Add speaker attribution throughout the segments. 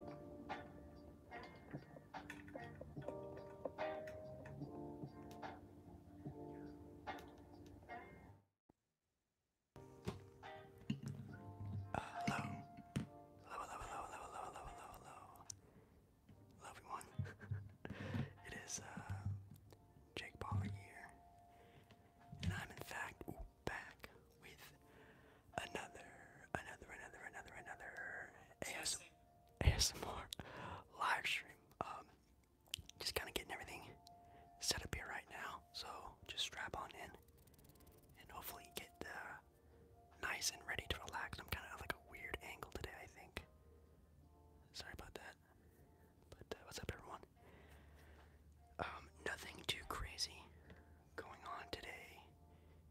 Speaker 1: Hello. Hello, hello, hello, hello, hello, hello, hello, hello. everyone. it is uh, Jake Baller here. And I'm, in fact, back with another, another, another, another, another ASMR live stream. Um, just kind of getting everything set up here right now. So just strap on in and hopefully get uh, nice and ready to relax. I'm kind of like a weird angle today, I think. Sorry about that. But uh, what's up, everyone? Um, nothing too crazy going on today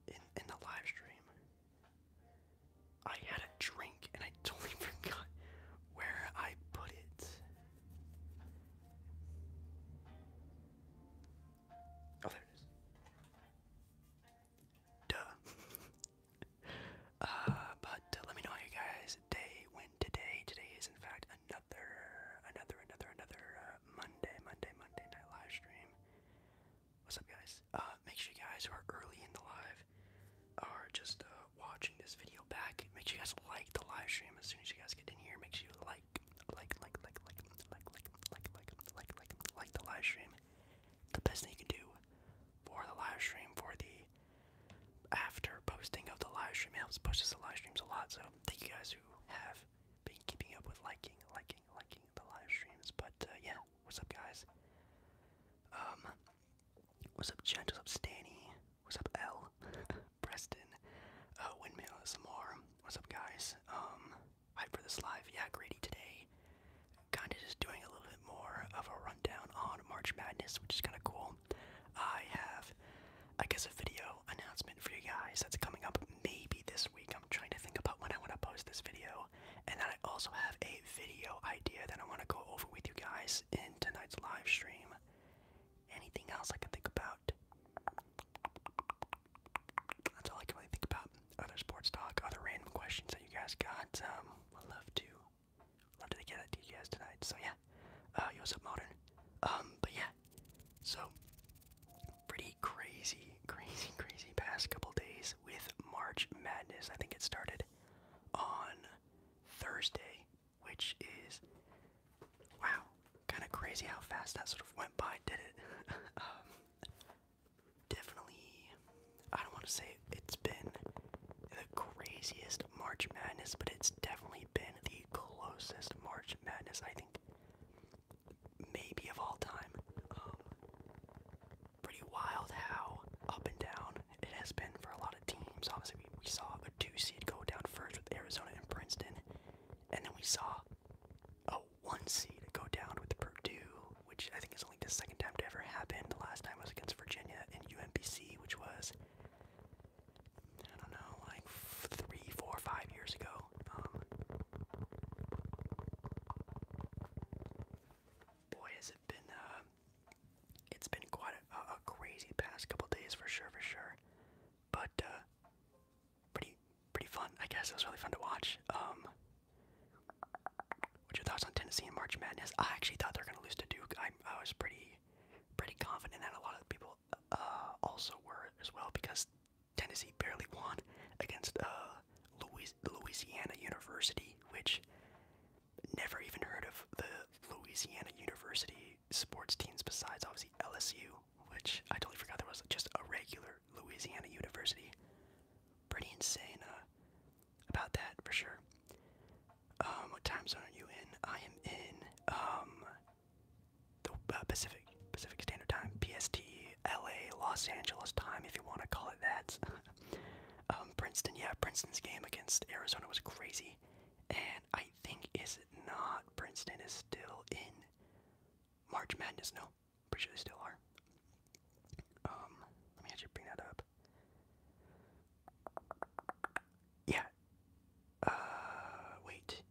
Speaker 1: in, in the live stream. I had a drink and I totally forgot where I put it. Oh, there it is. Duh. Uh, but uh, let me know how you guys' day went today. Today is, in fact, another, another, another, another uh, Monday, Monday, Monday night live stream. What's up, guys? Uh, make sure you guys who are early in the live are just uh, watching this video back. Make sure you guys like the live stream as soon as you guys get in here. Make sure you like, like, like, like, like, like, like, like, like, like, like, like the live stream. The best thing you can do for the live stream, for the after posting of the live stream, it helps push us the live streams a lot. So thank you guys who have been keeping up with liking, liking, liking the live streams. But uh, yeah, what's up, guys? Um, what's up, Gent? What's up, Stanny? What's up, L? Preston? Uh, Windmill SMR? What's up, guys? Um, hype for this live. Yeah, Grady today. Kinda just doing a little bit more of a rundown on March Madness, which is kinda cool. I have, I guess, a video announcement for you guys that's coming up maybe this week. I'm trying to think about when I want to post this video, and then I also have a video idea that I want to go over with you guys in tonight's live stream. Anything else I can think about? That's all I can really think about. Other sports talk, other random questions that you guys got. Um, I'd love to, love to get that to guys tonight. So yeah, uh, yo, what's up, modern? Um, but yeah, so pretty crazy, crazy, crazy past couple days with March Madness. I think it started on Thursday, which is wow, kind of crazy how fast that sort of went by, did it? Um, definitely, I don't want to say it's been the craziest March Madness, but it's definitely been the closest March Madness I think maybe of all time. Um, pretty wild how up and down it has been for a lot of teams. Obviously, we, we saw a two seed go down first with Arizona and Princeton, and then we saw a one seed go down with Purdue, which I think is only the second time to ever happen. The last time was against Virginia and UMBC, which was I don't know, like three, four, five years ago. Um, Boy, has it been, uh, it's been quite a, crazy past couple days for sure, for sure. But, uh, pretty, pretty fun, I guess. It was really fun to watch. Um, what's your thoughts on Tennessee and March Madness? I actually thought they were going to lose to Duke. I, I was pretty, pretty confident that a lot of people, uh, also were as well because Tennessee barely won against uh, Louisiana University, which never even heard of the Louisiana University sports teams besides obviously LSU, which I totally forgot there was just a regular Louisiana University. Pretty insane uh, about that for sure. Um, what time zone are you in? I am in um, the uh, Pacific Pacific Standard Time, PST LA, Los Angeles time, if you want to call it that. um, Princeton, yeah, Princeton's game against Arizona was crazy. And I think, is it not? Princeton is still in March Madness. No, pretty sure they still are. Um, let me actually bring that up. Yeah. Uh, wait.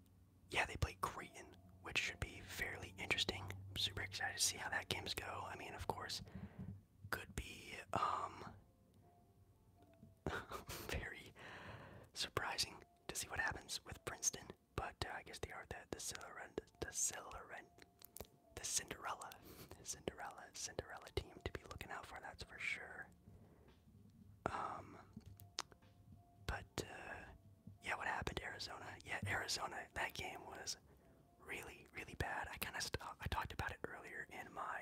Speaker 1: Yeah, they play Creighton which should be fairly interesting. super excited to see how that games go. I mean, of course, could be um very surprising to see what happens with Princeton. But uh, I guess they are the the Cilarent, the Cinderella, the Cinderella, Cinderella team to be looking out for. That's for sure. Um, but uh, yeah, what happened to Arizona? Yeah, Arizona. That game was really, really bad. I kind of I talked about it earlier in my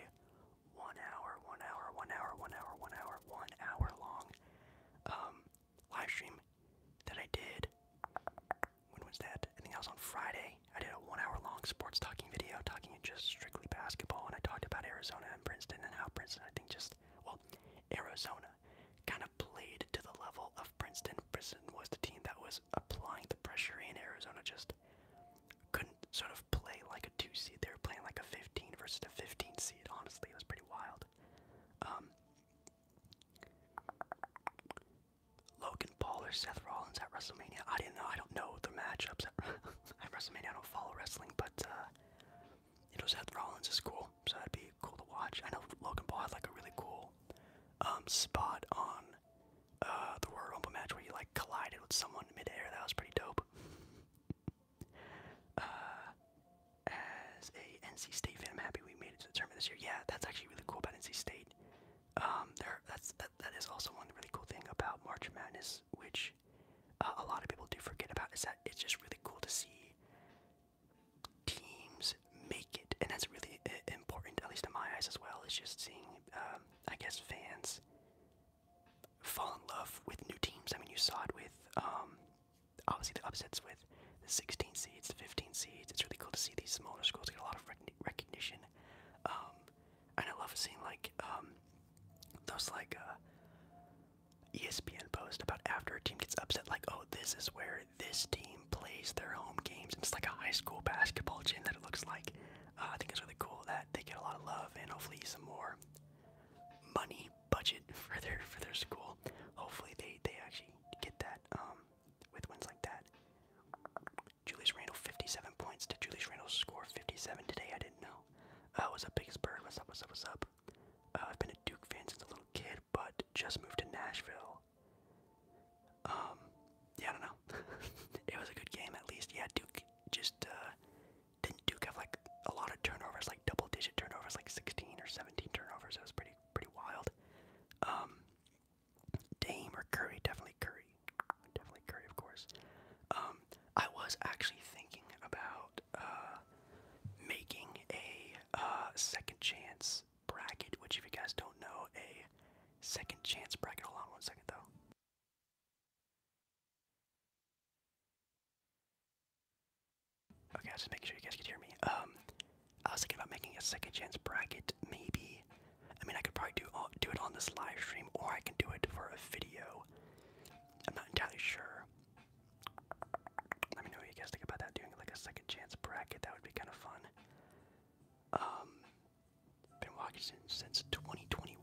Speaker 1: one hour, one hour, one hour, one hour, one hour, one hour long um, live stream that I did. When was that? I think that was on Friday. I did a one hour long sports talking video talking just strictly basketball, and I talked about Arizona and Princeton and how Princeton, I think, just well, Arizona kind of played to the level of Princeton. Princeton was the team that was applying the pressure, and Arizona just couldn't sort of play like a two seed. They were playing like a 15 versus a 15 seed. Honestly, it was pretty wild. Um, Logan Paul or Seth Rollins at WrestleMania. I didn't know. I don't know the matchups at, at WrestleMania. I don't follow wrestling, but uh, you know Seth Rollins is cool, so that'd be cool to watch. I know Logan Paul had like a really cool um, spot on uh, the Royal Rumble match where you like collided with someone midair. That was pretty dope. Uh, as a NC State fan, I'm happy we made it to the tournament this year. Yeah, that's actually really cool about NC State. Um, there, that's that, that is also one really cool thing about March Madness, which uh, a lot of people do forget about, is that it's just really cool to see teams make it, and that's really uh, important, at least in my eyes as well. Is just seeing, um, I guess, fans fall in love with new teams. I mean, you saw it with um, obviously the upsets with the 16 seeds, the 15 seeds. It's really cool to see these smaller schools get a lot of recognition, um, and I love seeing like those like. Uh, ESPN post about after a team gets upset, like, oh, this is where this team plays their home games. It's like a high school basketball gym that it looks like. Uh, I think it's really cool that they get a lot of love and hopefully some more money budget for their for their school. Hopefully they they actually get that um, with wins like that. Julius Randle 57 points. Did Julius Randle score 57 today? I didn't know. Uh, what's up, Pittsburgh? What's up? What's up? What's up? Uh, I've been a Duke fan since a little kid but just moved to Nashville. Um, yeah, I don't know. it was a good game at least. Yeah, Duke just uh, didn't Duke have like a lot of turnovers, like double-digit turnovers, like 16 or 17 turnovers. It was pretty pretty wild. Um, Dame or Curry, definitely Curry, definitely Curry, of course. Um, I was actually thinking about uh, making a uh, second chance bracket, which, if you guys don't know, a second chance bracket. Hold on one second, though. Okay, I'll just make sure you guys can hear me. Um, I was thinking about making a second chance bracket, maybe. I mean, I could probably do do it on this live stream, or I can do it for a video. I'm not entirely sure. Let me know what you guys think about that. Doing like a second chance bracket, that would be kind of fun. Um, been watching since, 2021.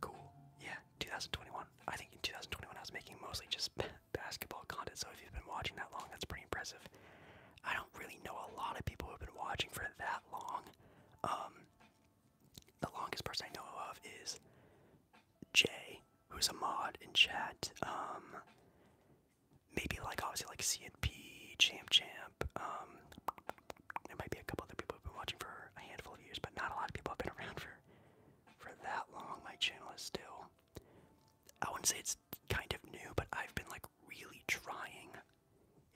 Speaker 1: Cool. Yeah, 2021. I think in 2021 I was making mostly just basketball content, so if you've been watching that long, that's pretty impressive. I don't really know a lot of people who have been watching for that long. Um, the longest person I know of is Jay, who's a mod in chat. Um, maybe like obviously like CNP, Champ Champ. Um, there might be a couple other people who've been watching for a handful of years, but not a lot of people have been around for for that long. My channel is still. I wouldn't say it's kind of new, but I've been like really trying,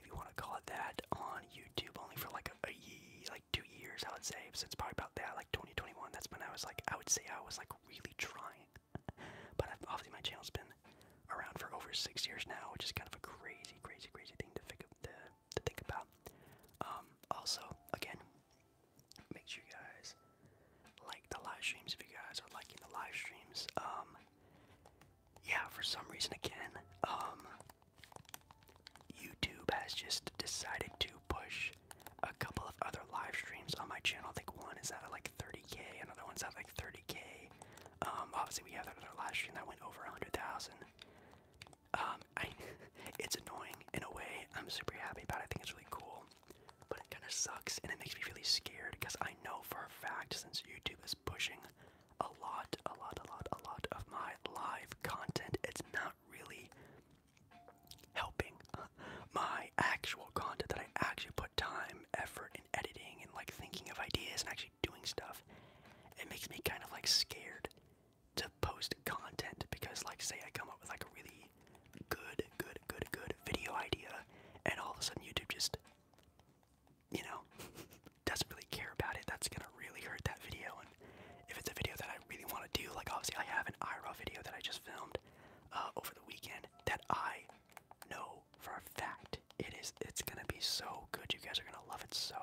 Speaker 1: if you want to call it that, on YouTube only for like a, a ye, like two years, I would say, since probably about that, like 2021. That's when I was like, I would say I was like really trying but obviously my channel's been around for over six years now, which is kind of a crazy, crazy, crazy thing to think, about. Um, also, again, make sure you guys like the live streams if you guys are liking the live streams. Um, yeah, for some reason, again, um, YouTube has just decided to push a couple of other live streams on my channel. I think one is at like 30k, another one's at like 30k. Um, obviously, we have another live stream that went over 100,000. Um, it's annoying in a way. I'm super happy about it. I think it's really cool, but it kind of sucks and it makes me really scared because I know for a fact since YouTube is pushing a lot, a lot, a lot, a lot of my live content, it's not really helping my actual content that I actually put time, effort, and editing and like thinking of ideas and actually doing stuff. It makes me kind of like scared to post content because like say I come up with like a really good, good, good, good video idea and all of a sudden YouTube just you know doesn't really care about it. That's gonna really hurt that video and if it's a video that I really want to do, like obviously I have an IRL video that I just filmed uh, over the weekend that I know for a fact it is it's gonna be so good. You guys are gonna love it so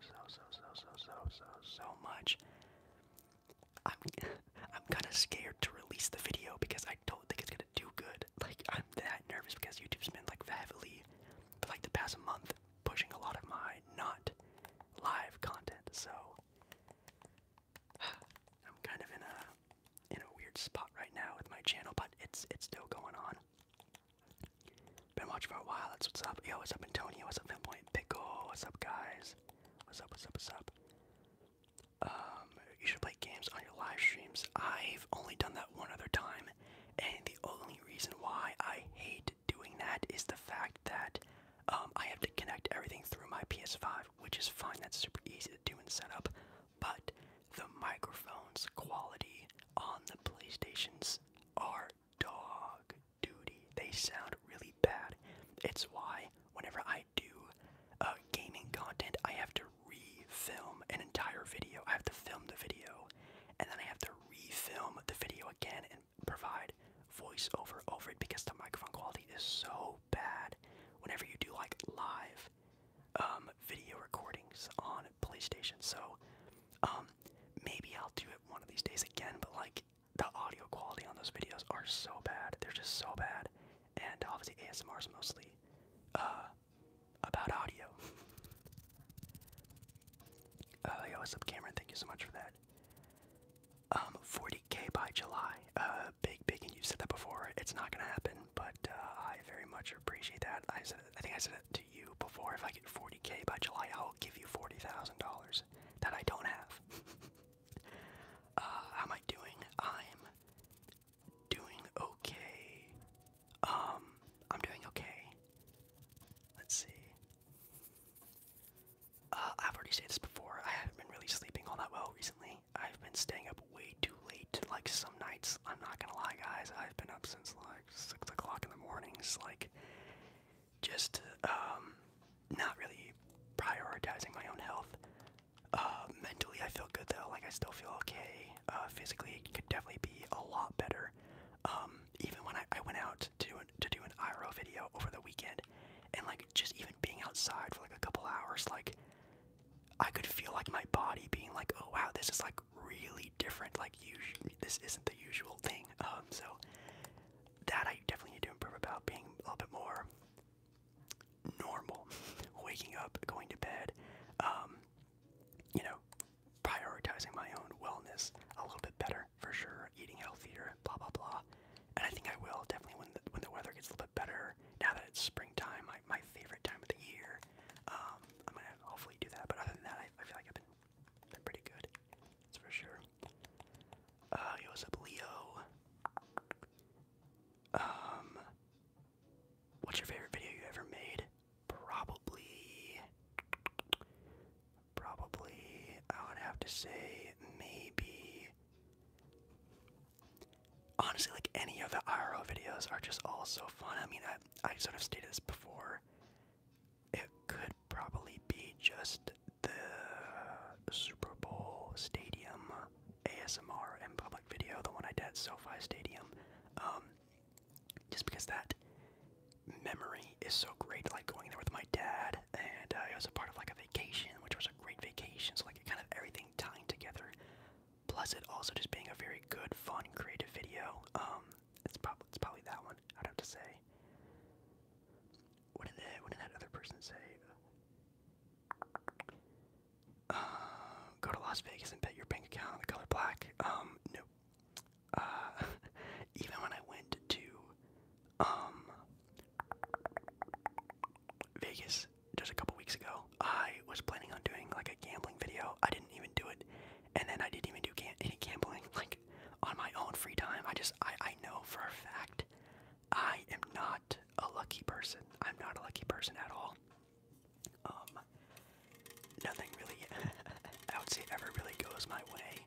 Speaker 1: so so so so so so so much. I'm I'm kind of scared to release the video because I don't think it's gonna do good. Like I'm that nervous because YouTube's been like heavily, for, like the past month, pushing a lot of my not live content. So I'm kind of in a in a weird spot right now with my channel, but it's it's still going on. Been watching for a while. That's what's up. Yo, what's up, Antonio? What's up, Pinpoint Pickle? What's up, guys? What's up? What's up? What's up? Um, you should play games on your live streams. I've only done that one other time, and the only reason why I hate doing that is the fact that um, I have to connect everything through my PS5, which is fine. That's super easy to do and set up. But the microphone's quality on the PlayStations are dog duty. They sound really bad. It's why whenever I do a uh, gaming content, I have to re-film an entire video. I have to film the video, and then I have to re-film the video again and provide voiceover over it because the microphone quality is so bad. Whenever you do like live um, video recordings on PlayStation. So um, maybe I'll do it one of these days again. But like the audio quality on those videos are so bad. They're just so bad. And obviously ASMR is mostly uh, about audio. Uh, what's up, Cameron? Thank you so much for that. Um, 40k by July. Uh, big, big, and you've said that before. It's not going to happen, but uh, I very much appreciate that. I said, I think I said it to you before. If I get 40k by July, I'll give you forty thousand dollars that I don't have. Uh, how am I doing? I'm doing okay. Um, I'm doing okay. Let's see. Uh, I've already said this before. I haven't been really sleeping all that well recently. I've been staying up way too late. Like some nights, I'm not gonna lie, guys. I've been up since like six o'clock in the mornings. Like, just um, not really prioritizing my own health. Uh, mentally, I feel good though. Like, I still feel okay. Uh, physically, it could definitely be a lot better. Um, even when I, went out to do an, to do an IRL video over the weekend, and like just even being outside for like a couple hours, like I could feel like my body being like, oh wow, this is like really different. Like, this isn't the usual thing. Um, so that I definitely need to improve about being a little bit more normal, waking up, going to bed. Um, you know, prioritizing my own wellness a little bit better for sure. Eating healthier, blah blah blah. And I think I will definitely when the, when the weather gets a little bit better now that it's springtime, my, favorite time of the year. Um, I'm gonna hopefully do that, but other than that, I, feel like I've been, been pretty good. That's for sure. yo, what's up, Leo? Um, what's your favorite video you ever made? Probably, probably, I would have to say maybe honestly, like any of the IRL videos are just all so fun. I mean, I, I sort of stated this before. It could probably be just the Super Bowl Stadium ASMR and public video, the one I did at SoFi Stadium. Um, just because that memory is so great, like going there with my dad, and uh, it was a part of like a vacation, which was a great vacation. So like kind of everything tying together plus it also just being a very good, fun, creative video. Um, it's probably it's probably that one. I'd have to say. What did that? What did that other person say? Uh, go to Las Vegas and bet your bank account on the color black. Um, no. Uh, even when I went to um Vegas, just a couple weeks ago, I was planning on doing like a gambling video. I didn't even do it, and then I didn't even do any gambling like on my own free time. I just I I know for a fact I am not a lucky person. I'm not a lucky person at all. Um, nothing really. I would say ever really goes my way.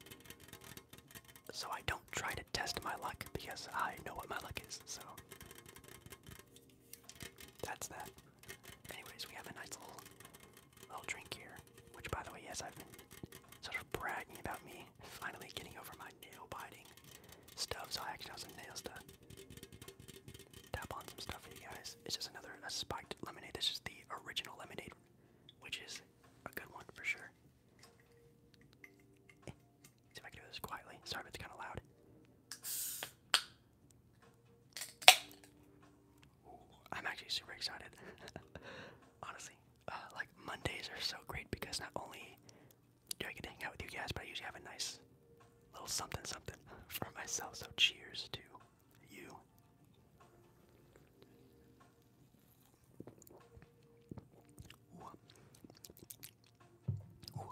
Speaker 1: So I don't try to test my luck because I know what my luck is. So that's that. Anyways, we have a nice little little drink here. Which, by the way, yes, I've been sort of bragging about me finally getting over my nail biting stuff. So I actually have some nails to tap on some stuff for you guys. It's just another spiked lemonade. This is the original lemonade, which is a good one for sure. See if I can do this quietly. Sorry it's kind of loud. I'm actually super excited. Honestly, uh, like Mondays are so great because not only do I get to hang out with you guys, but I usually have a nice little something something for myself. So cheers to you. Ooh.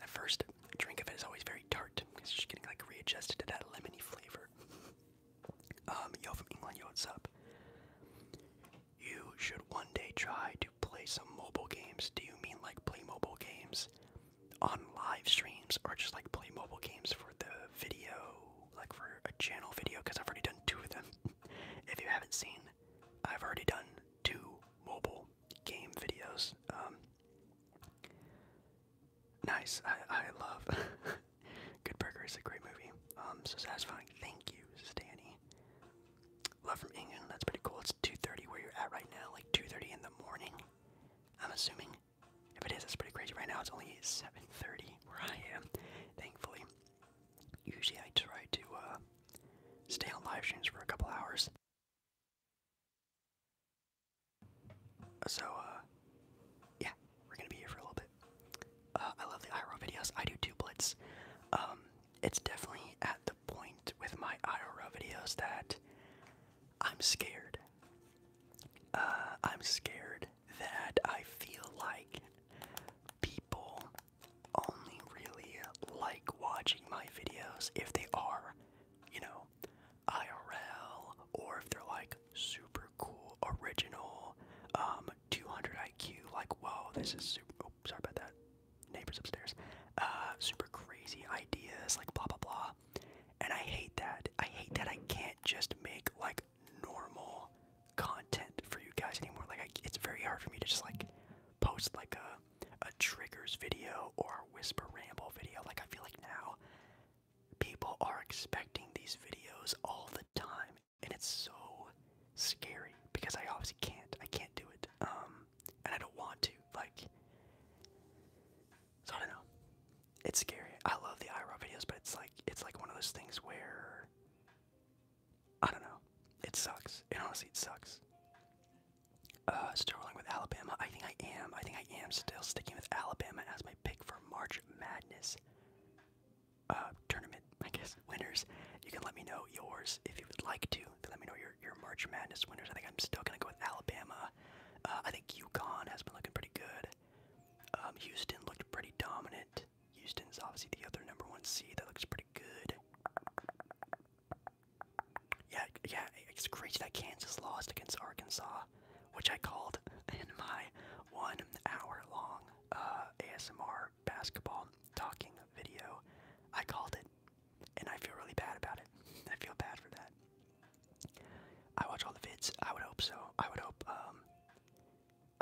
Speaker 1: The first drink of it is always very tart because she's getting like readjusted to that lemony flavor. Um, yo from England, yo, what's up? You should one day try to play some mobile games. Do you mean like play mobile games on live streams or just like play mobile games for the video, like for a channel video? Because I've already done two of them. if you haven't seen, I've already done two mobile game videos. Um, nice. I, I love Good Burger is a great movie. Um, so satisfying. Thank you, Danny. Love from England. That's pretty cool. It's 2.30 where you're at right now, like 2.30 in the morning, I'm assuming. If it is, it's pretty crazy. Right now it's only 7.30 where I am, thankfully. Usually I try to uh, stay on live streams for a couple hours. So, uh, yeah, we're gonna be here for a little bit. Uh, I love the IRL videos. I do two blits. Um, it's definitely at the point with my IRL videos that I'm scared. Uh, I'm scared that I feel like people only really like watching my videos if they are, you know, IRL or if they're like super cool, original, um, 200 IQ, like, whoa, this is super. Oh, sorry about that. Neighbors upstairs. Uh, super crazy ideas, like, blah, blah, blah. And I hate that. I hate that I can't just make, like, normal content for you guys anymore. Like, it's very hard for me to just, like, post, like, a a triggers video or a whisper ramble video. Like, I feel like now people are expecting these videos all the time, and it's so scary because I obviously can't. I can't do it. Um, and I don't want to. Like, so I don't know. It's scary. I love the IRL videos, but it's like it's like one of those things where I don't know. It sucks. It honestly it sucks. Uh, still rolling with Alabama. I think I am. I think I am still sticking with Alabama as my pick for March Madness uh, tournament. I guess winners. You can let me know yours if you would like to. Let me know your your March Madness winners. I think I'm still gonna go with Alabama. Uh, I think UConn has been looking pretty good. Um, Houston looked pretty dominant. Houston is obviously the other number one seed. That looks pretty good. Yeah, yeah, it's crazy that Kansas lost against Arkansas, which I called in my one hour long uh, ASMR basketball talking video. I called it, and I feel really bad about it. I feel bad for that. I watch all the vids. I would hope so. I would hope, um,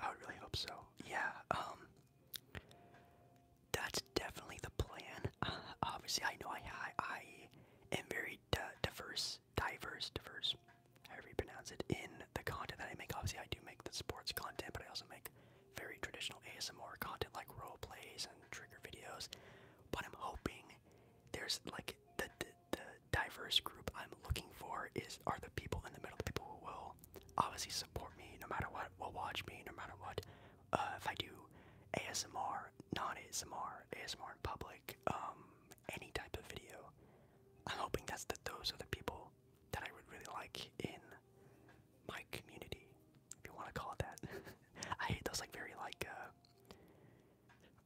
Speaker 1: I would really hope so. Yeah, um, that's definitely the plan. Uh, obviously, I know I I, am very di diverse, diverse, diverse. However you pronounce it in the content that I make. Obviously, I do make the sports content, but I also make very traditional ASMR content like role plays and trigger videos. But I'm hoping there's like the the, diverse group I'm looking for is are the people in the middle, the people who will obviously support me no matter what, will watch me no matter what, uh, if I do ASMR, non-ASMR, ASMR in public, um, any type of video, I'm hoping that's that those are the people that I would really like in my community, if you want to call it that. I hate those like very like uh,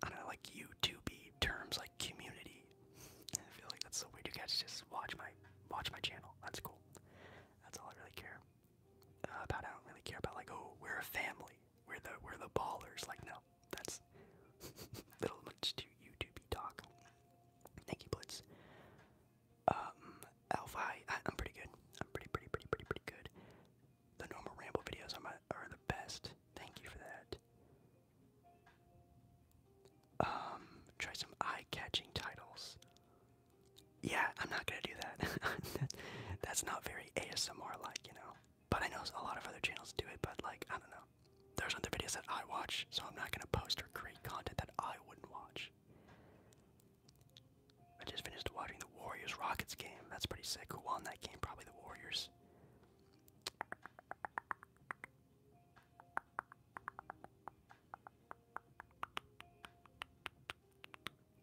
Speaker 1: I don't know like YouTubey terms like community. I feel like that's so weird. You guys just watch my watch my channel. That's cool. That's all I really care about I don't really care about like oh we're a family we're the we're the ballers like no that's a little much too YouTubey talk. Thank you Blitz. Um, Alpha, I, I'm pretty good. I'm pretty pretty pretty pretty pretty good. The normal ramble videos are my, are the best. Thank you for that. Um, try some eye-catching titles yeah, I'm not gonna do that. That's not very ASMR like, you know. But I know a lot of other channels do it, but like, I don't know. There's other videos that I watch, so I'm not gonna post or create content that I wouldn't watch. I just finished watching the Warriors Rockets game. That's pretty sick. Who won that game? Probably the Warriors.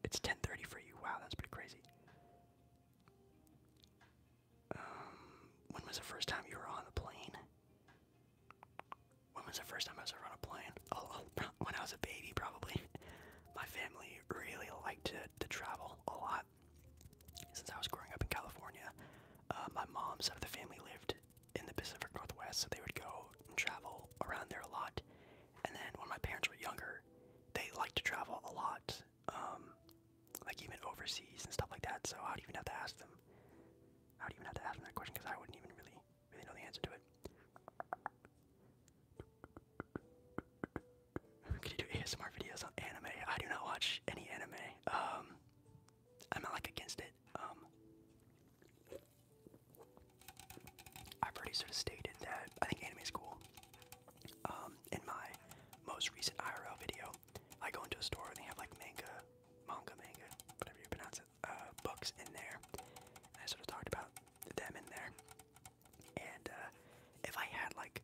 Speaker 1: It's 10:30 for you. Wow, that's pretty crazy. Um, when was the first time you were on a plane? When was the first time I was on a plane? Oh, oh when I was a baby, probably. My family really liked to, to travel a lot. Since I was growing up in California, uh, my mom's side of the family lived in the Pacific Northwest, so they would go and travel around there a lot. And then when my parents were younger, they liked to travel a lot, um, like even overseas and stuff like that. So I would even have to ask them. I would even have to ask them that question because I wouldn't even really, really know the answer to it. Can you do ASMR videos on anime? I do not watch any anime. Um, I'm like against it. Um, I've already sort of stated that I think anime is cool. Um, in my most recent IRL video, I go into a store and they have like manga, manga, manga, whatever you pronounce it, uh, books in there. I sort of talked about them in there. And uh, if I had like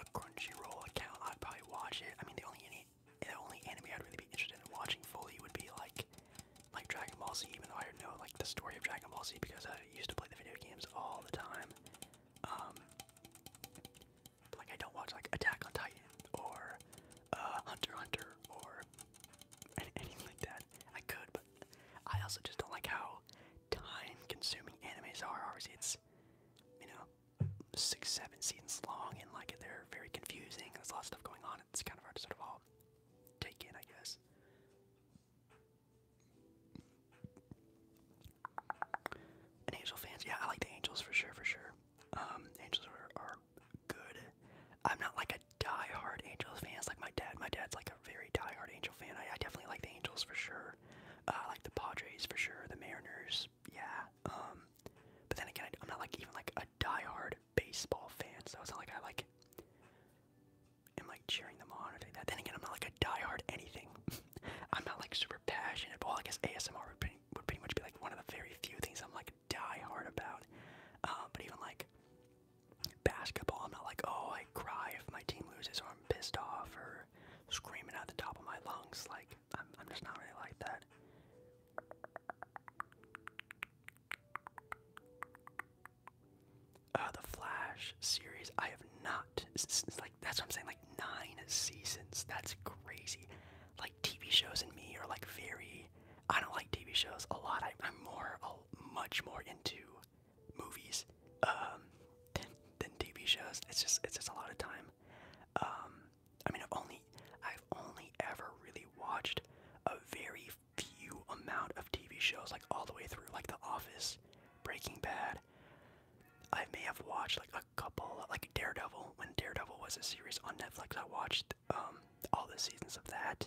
Speaker 1: a Crunchyroll account, I'd probably watch it. I mean, the only the only anime I'd really be interested in watching fully would be like like Dragon Ball Z, even though I don't know like the story of Dragon Ball Z because I used to play the video games all the time. Um, like I don't watch like Attack on Titan or uh, Hunter Hunter or anything like that. I could, but I also just don't like how time-consuming animes are. Obviously, it's you know six, seven scenes long, and like they're very confusing. There's a lot of stuff going on. It's kind of hard to sort of all take in, I guess. Angel fans, yeah, I like the Angels for sure, for sure. Um, Angels are, are good. I'm not like a die-hard Angels fans like my dad. My dad's like a very die-hard Angel fan. I, definitely like the Angels for sure. Uh, I like the Padres for sure. The Mariners, yeah. Um. but then again, I'm not like even like a die-hard baseball fan. So it's not like I like am like cheering them on or doing Then again, I'm not like a die-hard anything. I'm not like super passionate. Well, I guess ASMR would pretty, much be like one of the very few things I'm like diehard about. Um, but even like basketball, I'm not like oh I cry if my team loses or I'm pissed off or screaming out the top of my lungs. Like I'm just not really like that. Uh, the Flash series, I have not. Like that's what I'm saying. Like nine seasons. That's crazy. Like TV shows and me are like very. I don't like TV shows a lot. I, am more, much more into movies um, than TV shows. It's just, it's just a lot of time. Um, I mean, only, I've only ever really watched a very few amount of TV shows, like all the way through, like The Office, Breaking Bad. I may have watched like a couple, like Daredevil. When Daredevil was a series on Netflix, I watched um, all the seasons of that.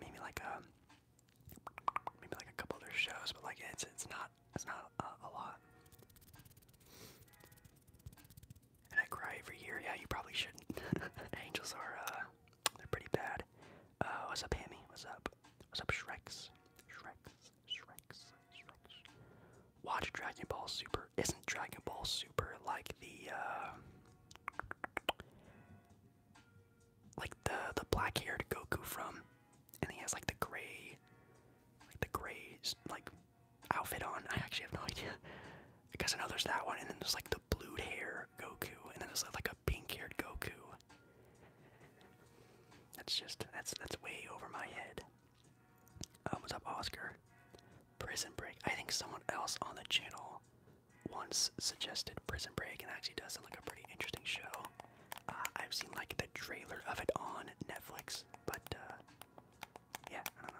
Speaker 1: Maybe like um, maybe like a couple other shows, but like it's it's not it's not uh, a lot. And I cry every year. Yeah, you probably shouldn't. Angels are uh, they're pretty bad. Uh, what's up, Hammy? What's up? What's up, Shreks? Shreks, Shreks, Shreks. Watch Dragon Ball Super. Isn't Dragon Ball Super like the uh, like the the black-haired Goku from, and he has like the gray, like the gray like outfit on? I actually have no idea. I guess I know there's that one, and then there's like the a hair Goku, and then there's like a pink haired Goku. That's just that's that's way over my head. Um, what's up, Oscar? Prison Break. I think someone else on the channel once suggested Prison Break, and actually does sound a pretty interesting show. Uh, I've seen like the trailer of it on Netflix, but uh, yeah, I don't know.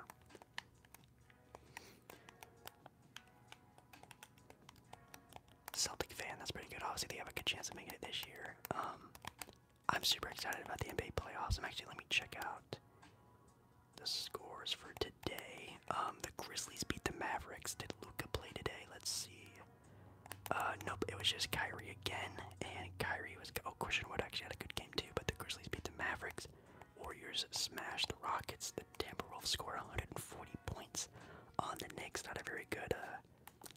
Speaker 1: Celtic fan. That's pretty good. Obviously, they have a good chance of making it this year. Um, I'm super excited about the NBA playoffs. I'm actually let me check out the scores for today. Um, the Grizzlies beat the Mavericks. Did Luca play today? Let's see. Uh, nope. It was just Kyrie again, and Kyrie was. Oh, Christian Wood actually had a good game too. But the Grizzlies beat the Mavericks. Warriors smash the Rockets. The Timberwolves score 140 points on the Knicks. Not a very good uh,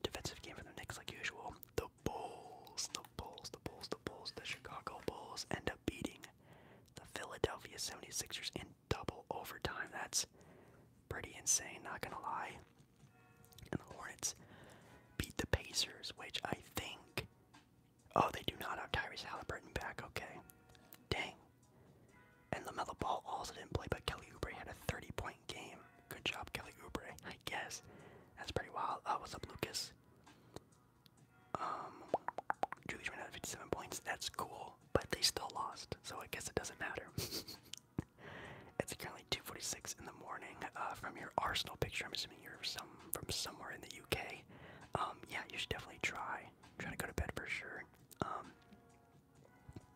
Speaker 1: defensive game for the Knicks, like usual. The Bulls, the Bulls, the Bulls, the Bulls, the Chicago Bulls end up beating the Philadelphia 76ers in double overtime. That's pretty insane, not gonna lie. And the Hornets beat the Pacers, which I think. Oh, they do not have Tyrese Halliburton back, okay. Dang, and LaMelo Ball also didn't play, but Kelly Oubre had a 30 point game. Good job, Kelly Oubre, I guess. That's pretty wild. Uh, what's up, Lucas? Um, Julius out of 57 points. That's cool, but they still lost, so I guess it doesn't matter. it's currently 2:46 in the morning. Uh, from your Arsenal picture, I'm assuming you're from somewhere in the UK. Um, yeah, you should definitely try. Try to go to bed for sure. Um,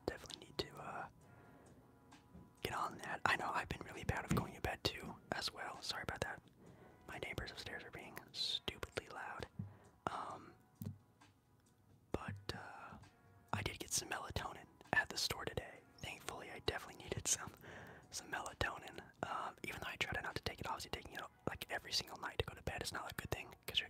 Speaker 1: definitely need to uh, get on that. I know I've been really bad of going to bed too, as well. Sorry about that. My neighbors upstairs are being stupidly loud. Um, but uh, I did get some melatonin at the store today. Thankfully, I definitely needed some some melatonin. Um, even though I tried not to take it, obviously taking it like every single night to go to bed is not a good thing because you're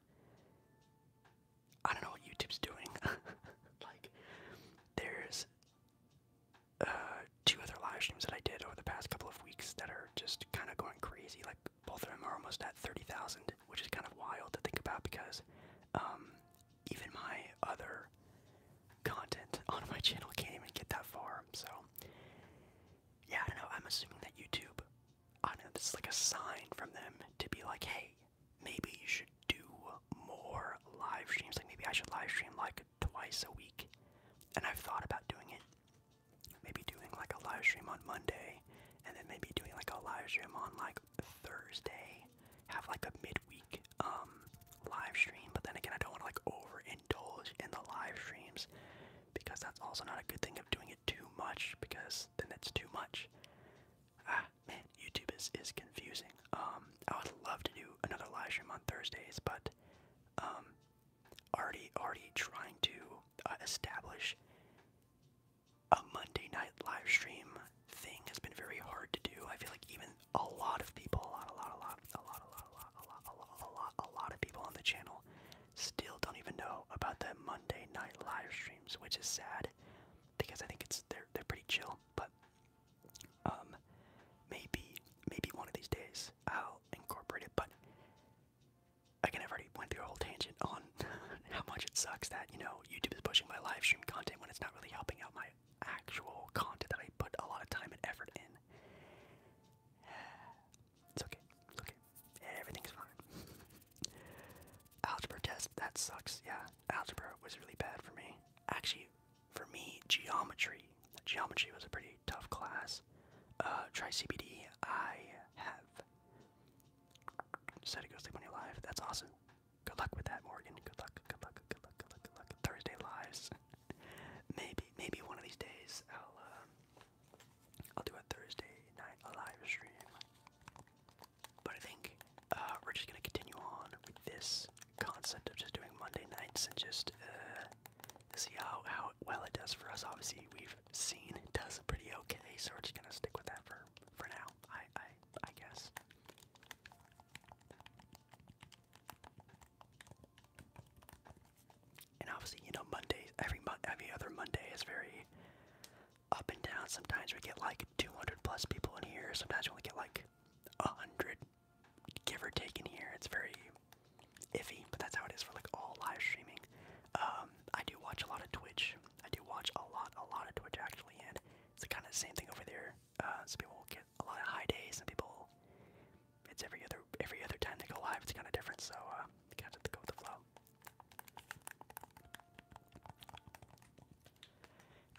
Speaker 1: I don't know what YouTube's doing. like, there's uh, two other live streams that I did over the past couple of weeks that are just kind of going crazy. Like, both of them are almost at 30,000, which is kind of wild to think about because um, even my other content on my channel can't even get that far. So, yeah, I don't know. I'm assuming that YouTube I know, this is like a sign from them to be like, hey, maybe you should do more live streams. Like maybe I should live stream like twice a week. And I've thought about doing it. Maybe doing like a live stream on Monday, and then maybe doing like a live stream on like Thursday. Have like a midweek um live stream, but then again I don't want to like overindulge in the live streams because that's also not a good thing of doing it too much because that's then that's too much. Ah, man, YouTube is is confusing. Um, I would love to do another live stream on Thursdays, but um, already already trying to uh, establish a Monday night live stream thing has been very hard to do. I feel like even a lot of people, a lot, a lot, a lot, a lot, a lot, a lot, a lot, a lot, a lot, a lot of people on the channel still don't even know about the Monday night live streams, which is sad because I think it's they're they're pretty chill. But um, maybe maybe one of these days I'll incorporate it. But i can already went through a whole tangent on how much it sucks that you know YouTube is pushing my live stream content when it's not really helping out my actual content that I put a lot of time and effort in. It's okay. It's okay. Everything's fine. Algebra test, that sucks. Yeah, algebra was really bad for me. Actually, for me, geometry. Geometry was a pretty tough class. Uh, try CBD. I have. Decided to go when you're live. That's awesome. Good luck with that, Morgan. Good luck. Good luck. Good luck. Good luck. Good luck. Thursday lives. maybe, maybe one of these days I'll uh, I'll do a Thursday night live stream. But I think uh, we're just gonna continue on with this concept of just doing Monday nights and just uh, see how how well it does for us. Obviously, we've seen it does pretty okay, so we're just gonna stick with that for for now. I I I guess. And obviously, you know, Monday every every other Monday is very up and down. Sometimes we get like 200 plus people in here. Sometimes we only get like 100, give or take, in here. It's very iffy, but that's how it is for like all live streaming. Um, I do watch a lot of Twitch. I do watch a lot, a lot of Twitch actually, and it's the kind of same thing over there. Uh, some people get a lot of high days, some people. It's every other every other time they go live. It's kind of different, so uh, you kind to go with the flow.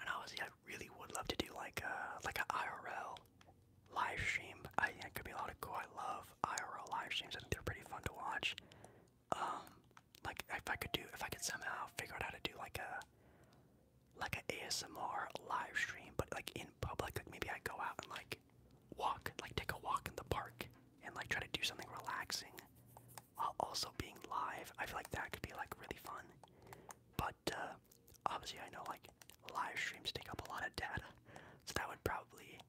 Speaker 1: And honestly, I really would love to do like uh, a like an IRL live stream. I think it could be a lot of cool. I love IRL live streams. I think they're pretty fun to watch. Um, like if I could do, if I could somehow figure out how to do like a like an ASMR live stream, but like in public. Like maybe I go out and like walk, like take a walk in the park and like try to do something relaxing while also being live. I feel like that could be like really fun. But uh, obviously, I know like live streams take up a lot of data, so that would probably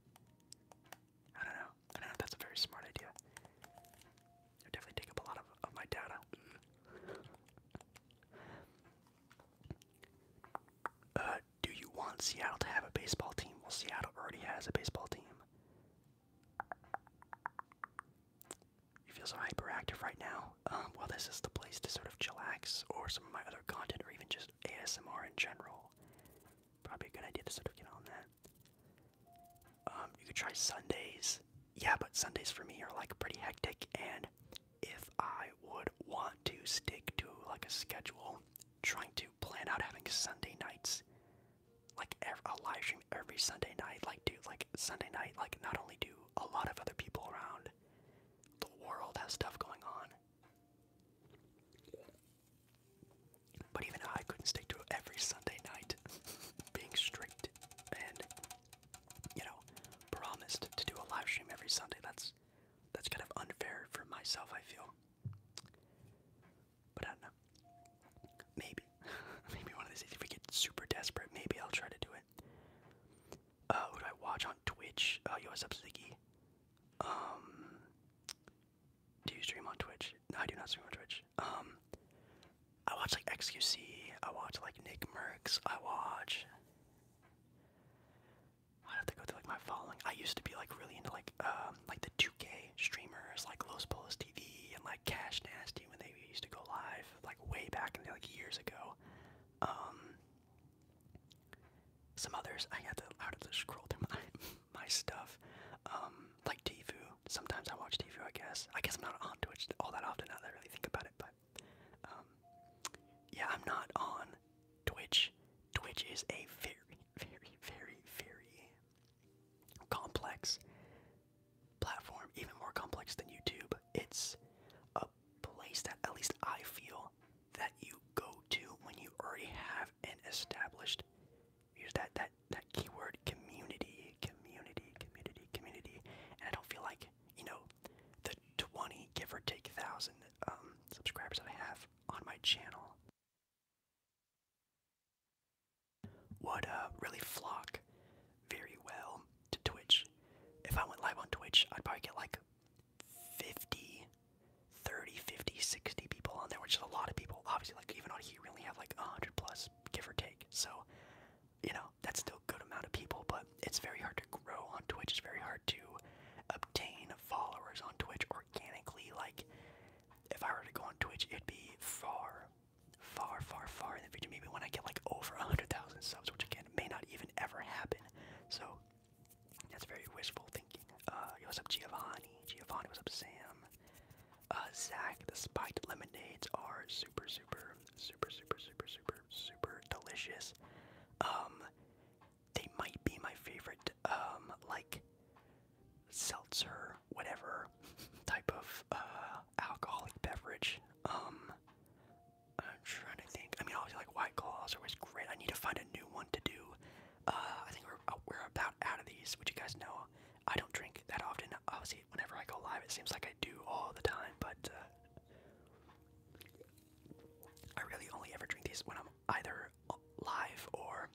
Speaker 1: I don't know. I don't know if that's a very smart idea. It definitely take up a lot of, of my data. Uh, do you want Seattle to have a baseball team? Well, Seattle already has a baseball team. You feel so hyperactive right now? Um, well, this is the place to sort of chillax, or some of my other content, or even just ASMR in general. Probably a good idea to sort of get on that. Um, you could try Sundays. Yeah, but Sundays for me are like pretty hectic, and if I would want to stick to like a schedule, trying to plan out having Sunday nights like ev live stream every Sunday night. Like, dude, like Sunday night, like not only do a lot of other people around the world have stuff going on, but even I couldn't stick to every Sunday night, being strict and you know promised to do a live stream every Sunday. That's that's kind of unfair for myself. I feel. But I don't know. Maybe. maybe one of these days, if we get super desperate, maybe I'll try to do it. Uh, who do I watch on Twitch? Uh, yo, what's up, Ziggy? Um, do you stream on Twitch? I do not stream on Twitch. Um, I watch like XQC. I watch like Nick Merckx. I watch. I have to go through like my following. I used to be like really into like um like the 2K streamers like Los Polos TV and like Cash Nasty when they used to go live like way back in the, like years ago. Um, some others I got to how to scroll through my my stuff. Um, like Tfue. Sometimes I watch Tfue. I guess. I guess I'm not on Twitch all that often now that I really think about it. But um, yeah, I'm not on Twitch. Twitch is a very, very, very, very complex platform, even more complex than YouTube. It's a place that at least I feel that you go to when you already have an established use that that that keyword community, community, community, community. And I don't feel like, you know, the 20 give or take thousand um, subscribers that I have on my channel would uh, really flock very well to Twitch. If I went live on Twitch, I'd probably get like 50, 30, 50, 60 people on there, which is a lot of people. Obviously, like even on here, we only have like 100 plus, give or take. So, you know, that's still a good amount of people, but it's very hard to grow on Twitch. It's very hard to obtain followers on Twitch organically. Like, if I were to go on Twitch, it'd be far, far, far, far in the future. Maybe when I get like over 100,000 subs, which again may not even ever happen. So that's very wishful thinking. Uh, yo, what's up, Giovanni? Giovanni, what's up, Sam? Uh, Zach, the spiked lemonades are super, super, super, super, super, super, super delicious. Um, they might be my favorite, um, like seltzer, whatever type of uh, alcoholic beverage. Um, I'm trying to think. I mean, I obviously, like White Claws are always great. I need to find a new one to do. Uh, I think we're uh, we're about out of these, which you guys know. I don't drink that often. Obviously, whenever I go live, it seems like I do all the time. But uh, I really only ever drink these when I'm either live or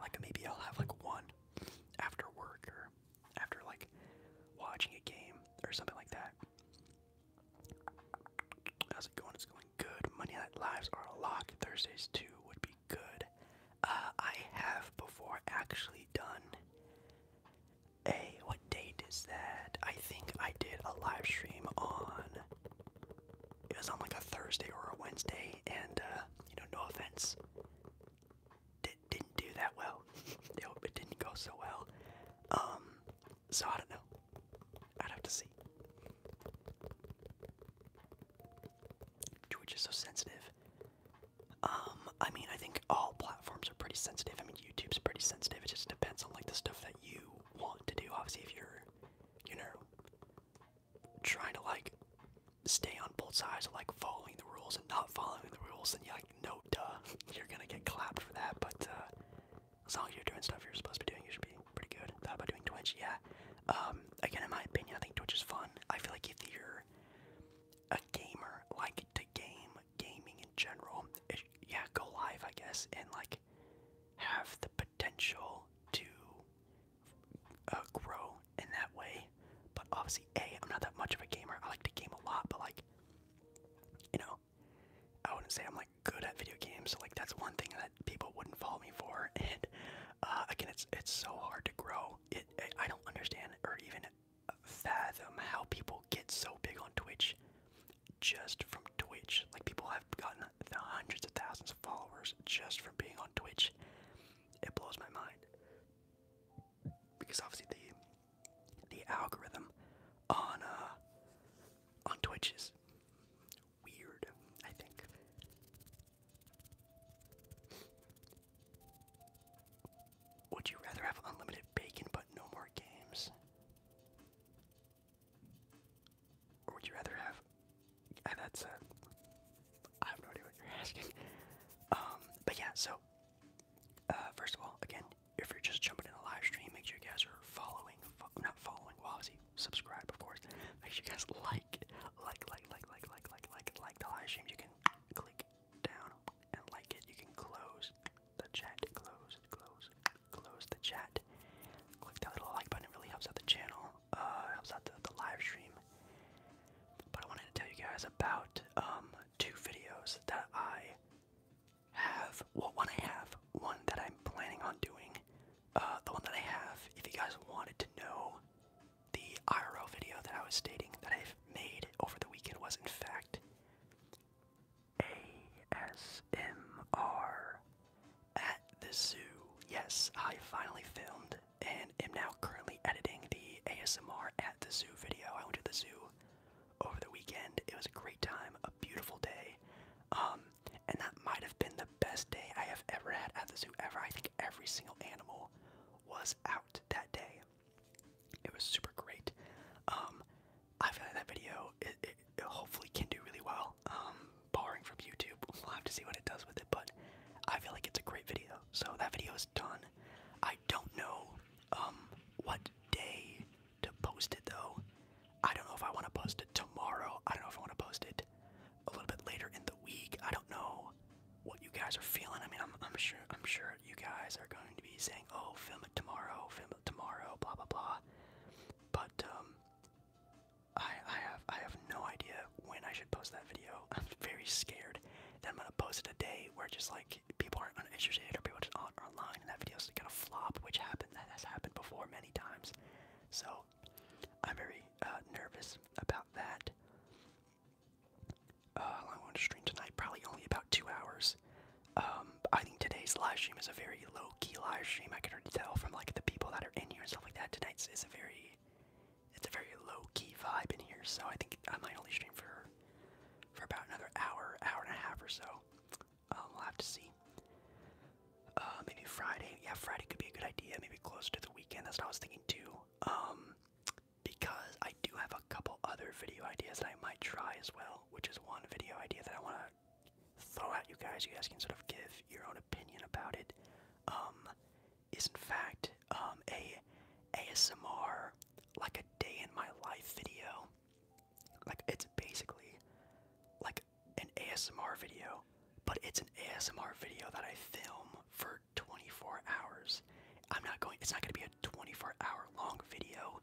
Speaker 1: like maybe I'll have like one after work or after like watching a game or something like that. How's it going? It's going good. Monday Night Lives are a lock. Thursdays too would be good. Uh, I have before actually done a what date is that? I think I did a live stream on. It was on like a Thursday or a Wednesday, and uh, you know, no offense did, not do that well. it didn't go so well. Um, so I don't know. I'd have to see. Twitch is so sensitive. Um, I mean, I think all platforms are pretty sensitive. I mean, YouTube's pretty sensitive. It just depends on like the stuff that you want to do. Obviously, if you're, you know, trying to like stay on both sides of like following the rules and not following the rules, and you like no duh, you're gonna get clapped for that. But uh, as long as you're doing stuff you're supposed to be doing, you should be pretty good. Thought about doing Twitch, yeah. Um, again, in my opinion, I think Twitch is fun. I feel like if you're a gamer, like to game gaming in general, yeah, go live, I guess, and like have the potential to uh, grow in that way. But obviously, A, I'm not that much of a gamer. I like to game a lot, but like, you know, I wouldn't say I'm like good at video games. So like, that's one thing that people wouldn't follow me for. And uh, again, it's it's so hard to grow. It, I don't understand or even fathom how people get so big on Twitch just from Twitch. Like people have gotten hundreds of thousands of followers just from being on Twitch. It blows my mind because obviously the the algorithm on uh, on Twitch is weird, I think. Would you rather have unlimited bacon but no more games? Or would you rather have that's a I have no idea what you're asking. Um, but yeah, so uh, first of all, again, if you're just jumping in the live stream, make sure you guys are following, not following, Wazzy, subscribe, of course. Make sure you guys like, like, like, like, like, like, like, like, like the live stream. You can click down and like it. You can close the chat, close, close, close the chat. Click that little like button. It really helps out the channel uh, helps out the, live stream. But I wanted to tell you guys about um, two videos that I have. Well, one I have, one that I'm planning on doing. Uh, the one that I have, if you guys wanted to know, the IRO video that I was stating that I've made over the weekend was, in fact, ASMR at the zoo. Yes, I finally filmed and am now currently editing the ASMR at the zoo video. I went to the zoo over the weekend. It was a great time, a beautiful day. Um, and that might have been the best day I have ever had at the zoo ever. I think every single animal was out that day. It was super great. Um, I feel like that video it, it, hopefully can do really well. Um, barring from YouTube, we'll have to see what it does with it. But I feel like it's a great video. So that video is done. I don't know um, what day to post it though. I don't know if I want to post it tomorrow. I don't know if I want to post it a little bit later in the week. I don't know what you guys are feeling. I mean, I'm sure I'm sure you guys are going to be saying, "Oh, film it tomorrow, film it tomorrow, blah blah blah." But um I I have I have no idea when I should post that video. I'm very scared. Then I'm gonna post it a day where just like people aren't interested or people just aren't online, and that video video's gonna flop, which happened. That has happened before many times. So I'm very uh, nervous about that. Uh, how long to stream tonight? Probably only about two hours. Um, I think today's live stream is a very low key live stream. I can already tell from like the people that are in here and stuff like that. Tonight is a very it's a very low key vibe in here, so I think I might only stream for for about another hour, hour and a half or so. i um, will have to see. Uh, maybe Friday. Yeah, Friday could be a good idea. Maybe close to the weekend. That's what I was thinking too. Um, because I do have a couple other video ideas that I might try as well, which is one video idea that I want to throw at you guys. You guys can sort of give your own opinion about it. Um, is in fact um, a ASMR like a day in my life video. Like it's basically like an ASMR video, but it's an ASMR video that I film for 24 hours. I'm not going it's not going to be a 24 hour long video,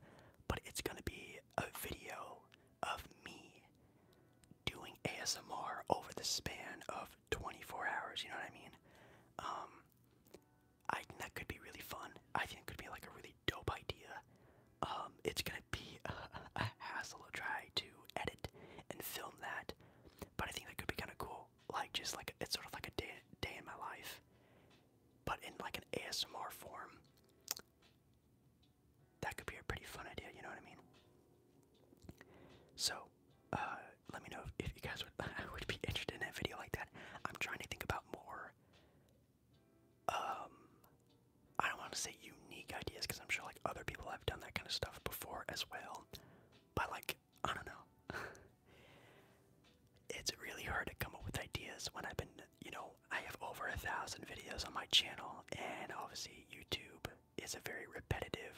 Speaker 1: but it's going to be a video of me doing ASMR over the span of 24 hours, you know what I mean? Um, I think that could be really fun. I think it could be like a really dope idea. Um, it's gonna be a, hassle to try to edit and film that, but I think that could be kind of cool. Like just like it's sort of like a day day in my life, but in like an ASMR form. That could be a pretty fun idea. You know what I mean? So, uh, let me know if, you guys would be interested in a video like that. I'm trying to think about more. Um, I don't want to say unique ideas because I'm sure like other people have done that kind of stuff before as well. But like, I don't know. it's really hard to come up with ideas when I've been, you know, I have over a thousand videos on my channel, and obviously YouTube is a very repetitive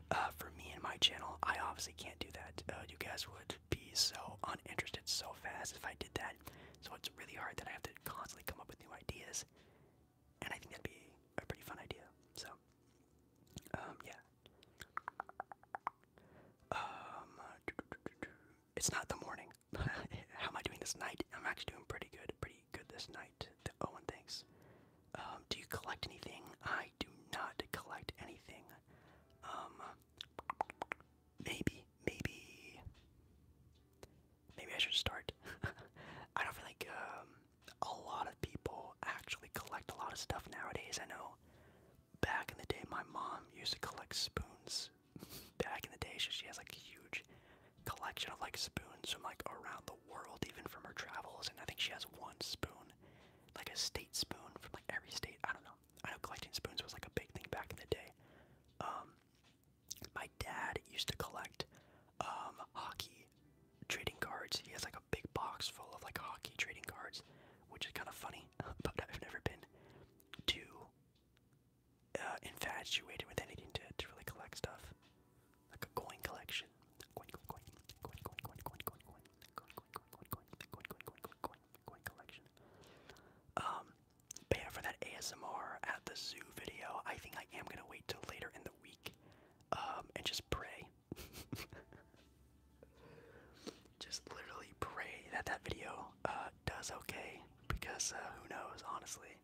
Speaker 1: Uh, for me and my channel. I obviously can't do that. Uh, you guys would be so uninterested so fast if I did that. So it's really hard that I have to constantly come up with new ideas. And I think that'd be a pretty fun idea. So, um, yeah. Um, it's not the morning. How am I doing this night? I'm actually doing pretty good. Pretty good this night. Owen, thanks. Um, do you collect anything? I do not collect anything. Um, maybe, maybe, maybe I should start. I don't feel like um, a lot of people actually collect a lot of stuff nowadays. I know back in the day, my mom used to collect spoons. back in the day, she has like a huge collection of like spoons from like around the world, even from her travels. And I think she has one spoon like a state spoon from like every state. I don't know. I know collecting spoons was like a big thing back in the day. Um, my dad used to collect um, hockey trading cards. He has like a big box full of like hockey trading cards, which is kind of funny. But I've never been too uh, infatuated with anything to, to really collect stuff, like a coin collection. Coin, coin, coin, coin, coin, coin, coin, coin, coin, coin, um, but yeah, for that ASMR at the zoo video, I think I am gonna wait till later in the week, um, and just pray. just literally pray that that video uh, does okay, because uh, who knows, honestly.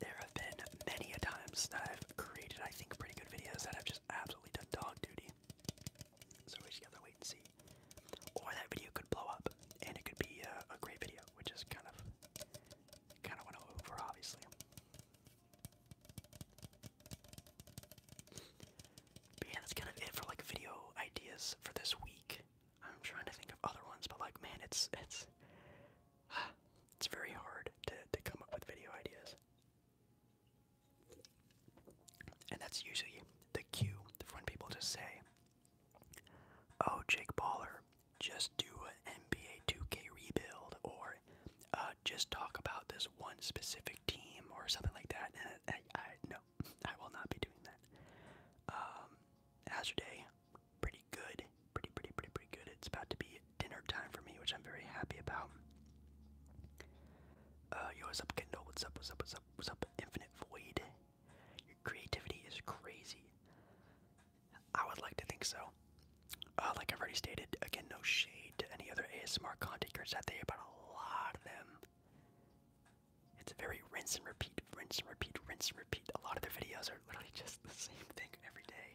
Speaker 1: There have been many a times i created, I think, pretty good videos that have just absolutely done dog duty. So we just gotta wait and see. Or that video could blow up, and it could be a great video, which is kind of, kind of what I'm over, obviously. But yeah, that's kind of it for like video ideas for this week. I'm trying to think of other ones, but like, man, it's it's it's very hard to to come up with video ideas. And that's usually the cue when people just say, Oh, Jake Baller, just do an NBA 2K rebuild, or uh, just talk about this one specific team, or something like that. I, no, I will not be doing that. Um, Azure Day, pretty good, pretty, pretty, pretty, pretty good. It's about to be dinner time for me, which I'm very happy about. Uh, yo, what's up, Kendall? What's up? What's up? What's up? What's up? Infinite Void. Your creativity is crazy. I would like to think so. Uh, like I've already stated, again, no shade to any other ASMR content creators out there, but a lot of them. It's very rinse and repeat, rinse and repeat, rinse and repeat. A lot of their videos are literally just the same thing every day.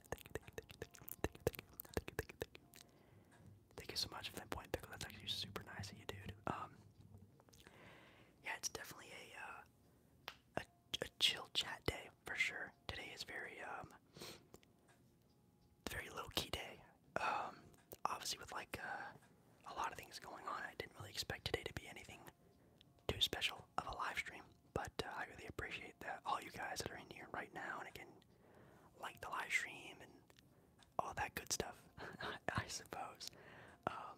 Speaker 1: Thank you so much for that point, Pickle. That's actually super nice of you, dude. Um, yeah, it's definitely a, uh, a a chill chat day for sure. Today is very um, very low key day. Um, obviously with like uh, a lot of things going on, I didn't really expect today to be anything too special of a live stream but uh, I really appreciate that all you guys that are in here right now and again like the live stream and all that good stuff I suppose um,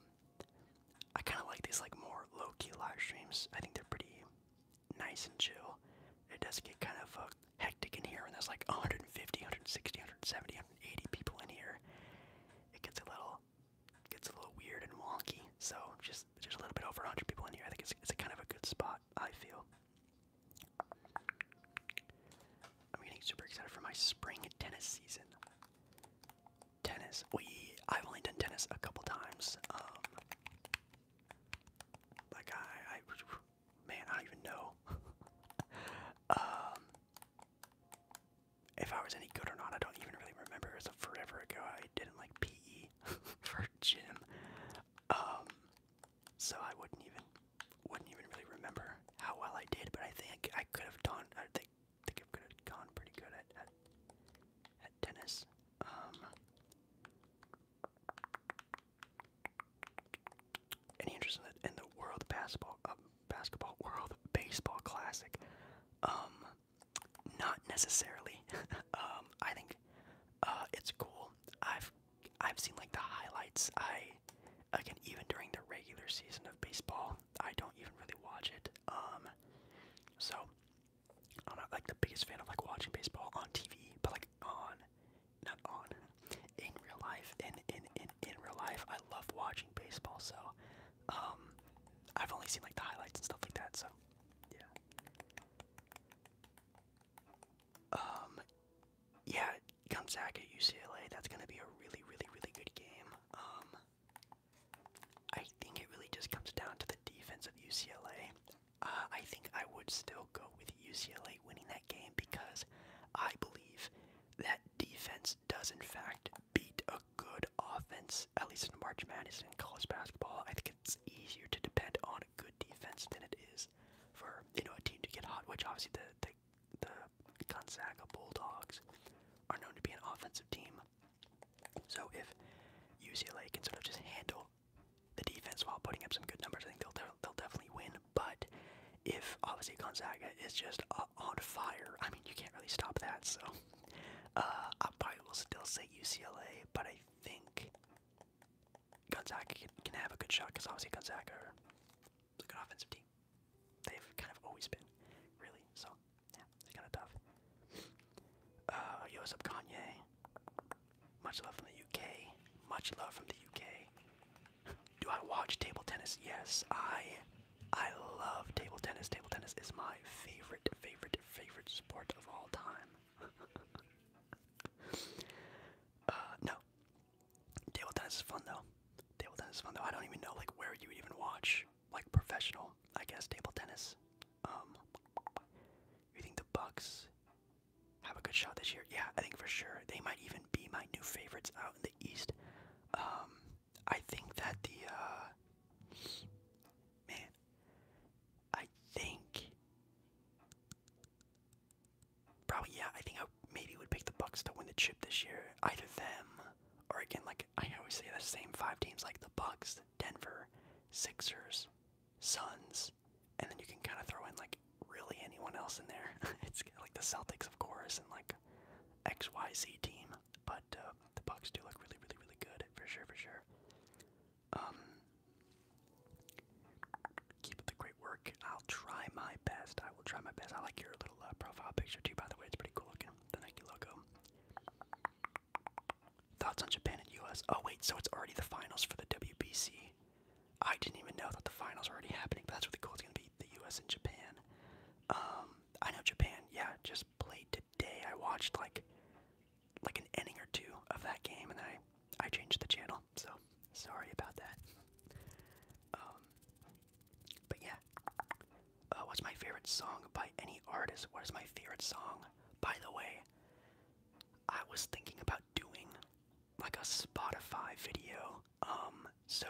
Speaker 1: I kind of like these like more low-key live streams I think they're pretty nice and chill it does get kind of uh, hectic in here and there's like 150 160 170 180 people in here it gets a little gets a little weird and wonky so just just a little bit over 100 people in here. I think it's it's a kind of a good spot. I feel. I'm getting super excited for my spring tennis season. Tennis. We I've only done tennis a couple times. Um, like I, I man, I don't even know. um, if I was any good or not, I don't even really remember. It's a forever ago. I didn't like PE D for Jim. Um, so I wouldn't even wouldn't even really remember how well I did, but I think I could have done. I think think I could have gone pretty good at at, at tennis. Um, any interest in the, in the world basketball uh, basketball world baseball classic? Um, not necessarily. Um, I think uh, it's cool. I've I've seen like the highlights. I again even during the regular season of baseball, I don't even really watch it. Um, so I'm not like the biggest fan of like watching baseball on TV, but like on not on in real life. In in in in real life, I love watching baseball. So um, I've only seen like the highlights and stuff like that. So yeah. Um, yeah, Gonzaga UCLA. That's gonna be a really, really, really good game. Um, I think it really just comes down to the defense of UCLA. Uh, I think I would still go with UCLA winning that game because I believe that defense does in fact beat a good offense. At least in March Madness in college basketball, I think it's easier to depend on a good defense than it is for you know a team to get hot, which obviously the the, the Gonzaga Bulldogs are known to be an offensive team. So if UCLA can sort of just handle the defense while putting up some good numbers, I think they'll they'll definitely win. But if obviously Gonzaga is just uh, on fire, I mean you can't really stop that. So uh, I probably will still say UCLA, but I think Gonzaga can, have a good shot because obviously Gonzaga is a good offensive team. They've kind of always been, really. So it's kind of tough. Uh, yo, what's up, Kanye? Much love from the UK. Much love from the UK. Do I watch table tennis? Yes, I. I love table tennis. Table tennis is my favorite, favorite, favorite sport of all time. Uh, no. Table tennis is fun though. Table tennis is fun though. I don't even know like where you would even watch like professional. I guess table tennis. Um, you think the Bucks have a good shot this year? Yeah, I think for sure they might even be my new favorites out in the East. Um, I think that the uh, man, I think. Probably yeah. I think I maybe would pick the Bucks to win the chip this year. Either them or again, like I always say, the same five teams like the Bucks, Denver, Sixers, Suns, and then you can kind of throw in like really anyone else in there. it's like the Celtics, of course, and like X Y Z team. But uh, the Bucks do look really, really, really good for sure, for sure. Um, keep up the great work. I'll try my best. I will try my best. I like your little uh, profile picture too, by the way. It's pretty cool looking. The Nike logo. Thoughts on Japan and US? Oh, wait, so it's already the finals for the WBC. I didn't even know that the finals were already happening, but that's really cool. It's going to be the US and Japan. Um, I know Japan, yeah, just played today. I watched like like an inning or two of that game, and I I changed the channel. So sorry about that. Um, but yeah, uh, what's my favorite song by any artist? What is my favorite song? By the way, I was thinking about doing like a Spotify video. Um, so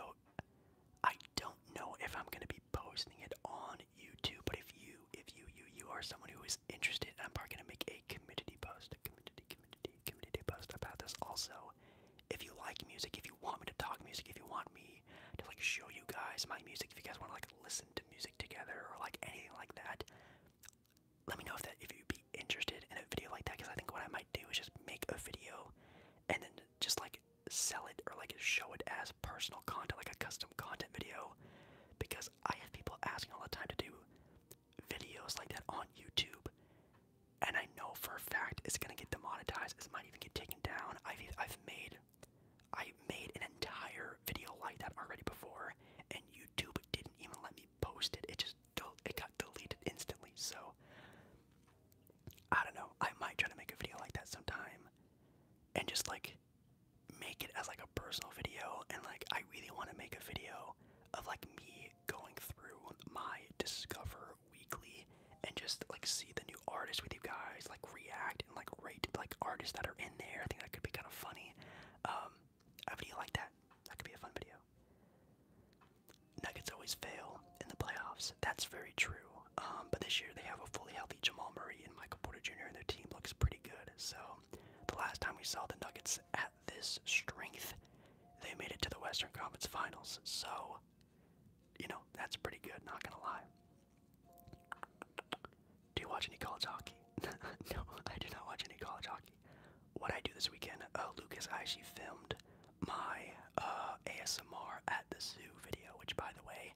Speaker 1: I don't know if I'm gonna be posting it on YouTube, but if you, if you, you, you are someone who is interested, I'm probably gonna make a community post, a community, community, community post about this. Also, if you like music, if you want me to talk music, if you want me to like show you guys my music, if you guys want to like listen to music together or like anything like that, let me know if that if you'd be interested in a video like that. Because I think what I might do is just make a video and then just like sell it or like show it as personal content, like a custom content video. Because I have people asking all the time to do videos like that on YouTube, and I know for a fact it's gonna get demonetized. It might even get taken down. I've I've made I made an entire video like that already before, and YouTube didn't even let me post it. It just it got deleted instantly. So I don't know. I might try to make a video like that sometime, and just like make it as like a personal video and like I really want to make a video of like me going through my discover weekly and just like see the new artists with you guys like react and like rate like artists that are in there. I think that could be kind of funny. Um a video like that. That could be a fun video. Nuggets always fail in the playoffs. That's very true. Um, but this year they have a fully healthy Jamal Murray and Michael Porter Jr. and their team looks pretty good. So the last time we saw the Nuggets at this strength, they made it to the Western Conference Finals. So, you know, that's pretty good, not gonna lie. Do you watch any college hockey? no, I do not watch any college hockey. What I do this weekend, Oh, Lucas, I actually filmed my uh, ASMR at the zoo video, which, by the way,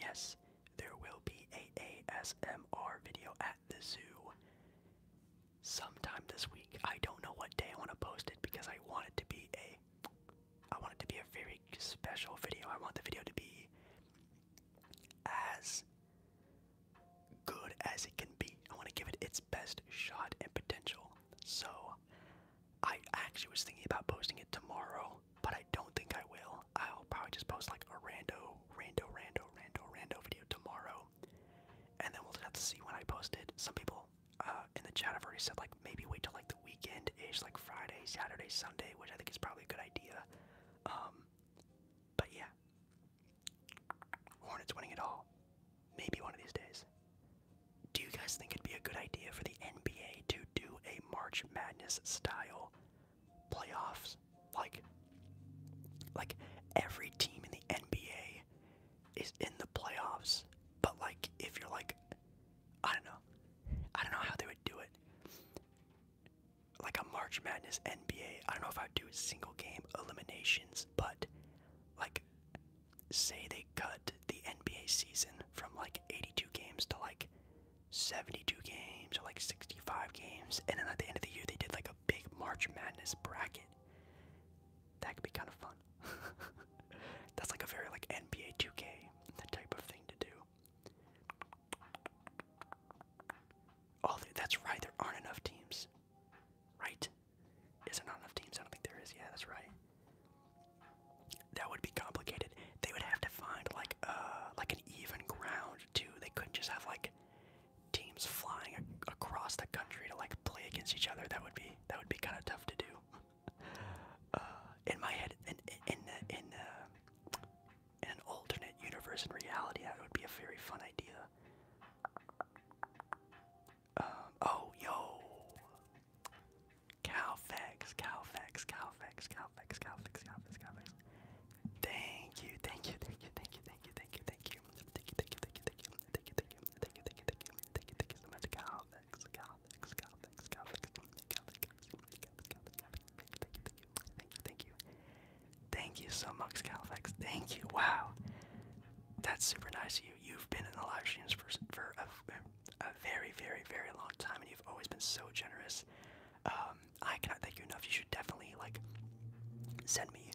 Speaker 1: yes, there will be a ASMR video at the zoo sometime this week. I don't know what day I want to post it because I want it to be a I want it to be a very special video. I want the video to be as good as it can be. I want to give it its best shot and potential. So I actually was thinking about posting it tomorrow, but I don't think I will. I'll probably just post like a rando rando, rando, rando, rando video tomorrow, and then we'll have to see when I post it. Some people uh, in the chat have already said like maybe wait till like the weekend ish, like Friday, Saturday, Sunday, which I think is probably a good idea. Um, but yeah, Hornets winning it all. Maybe one of these days. Do you guys think it'd be a good idea for the NBA to do a March Madness style playoffs. Like, like every team in the NBA is in the playoffs. But like, if you're like, I don't know, I don't know how they would do it. Like a March Madness NBA, I don't know if I'd do single game eliminations, but like, say they cut the NBA season from like 82 games to like 72 games or like 65 games, and then at the end of the year they did like a big March Madness bracket. That could be kind of fun. That's like a very like NBA 2K type of thing to do. Oh, that's right. There aren't enough teams, right? Is there not enough teams? I don't think there is. Yeah, that's right. That would be complicated. They would have to find like uh like an even ground too. They couldn't just have like teams flying across the country to like play against each other. That would be that would be kind of tough to do. Uh, in my head, in in in, in, uh, in an alternate universe and reality, that would be a very fun idea. Um, oh, yo. Calfax, Calfax, Calfax, Calfax, Calfax, Calfax, Calfax. Thank you, thank you, thank you, thank you, thank you, thank you, thank you. Thank you, thank you, thank you, thank you, thank you, thank you, thank you, thank you, thank you, thank you, thank you so much, Calvix, Calvix, Calvix, Calvix, Thank you, thank you, thank you so much, Calvix. Thank you. Wow, that's super nice of you. You've been in the live streams for for a, a very, very, very long time, and you've always been so generous. Um, I cannot thank you enough. You should definitely like send me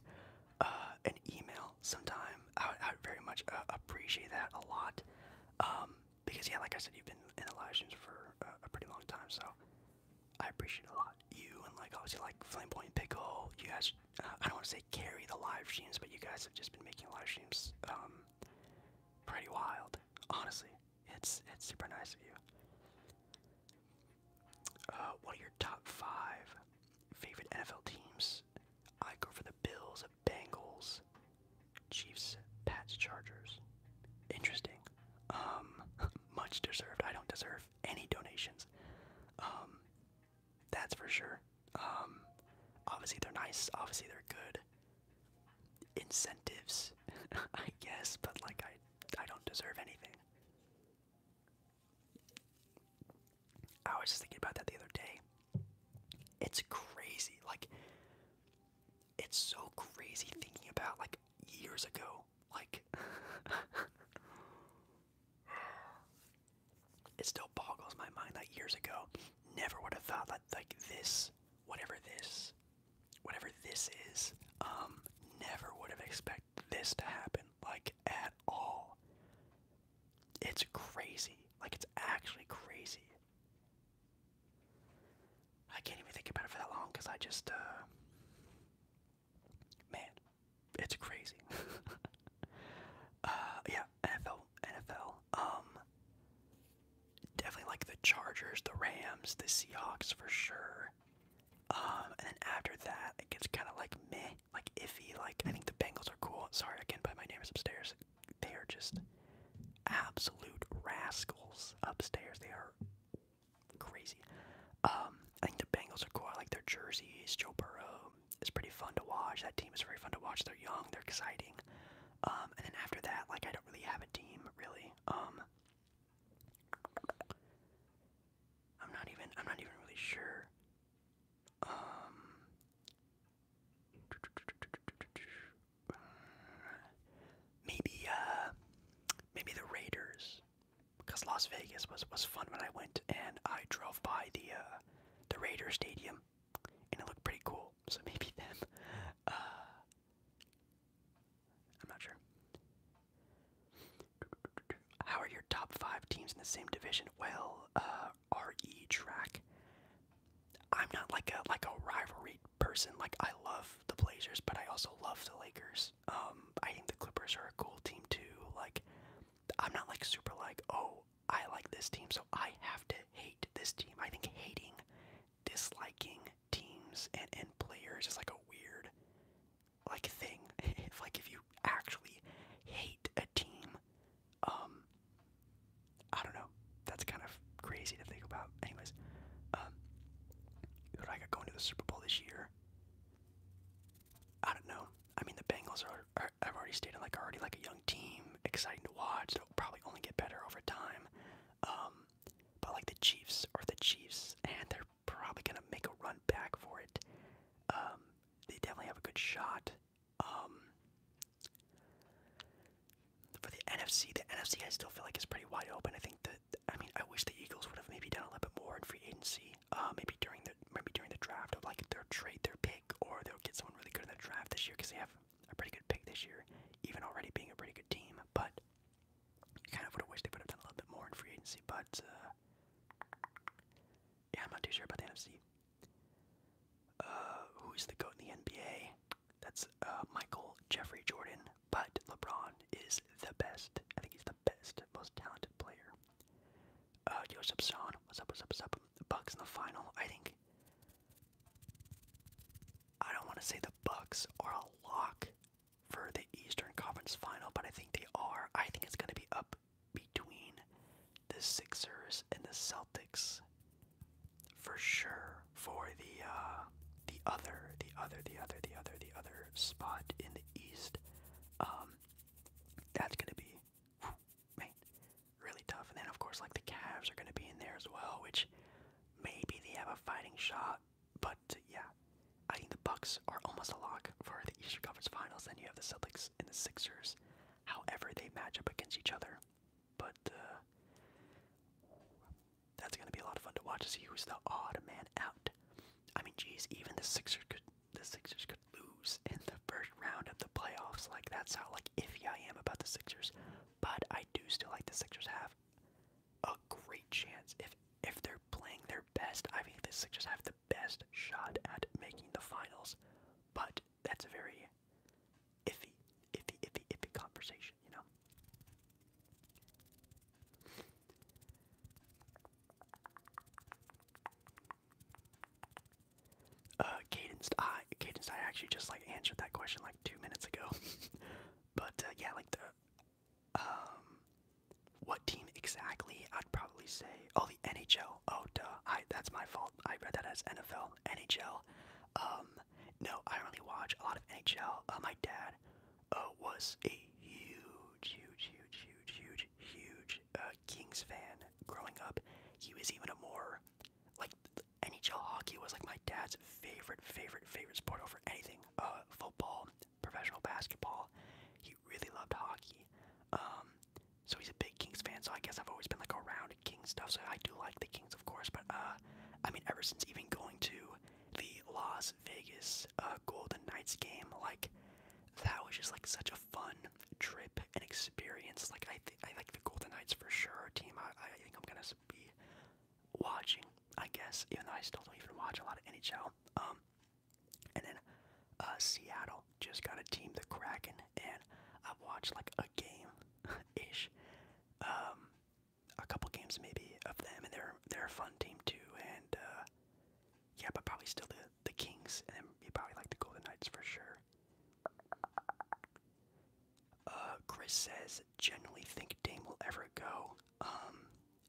Speaker 1: uh, an email sometime. I would, I very much uh, appreciate that a lot. Um, because yeah, like I said, you've been in the live streams for a, pretty long time, so I appreciate a lot. You and like obviously like Flame Flamboyant Pickle, you guys. Uh, I don't want to say carry the live streams, but you guys have just been making live streams um, pretty wild. Honestly, it's it's super nice of you what uh, are your top five favorite NFL teams? I go for the Bills, Bengals, Chiefs, Pats, Chargers. Interesting. Um, much deserved. I don't deserve any donations. Um, that's for sure. Um, obviously they're nice. Obviously they're good. Incentives, I guess, but like I, I don't deserve anything. I was just thinking about that the other day. It's crazy. Like, it's so crazy thinking about, like, years ago. Like, it still boggles my mind that years ago, never would have thought that, like, this, whatever this, whatever this is, um, never would have expected this to happen, like at all. It's crazy. Like, it's actually crazy. I can't even think about it for that long because I just, uh. Man, it's crazy. Uh, yeah, NFL, NFL. Um, definitely like the Chargers, the Rams, the Seahawks for sure. Um, and then after that, it gets kind of like meh, like iffy. Like I think the Bengals are cool. Sorry I can't by my name upstairs. They are just absolute rascals upstairs. They are crazy. Um, I think the Bengals are cool. like their jerseys. Joe Burrow is pretty fun to watch. That team is very fun to watch. They're young. They're exciting. Um, and then after that, like I don't really have a team really. I'm not even I'm not even really sure. Um maybe uh maybe the Raiders because Las Vegas was was fun when I went and I drove by the uh the Raider stadium and it looked pretty cool. So maybe them uh I'm not sure. How are your top five teams in the same division? Well, uh, RE track. I'm not like a like a rivalry person. Like I love the Blazers, but I also love the Lakers. Um, I think the Clippers are a cool team too. Like I'm not like super like oh I like this team, so I have to hate this team. I think hating, disliking teams and and players is like a weird like thing. if like if you actually hate a team, um, I don't know. That's kind of crazy to think about. Anyways, um, who do I got going to the Super Bowl this year? I don't know. I mean, the Bengals are, I've already stated like already like a young team, exciting to watch. They'll probably only get better over time. Um, but like the Chiefs are the Chiefs, and they're they probably gonna make a run back for it. Um, they definitely have a good shot. Um, for the NFC, the NFC I still feel like is pretty wide open. I think that I mean I wish the Eagles would have maybe done a little bit more in free agency. Uh, maybe during the maybe during the draft, or like their trade their pick, or they'll get someone really good in the draft this year because they have a pretty good pick this year, even already being a pretty good team. But kind of would have wished they would have done a little bit more in free agency. But uh, yeah, I'm not too sure about the NFC. Uh, who's the GOAT in the NBA? That's uh, Michael Jeffrey Jordan, but LeBron is the best. I think he's the best, most talented player. Uh, Joseph Son, what's up, what's up, The Bucks in the final, I think. I don't want to say the Bucks are a lock for the Eastern Conference final, but I think they are. I think it's going to be up between the Sixers and the Celtics for sure for the uh, the other the other the other the other the other spot in the East. Um, that's gonna be whew, man really tough. And then of course like the Cavs are gonna be in there as well, which maybe they have a fighting shot. But yeah, I think the Bucks are almost a lock for the Eastern Conference Finals. Then you have the Celtics and the Sixers. However, they match up against each other, but uh, that's going to be a lot of fun to watch. To see who's the odd man out. I mean, geez, even the Sixers could the Sixers could lose in the first round of the playoffs. Like that's how like iffy I am about the Sixers. But I do still like the Sixers have a great chance if if they're playing their best. I think the Sixers have the best shot at making the finals, but that's a very iffy, iffy, iffy, iffy conversation, you know? Uh, Cadence, I, Cadence, I actually just like answered that question like two minutes ago, but uh, yeah, like the, um, what team exactly? I'd probably say, oh, the NHL. Oh, duh. I, that's my fault. I read that as NFL. NHL. Um, no, I don't really watch a lot of NHL. Uh, my dad uh, was a huge, huge, huge, huge, huge, huge uh, Kings fan growing up. He was even a more, like, NHL hockey was like my dad's favorite, favorite, favorite sport over anything. Uh, football, professional basketball. He really loved hockey. Um, so he's a big Kings fan. So I guess I've always been like around Kings stuff. So I do like the Kings, of course. But uh, I mean, ever since even going to the Las Vegas uh, Golden Knights game, like that was just like such a fun trip and experience. Like I, I like the Golden Knights for sure. Team, I, I think I'm gonna be watching. I guess even though I still don't even watch a lot of NHL. Um, and then uh, Seattle just got a team, the Kraken, and I've watched like a game ish, um, a couple games maybe of them, and they're they're a fun team too. And uh, yeah, but probably still the the Kings, and you probably like the Golden Knights for sure. Uh, Chris says, generally think Dame will ever go. Um,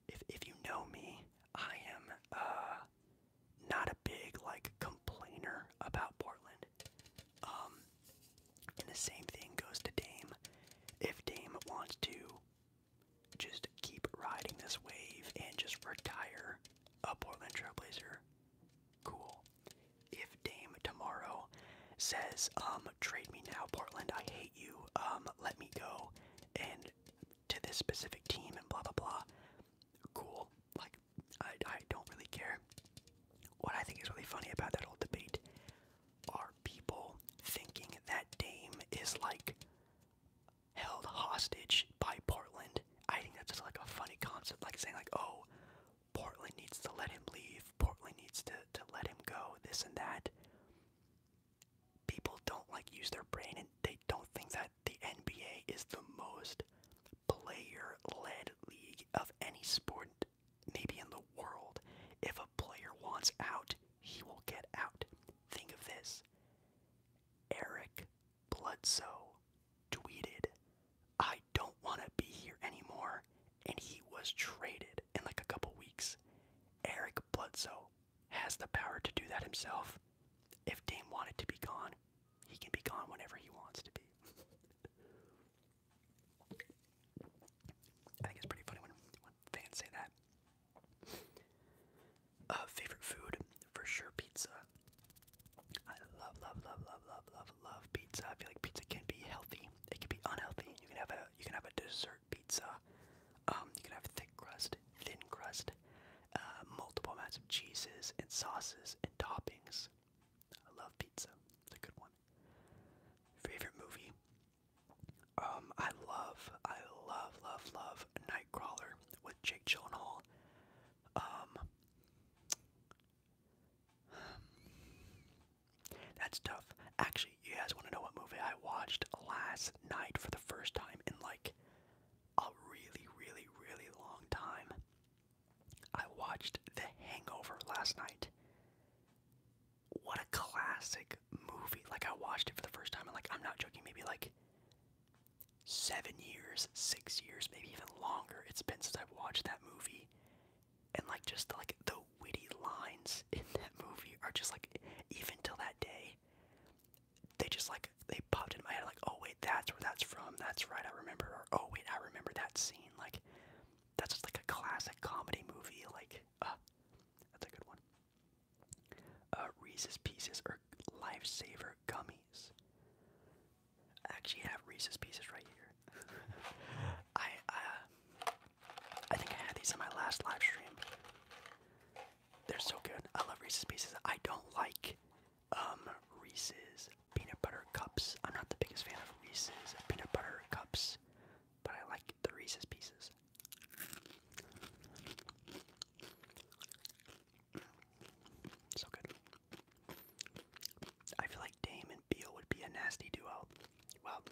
Speaker 1: if if you know me, I am uh not a big like complainer about Portland. Um, and the same thing goes to Dame. If Dame wants to just keep riding this wave and just retire a Portland Trailblazer, cool. If Dame tomorrow says, um, trade me now, Portland, I hate you, um, let me go, and to this specific team and blah blah blah, cool. Like, I, I don't really care. What I think is really funny about that whole debate are people thinking that Dame is like held hostage by Portland. I think that's just like a funny concept, like saying like, oh, Portland needs to let him leave. Portland needs to to let him go. This and that. People don't like use their brain and they don't think that the NBA is the most player led league of any sport, maybe in the world. If a player wants out, he will get out. Think of this Eric Bledsoe tweeted, I don't want to be here anymore, and he was traded in like a couple weeks. Eric Bledsoe has the power to do that himself. If Dame wanted to be gone, he can be gone whenever he wants to be. I think it's pretty funny when, fans say that. Uh, favorite food? For sure, pizza. I love, love, love, love, love, love, love pizza. I feel like pizza can be healthy. It can be unhealthy. You can have a you can have a dessert pizza. Um, you can have thick crust, thin crust, uh, multiple amounts of cheeses and sauces and toppings. I love pizza. It's a good one. Favorite movie? Um, I love, I love, love, love Nightcrawler with Jake Gyllenhaal. Um, that's tough. Actually, you guys want to know what movie I watched last night for the first time in like a really, really, really long time. I watched The Hangover last night. What a classic movie. Like, I watched it for the first time, and, like, I'm not joking, maybe like seven years, six years, maybe even longer it's been since I've watched that movie. And, like, just like the witty lines in that movie are just like, even till that day, they just like they popped in my head like, oh wait, that's where that's from. That's right, I remember. Or oh wait, I remember that scene. Like that's just like a classic comedy movie. Like uh, that's a good one. Uh, Reese's Pieces or Lifesaver gummies. I actually have Reese's Pieces right here. I uh, I think I had these in my last live stream. They're so good. I love Reese's Pieces. I don't like um, Reese's peanut butter cups. I'm not the biggest fan of Reese's peanut butter cups, but I like the Reese's pieces. So good. I feel like Dame and Beal would be a nasty duo. Well,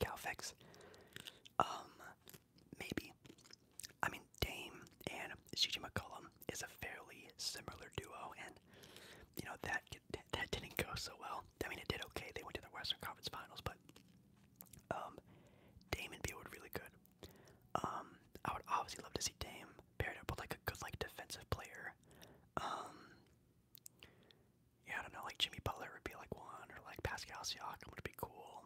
Speaker 1: Calfex. Um, Maybe. I mean, Dame and CJ McCollum is a fairly similar duo, and you know that that didn't go so well. I mean, it did okay. They went to the Western Conference Finals, but um, Dame and Beal really good. Um, I would obviously love to see Dame paired up with like a good like defensive player. Um, yeah, I don't know, like Jimmy Butler would be like one, or like Pascal Siakam would be cool.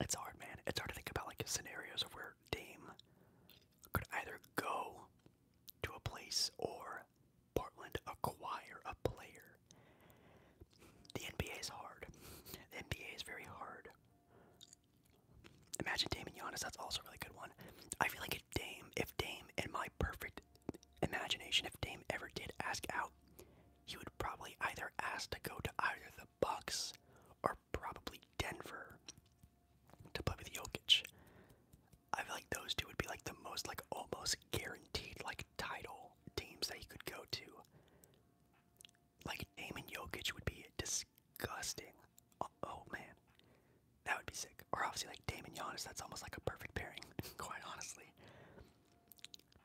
Speaker 1: It's hard, man. It's hard to think about like scenarios of where Dame could either go to a place or Portland acquire a player. The NBA is hard. NBA is very hard. Imagine Dame and Giannis. That's also a really good one. I feel like if Dame, if Dame, in my perfect imagination, if Dame ever did ask out, he would probably either ask to go to either the Bucks are probably Denver to play with Jokic. I feel like those two would be like the most like almost guaranteed like title teams that you could go to. Like Damon Jokic would be disgusting. Oh, oh, man, that would be sick. Or obviously like Damon Yannis, that's almost like a perfect pairing, quite honestly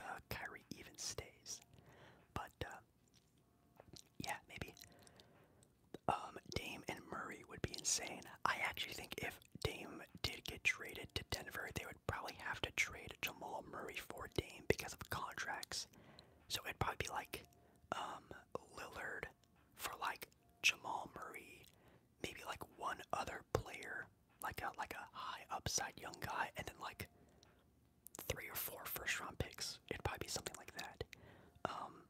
Speaker 1: uh, Kyrie even stays. But uh, yeah, maybe um, Dame and Murray would be insane. I actually think if Dame did get traded to Denver, they would probably have to trade Jamal Murray for Dame because of contracts. So it'd probably be like um, Lillard for like Jamal Murray, maybe like one other player like a like a high upside young guy, and then like three or four first round picks. It'd probably be something like that. Um,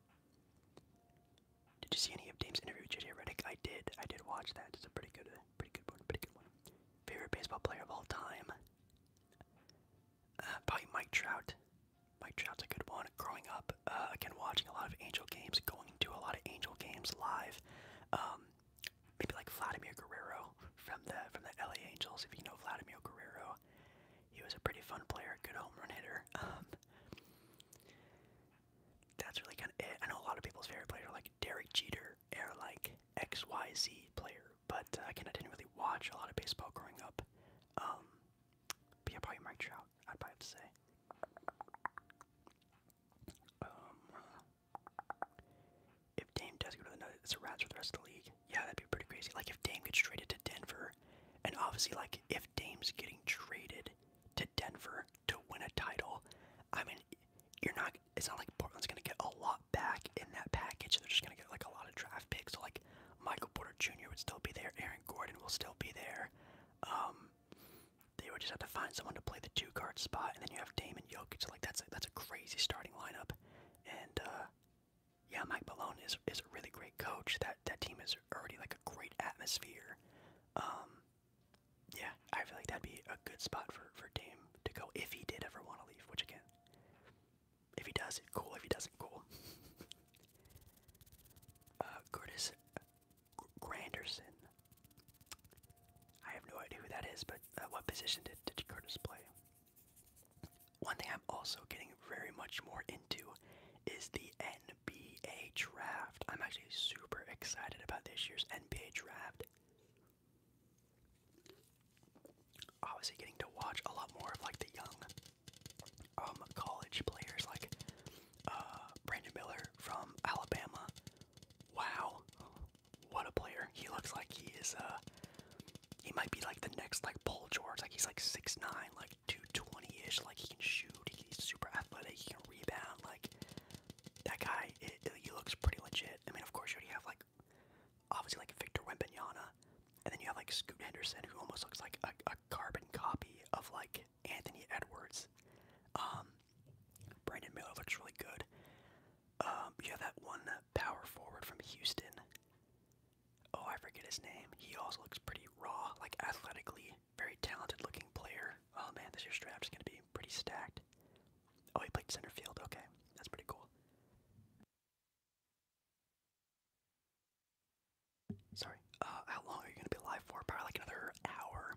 Speaker 1: did you see any of Dame's interview with JJ Redick? I did. I did watch that. It's a pretty good, uh, pretty good one. Pretty good one. Favorite baseball player of all time? Uh, probably Mike Trout. Mike Trout's a good one. Growing up, uh, again watching a lot of Angel games, going to a lot of Angel games live. Um, maybe like Vladimir Guerrero from the from the LA Angels. If you know Vladimir Guerrero, he was a pretty fun player, good home run hitter. Um, that's really kind of it. I know a lot of people's favorite player like Derek Jeter or like X Y Z player, but uh, again, I didn't really watch a lot of baseball growing up. Um, yeah, probably Mike Trout. I'd probably have to say. Um, if Dame does go to the it's a wrap for the rest of the league. Yeah, that'd be pretty crazy. Like if Dame gets traded to Denver, and obviously, like if Dame's getting traded to Denver to win a title, I mean, you're not. It's not like Portland's gonna get a lot back in that package. They're just gonna get like a lot of draft picks. So like Michael Porter Jr. would still be there. Aaron Gordon will still be there. Um, they would just have to find someone to play the two guard spot, and then you have Damon Yoke. It's like that's a, that's a crazy starting lineup, and uh, yeah, Mike Malone is is a really great coach. That that team is already like a great atmosphere. Um, yeah, I feel like that'd be a good spot for for Dame to go if he did ever want to leave. Which again, if he does, cool. If he doesn't, cool. Uh, Curtis Granderson I have no idea who that is, but uh, what position did, did Curtis play? One thing I'm also getting very much more into is the NBA draft. I'm actually super excited about this year's NBA draft. Obviously, getting to watch a lot more of like the young um, college players, like uh, Brandon Miller from Alabama, Wow, what a player! He looks like he is. Uh, he might be like the next like Paul George. Like he's like six nine, like 220 ish. Like he can shoot. He's super athletic. He can rebound. Like that guy, he looks pretty legit. I mean, of course, you already have like obviously like Victor Wembanyama, and then you have like Scoot Henderson, who almost looks like a, carbon copy of like Anthony Edwards. Um, Brandon Miller looks really good. Um, you have that one power forward from Houston. Oh, I forget his name. He also looks pretty raw, like athletically, very talented looking player. Oh man, this year's draft is going to be pretty stacked. Oh, he played center field. Okay, that's pretty cool. Sorry. Uh, how long are you going to be live for? Probably another hour,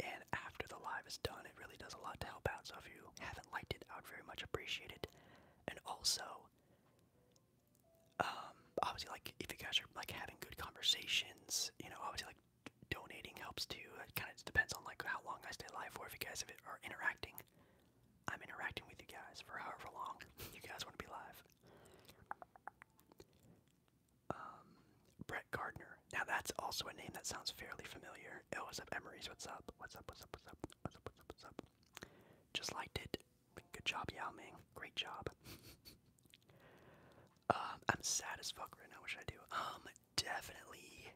Speaker 1: and after the live is done, it really does a lot to help out. So if you haven't liked it, I would very much appreciate it. And also, um, obviously, like if you guys are like having good conversations, you know, obviously, like donating helps too. It kind of depends on like how long I stay live for. If you guys are interacting, I'm interacting with you guys for however long you guys want to be live. Um, Brett Gardner Emeyer. Now that's also a name that sounds fairly familiar. Oh, what's up, Emery's? What's up? What's up? What's up? What's up? What's up? What's up? What's up? Just liked it. Good job, Yao Ming. Great job. um, I'm sad as fuck right now. What should I do? Um, definitely,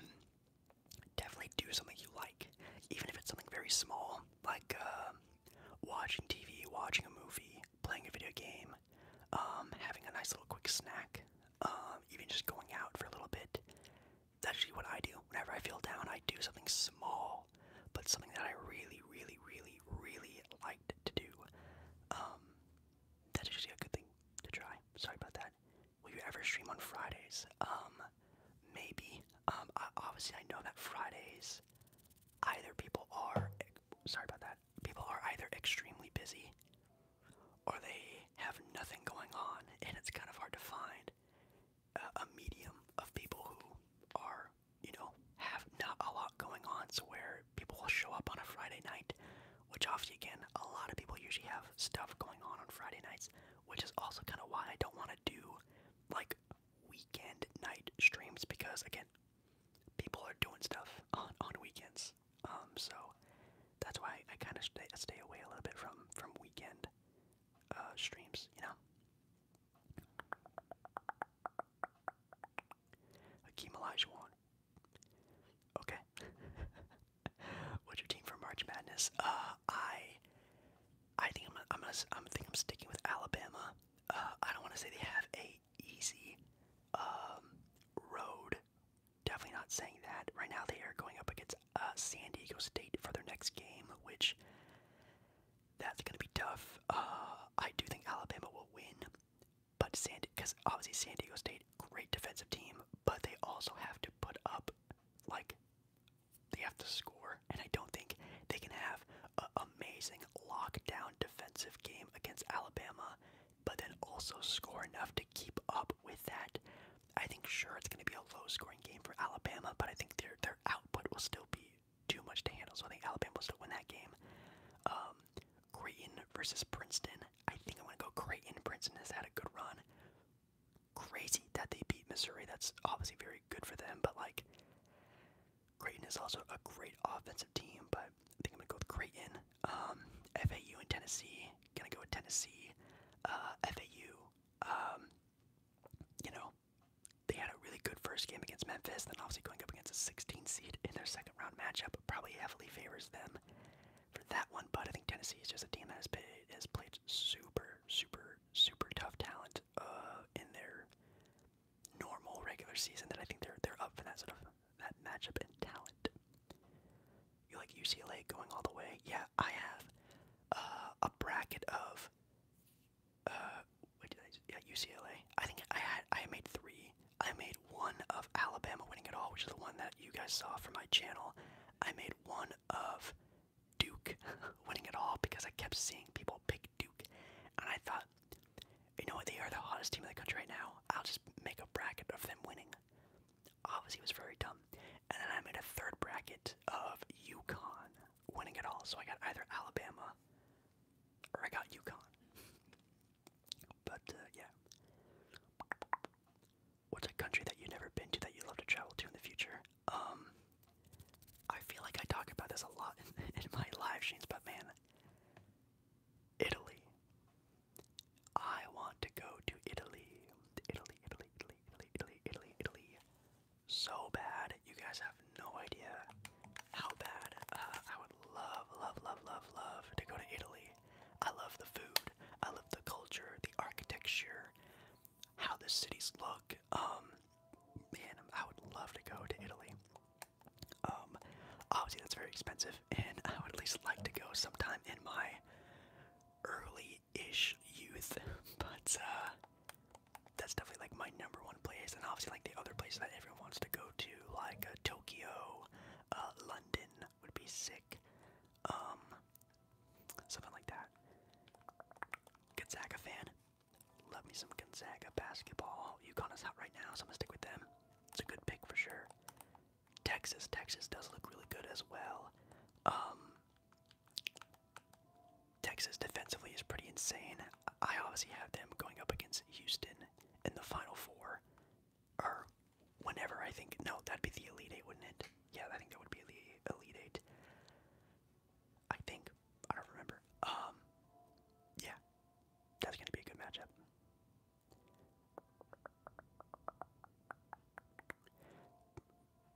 Speaker 1: mm, definitely do something you like, even if it's something very small, like um, uh, watching TV, watching a movie, playing a video game, time, um, having a nice little quick snack, um, even just going out for a little bit. that's actually what I do. Whenever I feel down, I do something small, but something that I really, really, really, really liked to do. Um, that's actually a good thing to try. Sorry about that. Will you ever stream on Fridays? Um, maybe. Um, obviously, I know that Fridays, either people are, sorry about that, people are either extremely busy or they have nothing going on, and it's kind of hard to find a, medium of people who are, you know, have not a lot going on. So where people will show up on a Friday night, which obviously again, a lot of people usually have stuff going on on Friday nights, which is also kind of why I don't want to do like weekend night streams because again, people are doing stuff on on weekends. Um, so that's why I kind of stay, stay away a little bit from from weekend uh, streams, you know. Akeem Olajuwon. Okay. What's your team for March Madness? Uh, I, I think I'm, I'm gonna, I'm think I'm sticking with Alabama. Uh, I don't want to say they have a easy, um, road Definitely not saying that. Right now, they are going up against uh, San Diego State for their next game, which that's going to be tough. Uh, I do think Alabama will win, but San because obviously San Diego State, great defensive team, but they also have to put up like they have to score, and I don't think they can have an amazing lockdown defensive game against Alabama but then also score enough to keep up with that. I think sure it's going to be a low scoring game for Alabama, but I think their their output will still be too much to handle. So I think Alabama will still win that game. Um, Creighton versus Princeton. I think i want to go Creighton. Princeton has had a good run. Crazy that they beat Missouri. That's obviously very good for them, but like Creighton is also a great offensive team, but I think I'm going to go with Creighton. Um, FAU and Tennessee. Gonna go with Tennessee. Uh, FAU. Um, you know, they had a really good first game against Memphis, then obviously going up against a 16 seed in their second round matchup probably heavily favors them for that one. But I think Tennessee is just a team that has played, has played super, super, super tough talent uh, in their normal regular season. That I think they're they're up for that sort of that matchup and talent. You like UCLA going all the way? Yeah, I have uh, a bracket of uh, Yeah, UCLA. I think I had I made three. I made one of Alabama winning it all, which is the one that you guys saw from my channel. I made one of Duke winning it all because I kept seeing people pick Duke, and I thought, you know what? They are the hottest team in the country right now. I'll just make a bracket of them winning obviously was very dumb. And then I made a third bracket of UConn winning it all. So I got either Alabama or I got UConn. but uh, yeah. What's a country that you've never been to that you love to travel to in the future? Um, I feel like I talk about this a lot in, in my live streams, but man, Italy. I want to go to Italy. Italy, Italy, Italy, Italy, Italy, Italy, Italy. So bad. You guys have no idea how bad. Uh, I would love, love, love, love, love to go to Italy. I love the food. I love the culture, the architecture, how the cities look. Um, man, I would love to go to Italy. Um, obviously that's very expensive, and I would at least like to go sometime in my early-ish youth, but uh, that's definitely like my number one place, and obviously like the other place that everyone wants to go to, like uh, Tokyo, uh, London would be sick, um, something like that. Gonzaga fan, love me some Gonzaga basketball. UConn is hot right now, so I'm gonna stick with them. It's a good pick for sure. Texas. Texas does look really good as well. Um, Texas defensively is pretty insane. I obviously have them going up against Houston in the Final Four, or whenever I think. No, that'd be the Elite Eight, wouldn't it? Yeah, I think that would be the Elite Eight. I think I don't remember. Um, yeah, that's gonna be a good matchup.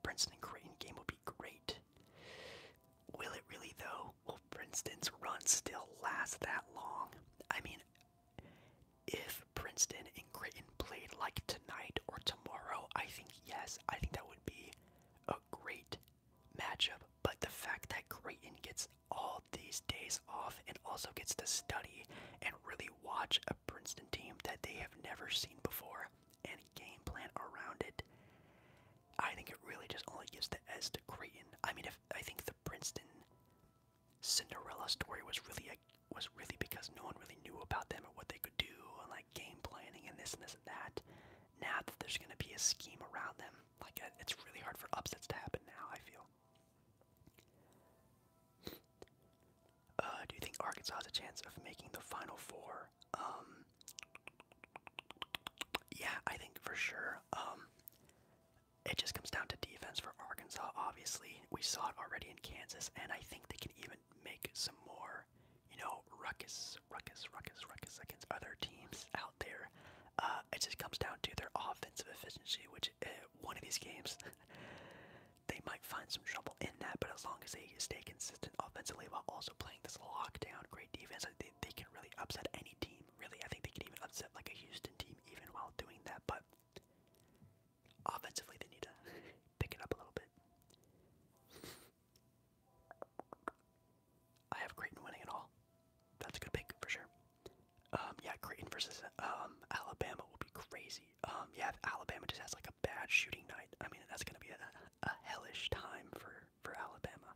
Speaker 1: Princeton and Creighton game will be great. Will it really though? Will Princeton's run still last that long? I mean, if Princeton and Creighton play like tonight or tomorrow, I think yes, I think that would be a great matchup. But the fact that Creighton gets all these days off and also gets to study and really watch a Princeton team that they have never seen before and game plan around it. I think it really just only gives the S to create. Creighton. I mean, if I think the Princeton Cinderella story was really a, was really because no one really knew about them or what they could do and like game planning and this and this and that. Now that there's going to be a scheme around them, like uh, it's really hard for upsets to happen now. I feel. Uh, do you think Arkansas has a chance of making the Final Four? Um, yeah, I think for sure. Um, it just comes down to defense for Arkansas. Obviously, we saw it already in Kansas, and I think they can even make some more, you know, ruckus, ruckus, ruckus, ruckus against other teams out there. Uh, it just comes down to their offensive efficiency, which watch uh, one of these games, they might find some trouble in that. But as long as they stay consistent offensively while also playing this lockdown, great defense, they, they can really upset any team. Really, I think they can even upset like a Houston team even while doing that. But offensively, they need to pick it up a little bit. I have Creighton winning it all. That's a good pick for sure. Um, yeah, Creighton versus um, Alabama will be crazy. Um, yeah, Alabama just has like a bad shooting night, I mean that's gonna be a, hellish time for for Alabama.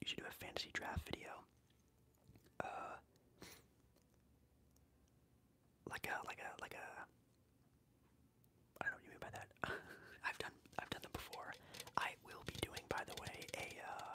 Speaker 1: You should do a fantasy draft video. Uh, like a like a like a. I don't know what you mean by that. I've done I've done them before. I will be doing, by the way, a uh,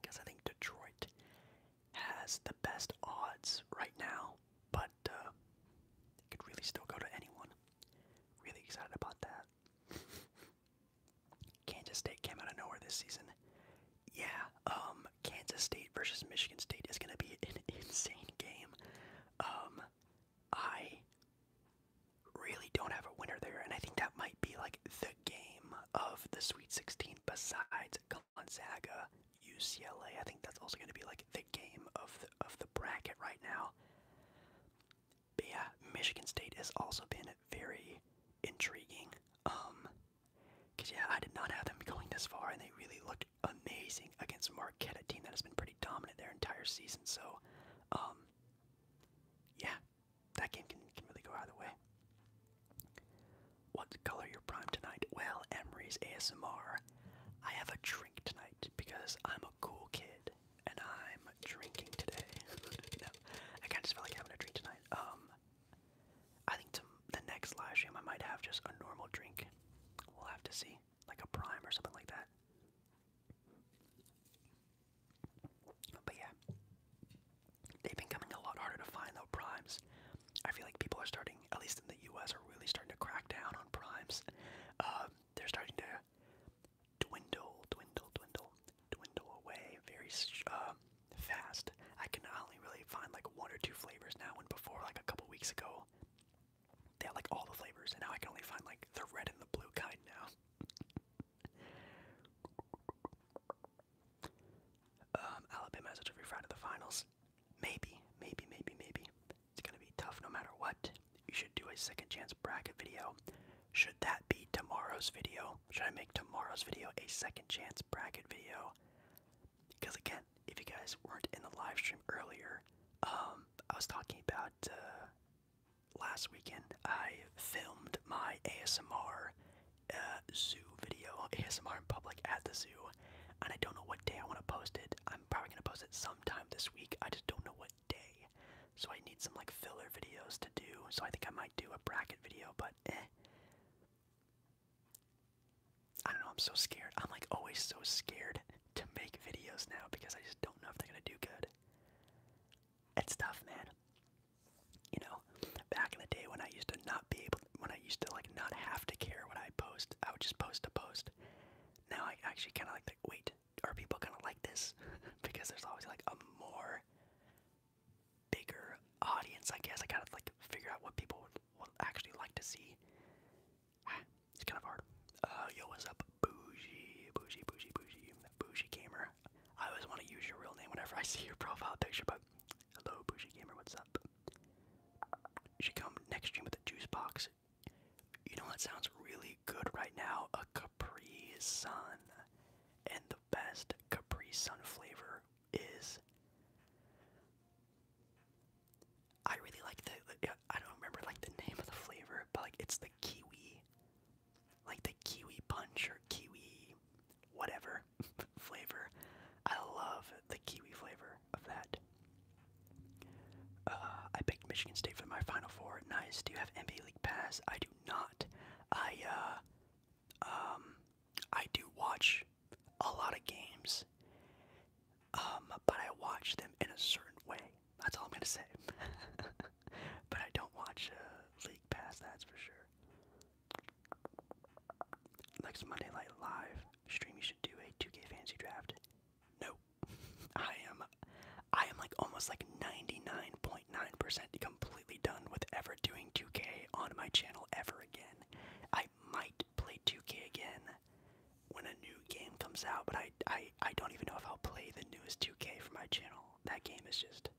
Speaker 1: because I think Detroit has the best odds right now, but uh, it could really still go to anyone. Really excited about that. Kansas State came out of nowhere this season. Yeah, um, Kansas State versus Michigan State is going to be an insane game. Um, I really don't have a winner there, and I think that might be like the game of the Sweet 16 besides Gonzaga, UCLA. I think that's also going to be like the game of the, of the bracket right now. But yeah, Michigan State has also been very intriguing. Um, cause yeah, I did not have them going this far, and they really looked amazing against Marquette, a team that has been pretty dominant their entire season. So, um, yeah, that game can, can really go either way. What color your prime tonight? Well, Emery's ASMR. I have a drink tonight because I'm a cool kid and I'm drinking today. no, I kind of just like having a drink tonight. Um, I think to the next live stream I might have just a normal drink. We'll have to see, like a prime or something like that. But yeah, they've been coming a lot harder to find though primes. I feel like people are starting, at least in the U.S., are really starting to crack down on primes. Um, they're starting to dwindle, dwindle, dwindle, dwindle away very um, fast. I can only really find like one or two flavors now. When before, like a couple weeks ago, they had like all the flavors, and now I can only find like the red and the blue kind now um, Alabama has a every round of the finals. Maybe, maybe, maybe, maybe. It's gonna be tough no matter what. You should do a second chance bracket video. Should that be tomorrow's video? Should I make tomorrow's video a second chance bracket video? Because again, if you guys weren't in the live stream earlier, um, I was talking about uh, last weekend I filmed my ASMR uh, zoo video, ASMR in public at the zoo, and I don't know what day I want to post it. I'm probably going to post it sometime this week. I just don't know what day. So I need some like filler videos to do. So I think I might do a bracket video, but eh. I don't know, I'm so scared. I'm like always so scared to make videos now because I just don't know if they're going to do good. It's tough, man. You know, back in the day when I used to not be able, when I used to like not have to care what I post, I would just post a post. Now I actually kind of like, like, wait, are people gonna like this? because there's always like a more bigger audience, I guess. I gotta like figure out what people would, actually like to see. it's kind of hard. Uh, yo, what's up, bougie, bougie, bougie, bougie, bougie gamer? I always want to use your real name whenever I see your profile picture, but hello, Bougie Gamer, what's up? She come next stream with a juice box. You know that sounds really good right now? A Capri Sun. And the best Capri Sun flavor is. I really like the. I don't remember like the name of the flavor, but like it's the kiwi like the kiwi punch or kiwi whatever flavor. I love the kiwi flavor of that. Uh, I picked Michigan State for my Final Four. Nice. Do you have NBA League Pass? I do not. I uh, um, I do watch a lot of games, um, but I watch them in a certain way. That's all I'm gonna say. but I don't watch uh, League Pass, that's for sure. Next Monday Night Live stream, you should do a 2K fancy draft. No, I am, I am like almost like 99.9% percent completely done with ever doing 2K on my channel ever again. I might play 2K again when a new game comes out, but I, I, I don't even know if I'll play the newest 2K for my channel. That game is just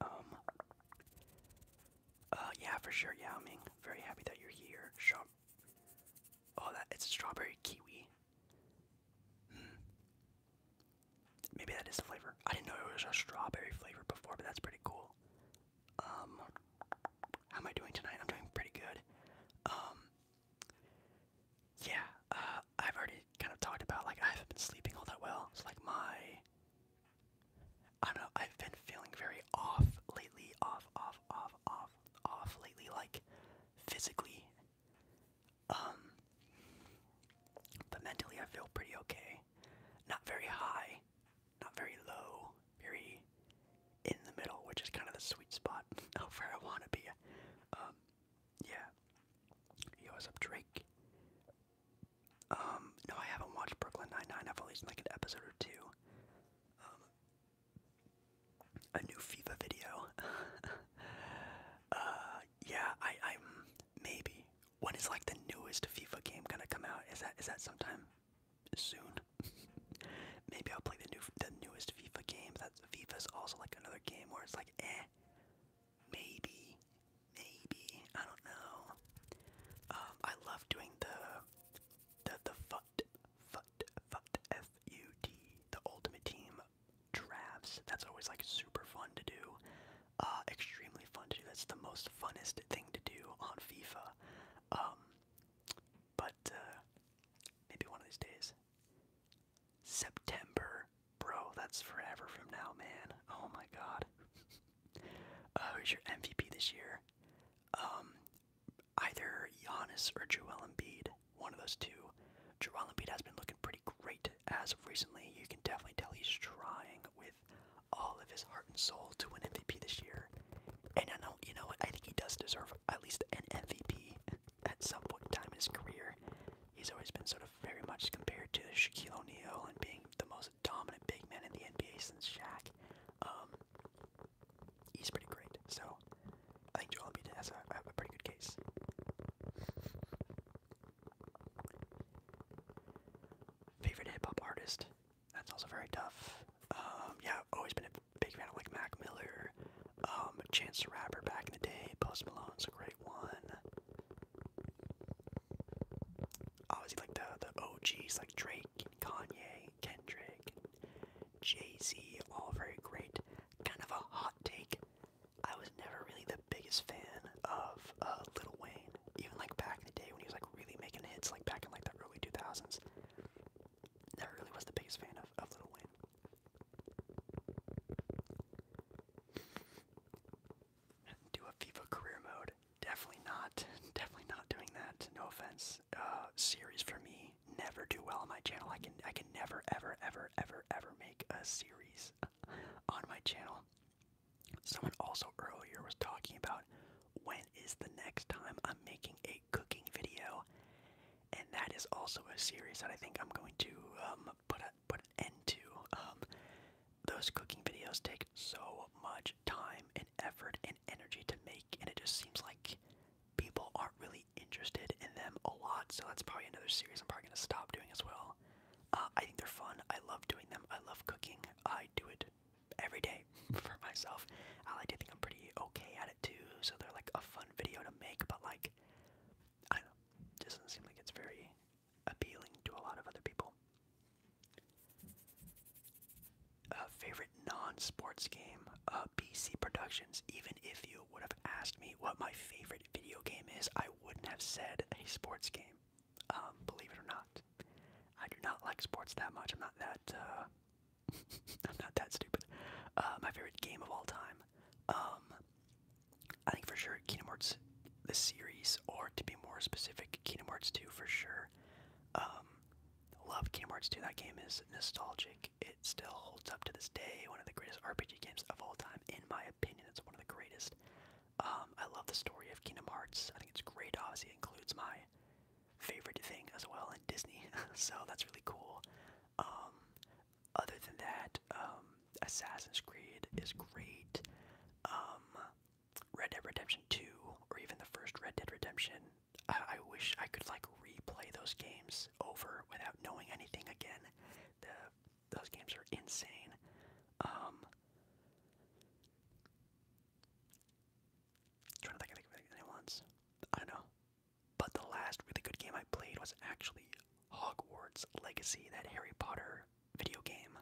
Speaker 1: um. Uh, yeah, for sure, Yao Ming. Very happy that you're here. Oh, that it's strawberry kiwi. Hmm. Maybe that is the flavor. I didn't know it was a strawberry flavor before, but that's pretty cool. Um, how am I doing tonight? I'm doing pretty good. Um, yeah, uh, I've already kind of talked about like I haven't been sleeping all that well. So like my, I don't know. I've been feeling very off lately. Off, off, off, off, off lately. Like physically, um, but mentally I feel pretty okay. Not very high, not very low, very in the middle, which is kind of the sweet spot of where I want to be. Um, yeah. Yo, what's up, Drake? Um, no, I haven't watched Brooklyn Nine-Nine. I've only seen like an episode or two. Um, a new FIFA video. uh, yeah, I, I'm maybe. When is like the newest FIFA game gonna come out? Is that is that sometime soon? maybe I'll play the new the newest FIFA game. That's FIFA's also like another game where it's like, eh, Maybe, maybe I don't know. Um, I love doing the the the fut fut fut f u t the ultimate team drafts. That's always like super fun to do. Uh, extremely fun to do. That's the most funnest thing to do on FIFA. Um, but uh, maybe one of these days. September. Bro, that's forever from now, man. Oh my god. uh, oh, who's your MVP this year? Um, either Giannis or Joel Embiid. One of those two. Joel Embiid has been looking pretty great as of recently. You can definitely tell he's trying with all of his heart and soul to win MVP this year. And I know, you know what? I think he does deserve at least an MVP at some point in time in his career, he's always been sort of very much compared to Shaquille O'Neal and being the most dominant big man in the NBA since Shaq. Um, he's pretty great, so I think Joel Embiid has a, a pretty good case. Favorite hip hop artist? That's also very tough. Um, yeah, always been a big fan of like Mac Miller, um, Chance the Rapper back in the day, Post Malone, a great one. Obviously, oh, like the the OGs like Drake and Kanye, Kendrick, Jay Z, all very great. Kind of a hot take. I was never really the biggest fan of uh, Little Wayne, even like back in the day when he was like really making hits, like back in like the early two thousands. Never really was the biggest fan of of Lil Wayne do a FIFA career mode. Definitely not. Definitely not doing that. No offense. Uh, series for me never do well on my channel. I can I can never ever ever ever ever make a series on my channel. Someone also earlier was talking about when is the next time I'm making a cooking video, and that is also a series that I think I'm going to um, put put end to. Um, those cooking videos take so much time and effort and energy to make, and it just seems like people aren't really interested in them a lot. So that's probably another series I'm probably gonna stop doing as well. Uh, I think they're fun. I love doing them. I love cooking. I do it every day for myself. I like to think I'm pretty okay at it too. So they're like a fun video to make, but like I don't doesn't seem like it's very appealing to a lot of other people. favorite non-sports game, PC Productions. Even if you would have asked me what my favorite video game is, I wouldn't have said a sports game. Um, believe it or not, I do not like sports that much. I'm not that. Uh, I'm not that stupid. Uh, my favorite game of all time. Um, I think for sure Kingdom Hearts the series, or to be more specific, Kingdom Hearts 2 for sure. Um, love Kingdom Hearts 2. That game is nostalgic. It still holds up to this day. One of the greatest RPG games of all time, in my opinion. It's one of the greatest. Um, I love the story of Kingdom Hearts. I think it's great. Obviously, it includes my favorite thing as well in Disney, so that's really cool. Um, other than that, um, Assassin's Creed is great. Um, Red Dead Redemption 2, or even the first Red Dead Redemption, I, wish I could like replay those games over without knowing anything again. those games are insane. Um, trying to think of anything else. I know. But the last really good game I played was actually Hogwarts Legacy, that Harry Potter video game.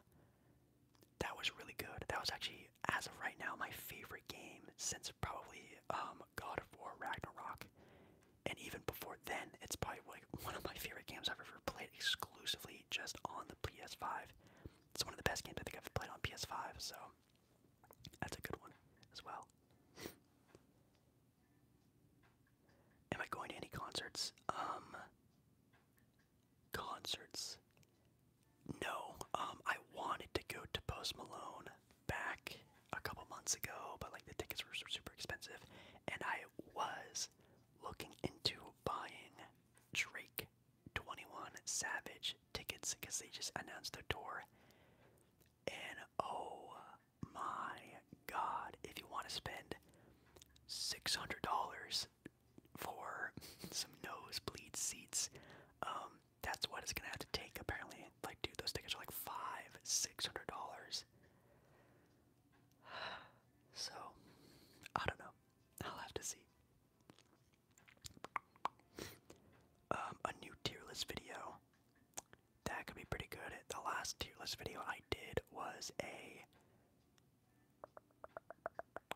Speaker 1: That was really good. That was actually, as of right now, my favorite game since probably um, God of War Ragnarok. And even before then, it's probably like one of my favorite games I've ever played exclusively just on the PS5. It's one of the best games I think I've played on PS5, so that's a good one as well. Am I going to any concerts? Um concerts. No. Um I wanted to go to Post Malone back a couple months ago, but like the tickets were super expensive and I was looking into buying Drake 21 Savage tickets because they just announced their tour. And oh my god, if you want to spend $600 for some nosebleed seats, um, that's what it's gonna have to take apparently. Like, dude, those tickets are like five, six hundred dollars. So, I don't know. I'll have to see. Um, a new tier video that could be pretty good. The last tier list video I did was a.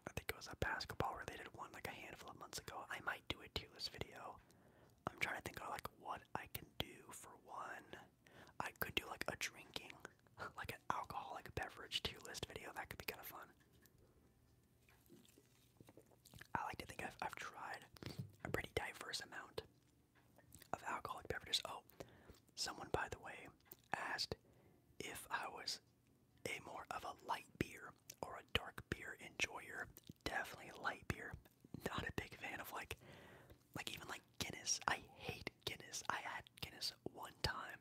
Speaker 1: I think it was a basketball related one like a handful of months ago. I might do a tier list video. I'm trying to think of like what I can do for one. I could do like a drinking, like an alcoholic beverage tier list video. That could be kind of fun. I like to think I've tried a pretty diverse amount of alcoholic beverages. Oh, someone, by the way, asked if I was a more of a light beer or a dark beer enjoyer. Definitely light beer. Not a big fan of like, like even like Guinness. I hate Guinness. I had Guinness one time,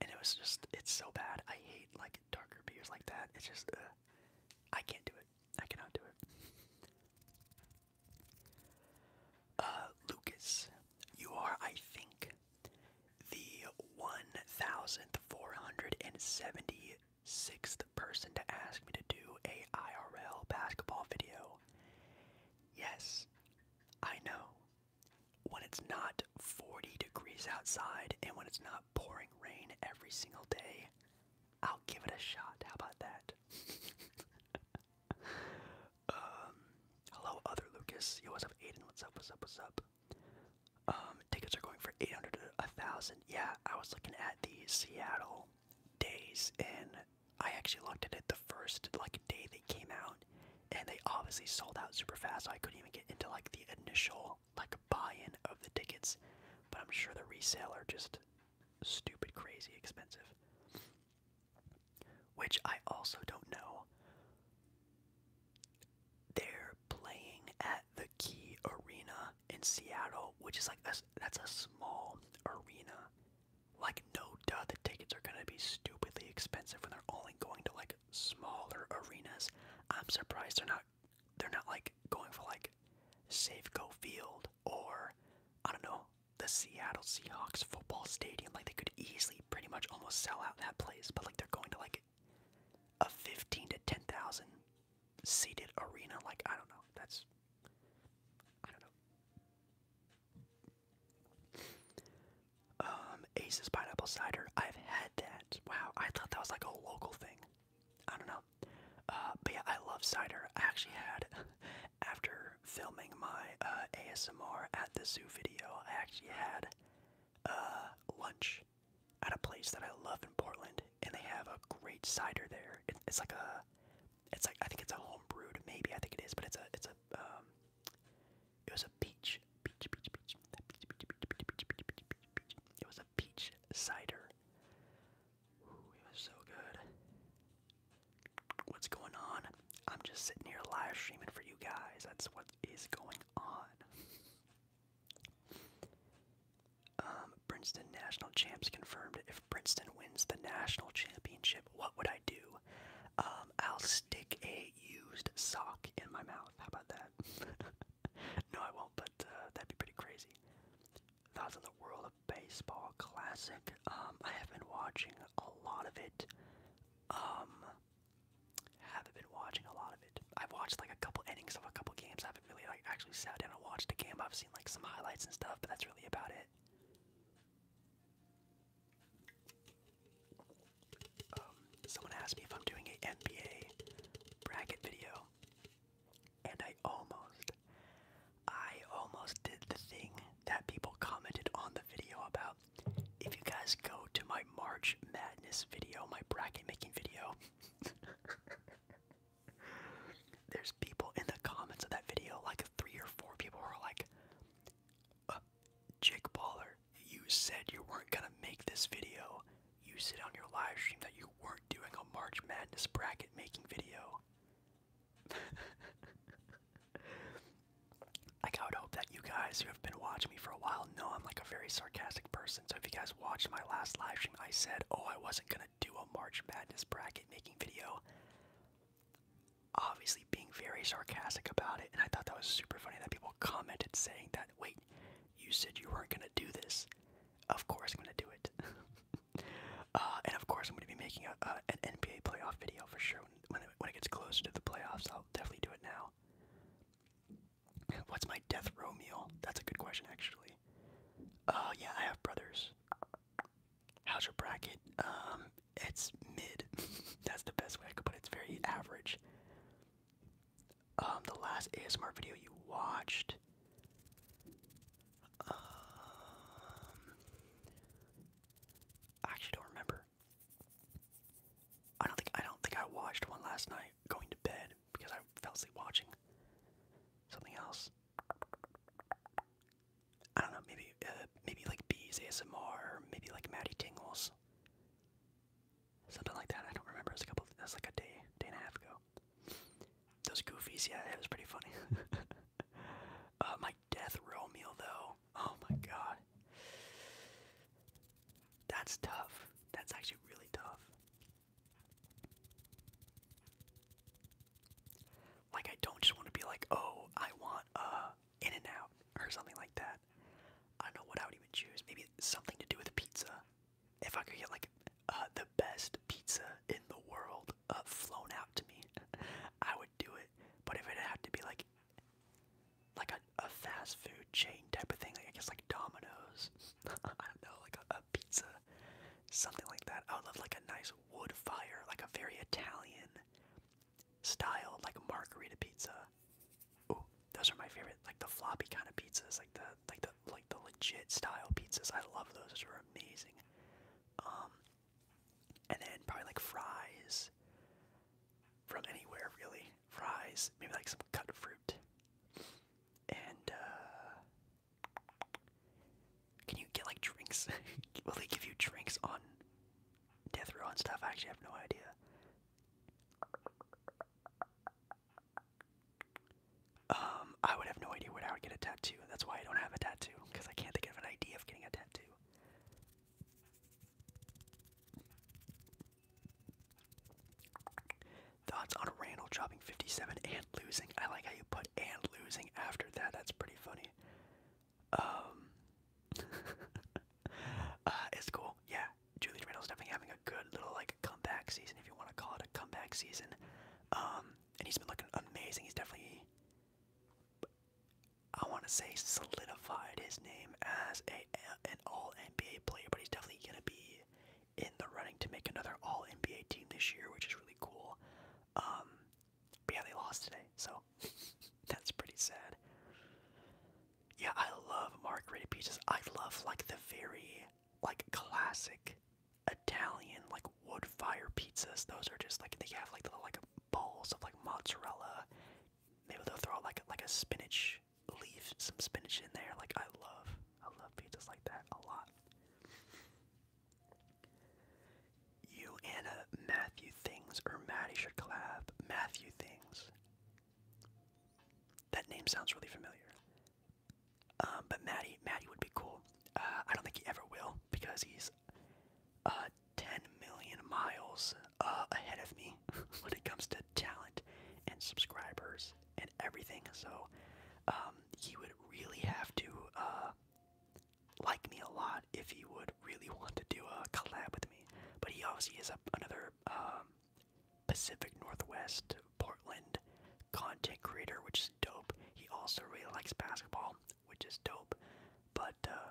Speaker 1: and it was just it's so bad. I hate like darker beers like that. It's just, I can't do it. I cannot do it. Uh, Lucas, you are, I think, the 1,476th person to ask me to do a IRL basketball video. Yes, I know. When it's not 40 degrees outside and when it's not pouring rain every single day, I'll give it a shot. How about that? Um, hello, other Lucas. Yo, what's up, Aiden? What's up? What's up? What's up? Um, tickets are going for 800 to 1,000. Yeah, I was looking at these Seattle days, and I actually looked at it the first like day they came out, and they obviously sold out super fast. So I couldn't even get into like the initial like buy-in of the tickets, but I'm sure the resale are just stupid crazy expensive which I also don't know. They're playing at the Key Arena in Seattle, which is like a, that's a small arena. Like no duh, the tickets are gonna be stupidly expensive when they're only going to like smaller arenas. I'm surprised they're not they're not like going for like Safeco Field or I don't know the Seattle Seahawks football stadium. Like they could easily pretty much almost sell out that place, but like they're going to like a fifteen to ten thousand seated arena. Like I don't know. That's I don't know. Um, Ace's pineapple cider. I've had that. Wow, I thought that was like a local thing. I don't know. Uh, but yeah, I love cider. I actually had after filming my ASMR at the zoo video, I actually had uh, lunch at a place that I love in Portland, and they have a great cider there. it's like a, it's like I think it's a home brewed, maybe I think it is, but it's a, it's a, it was a peach, peach, peach, peach, peach, peach, peach, peach, peach, peach, peach, peach, peach. It was a peach cider. Ooh, it was so good. What's going on? I'm just sitting here live streaming for you guys. That's what is going on. Um, Princeton National Champs confirmed. If Princeton wins the national championship, what would I do? Um, I'll stick a used sock in my mouth. How about that? no, I won't, but uh, that'd be pretty crazy. Thoughts on the world of baseball classic. Um, I have been watching a lot of it. Um, haven't been watching a lot of it. I've watched like a couple innings of a couple games. I haven't really like actually sat down and watched a game. I've seen like some highlights and stuff, but that's really about it. Um, someone asked me if I'm doing a NBA bracket video, and I almost, I almost did the thing that people commented on the video about. If you guys go to my March Madness video, my bracket making video, there's people in the comments of that video, like three or four people who are like, uh, Jake Baller, you said you weren't gonna make this video. You said on your live stream that you weren't doing a March Madness bracket making video. like I would hope that you guys who have been watching me for a while know I'm like a very sarcastic person. So if you guys watched my last live stream, I said, "Oh, I wasn't gonna do a March Madness bracket making video." Obviously, being very sarcastic about it, and I thought that was super funny that people commented saying that. Wait, you said you weren't gonna do this. Of course, I'm gonna do it. Uh, and of course, I'm gonna be making a, an NBA playoff video for sure when it, gets closer to the playoffs, I'll definitely do it now. What's my death row meal? That's a good question, actually. Uh, yeah, I have brothers. How's your bracket? Um, it's mid. That's the best way I could put it. It's very average. Um, the last ASMR video you watched. Um, I actually don't remember. I don't think I don't think I watched one last night going to bed because I fell asleep watching something else. I don't know, maybe uh, maybe like Bees ASMR, or maybe like Maddie Tingles, something like that. I don't remember. It was a couple. That's like a day, day and a half ago. Those goofies, yeah, it was pretty funny. Uh, my death row meal though Oh my god. That's tough. That's actually really tough. Like I don't just want to be like, oh, I want a uh, in and out or something like that. I don't know what I would even choose. Maybe something to do with pizza. If I could get like uh, the best pizza in the world uh, flown out to me, I would do it. But if it had to be like like a, a fast food chain type of thing, like I guess like Domino's, I don't know, like a, pizza, something like that. I would love like a nice wood fire, like a very Italian style, like a margherita pizza. Ooh, those are my favorite, like the floppy kind of pizzas, like the like the like the legit style pizzas. I love those; those are amazing. Um, and then probably like fries from anywhere really. Fries, maybe like some cut fruit. And uh can you get like drinks? Will they give you drinks on death row and stuff? I actually have no idea. Um, I would have no idea where I would get a tattoo. That's why I don't have a tattoo because I can't think of an idea of getting a tattoo. Thoughts on Randall dropping 57 and losing. I like how you put and losing after that. That's pretty funny. Um, uh, it's cool. Yeah, Julius Randle's definitely having a good little like comeback season, if you want to call it a comeback season. Um, and he's been looking amazing. He's definitely I want to say solidified his name as a an All NBA player, but he's definitely gonna be in the running to make another All NBA team this year, which is really cool. Um, but yeah, they lost today, so that's pretty sad. Yeah, I love margherita pizzas. I love like the very like classic Italian like wood fire pizzas. Those are just like they have like the like balls of like mozzarella. Maybe they'll throw like like a spinach leaf, some spinach in there. Like I love, I love pizzas like that a lot. You and uh, Matthew Things or Maddie should collab. Matthew Things. That name sounds really familiar. Um, but Maddie, Maddie would be cool. Uh, I don't think he ever will because he's uh, 10 million miles uh, ahead of me when it comes to talent and subscribers and everything. So um, he would really have to uh, like me a lot if he would really want to do a collab with me. But he obviously is a, another um, Pacific Northwest, Portland content creator, which is dope. He also really likes basketball, which is dope. But uh,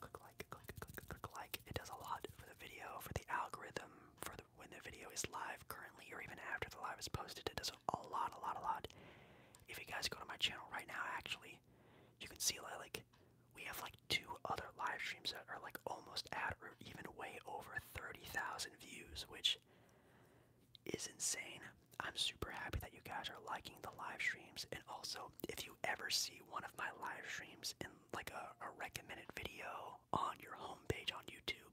Speaker 1: Click like, click, click, click like. It does a lot for the video, for the algorithm, for the, when the video is live currently, or even after the live is posted. It does a lot, a lot, a lot. If you guys go to my channel right now, actually, you can see like we have like two other live streams that are like almost at or even way over 30,000 views, which is insane. I'm super happy that you guys are liking the live streams and also if you ever see one of my live streams in like a, a recommended video on your homepage on YouTube,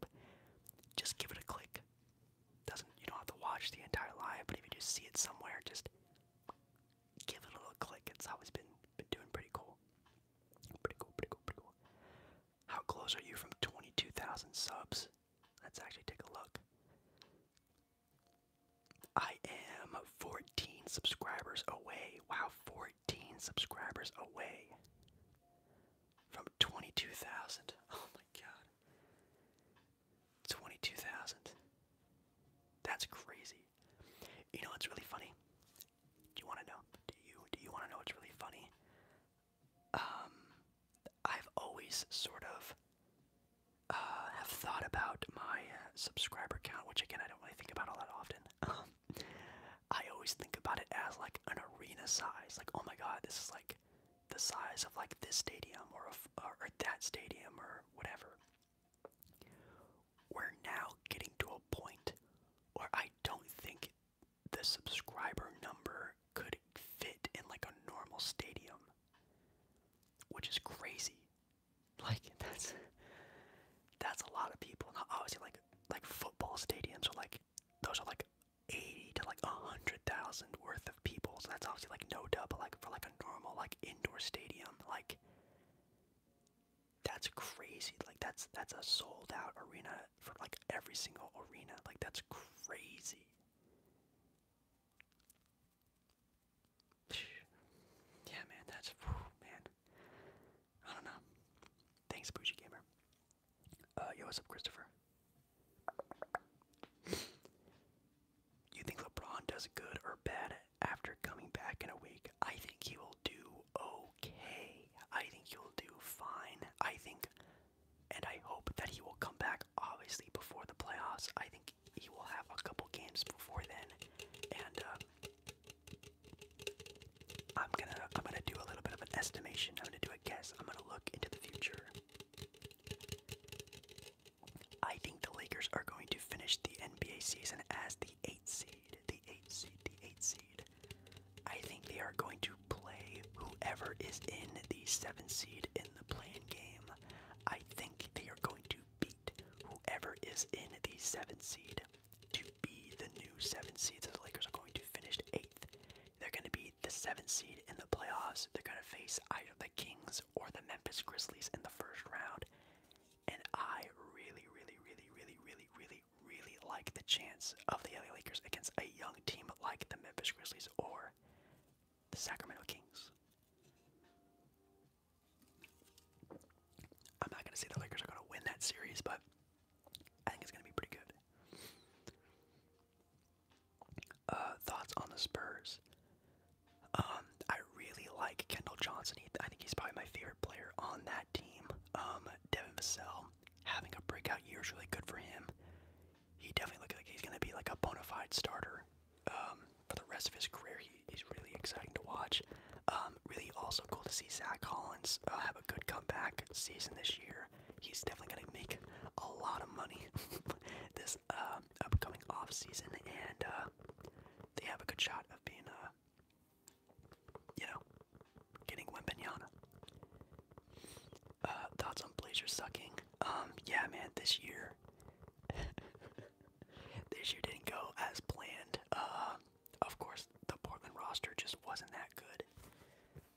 Speaker 1: just give it a click. Doesn't you don't have to watch the entire live, but if you just see it somewhere, just give it a little click. It's always been been doing pretty cool. Pretty cool, pretty cool, pretty cool. How close are you from 22,000 subs? Let's actually take a look. I am 14 subscribers away. Wow, 14 subscribers away from 22,000. Oh my god. 22,000. That's crazy. You know what's really funny? Do you want to know? Do you do you want to know what's really funny? Um I've always sort of uh, have thought about my uh, subscriber count, which again I don't really think about all that often. Um, I always think about it as like an arena size, like oh my god, this is like the size of like this stadium or a, or that stadium or whatever. We're now getting to a point where I don't think the subscriber number could fit in like a normal stadium, which is crazy. Like that's that's a lot of people. Now, obviously, like like football stadiums are like those are like eighty to like a hundred thousand worth of people. So that's obviously like no doubt. But like for like a normal like indoor stadium, like that's crazy. Like that's that's a sold out arena for like every single arena. Like that's crazy. Yeah, man, that's man. I don't know. Thanks, Bougie Gamer. Uh, yo, what's up, Christopher? You think LeBron does good or bad after coming back in a week? I think he will do okay. I think he'll do fine. I think, and I hope that he will come back, obviously, before the playoffs. I think he will have a couple games before then, and uh, I'm gonna I'm gonna do a little bit of an estimation. I'm gonna do a guess. I'm gonna look into the future. I think the Lakers are going to finish the NBA season as the eight seed. The eight seed. The eight seed. I think they are going to play whoever is in the seven seed in the playing game. I think they are going to beat whoever is in the seventh seed to be the new seventh seed. So the Lakers are going to finish eighth. They're going to be the seventh seed in the playoffs. They're going to face either the Kings or the Memphis Grizzlies in the first round. And I really, really, really, really, really, really, really like the chance of the LA Lakers against a young team like the Memphis Grizzlies or the Sacramento Kings. I'm not going to say the Lakers are going to win that series, but I think it's going to be pretty good. Uh, thoughts on the Spurs? Um, I really like Kendall Johnson. He, I think he's probably my favorite player on that team. Um, Devin Vassell having a breakout year is really good for him. He definitely looks like he's going to be like a bona fide starter um, for the rest of his career. He, he's really exciting to watch. Um, really also cool to see Zach Collins uh, have a good comeback season this year. He's definitely going to make a lot of money this um, upcoming off season, and uh, they have a good shot of being, a, uh, you know, getting Wimbenyana. Uh, thoughts on Blazer sucking? Um, yeah, man, this year. this year didn't go as planned. Uh, of course, the Portland roster just wasn't that good.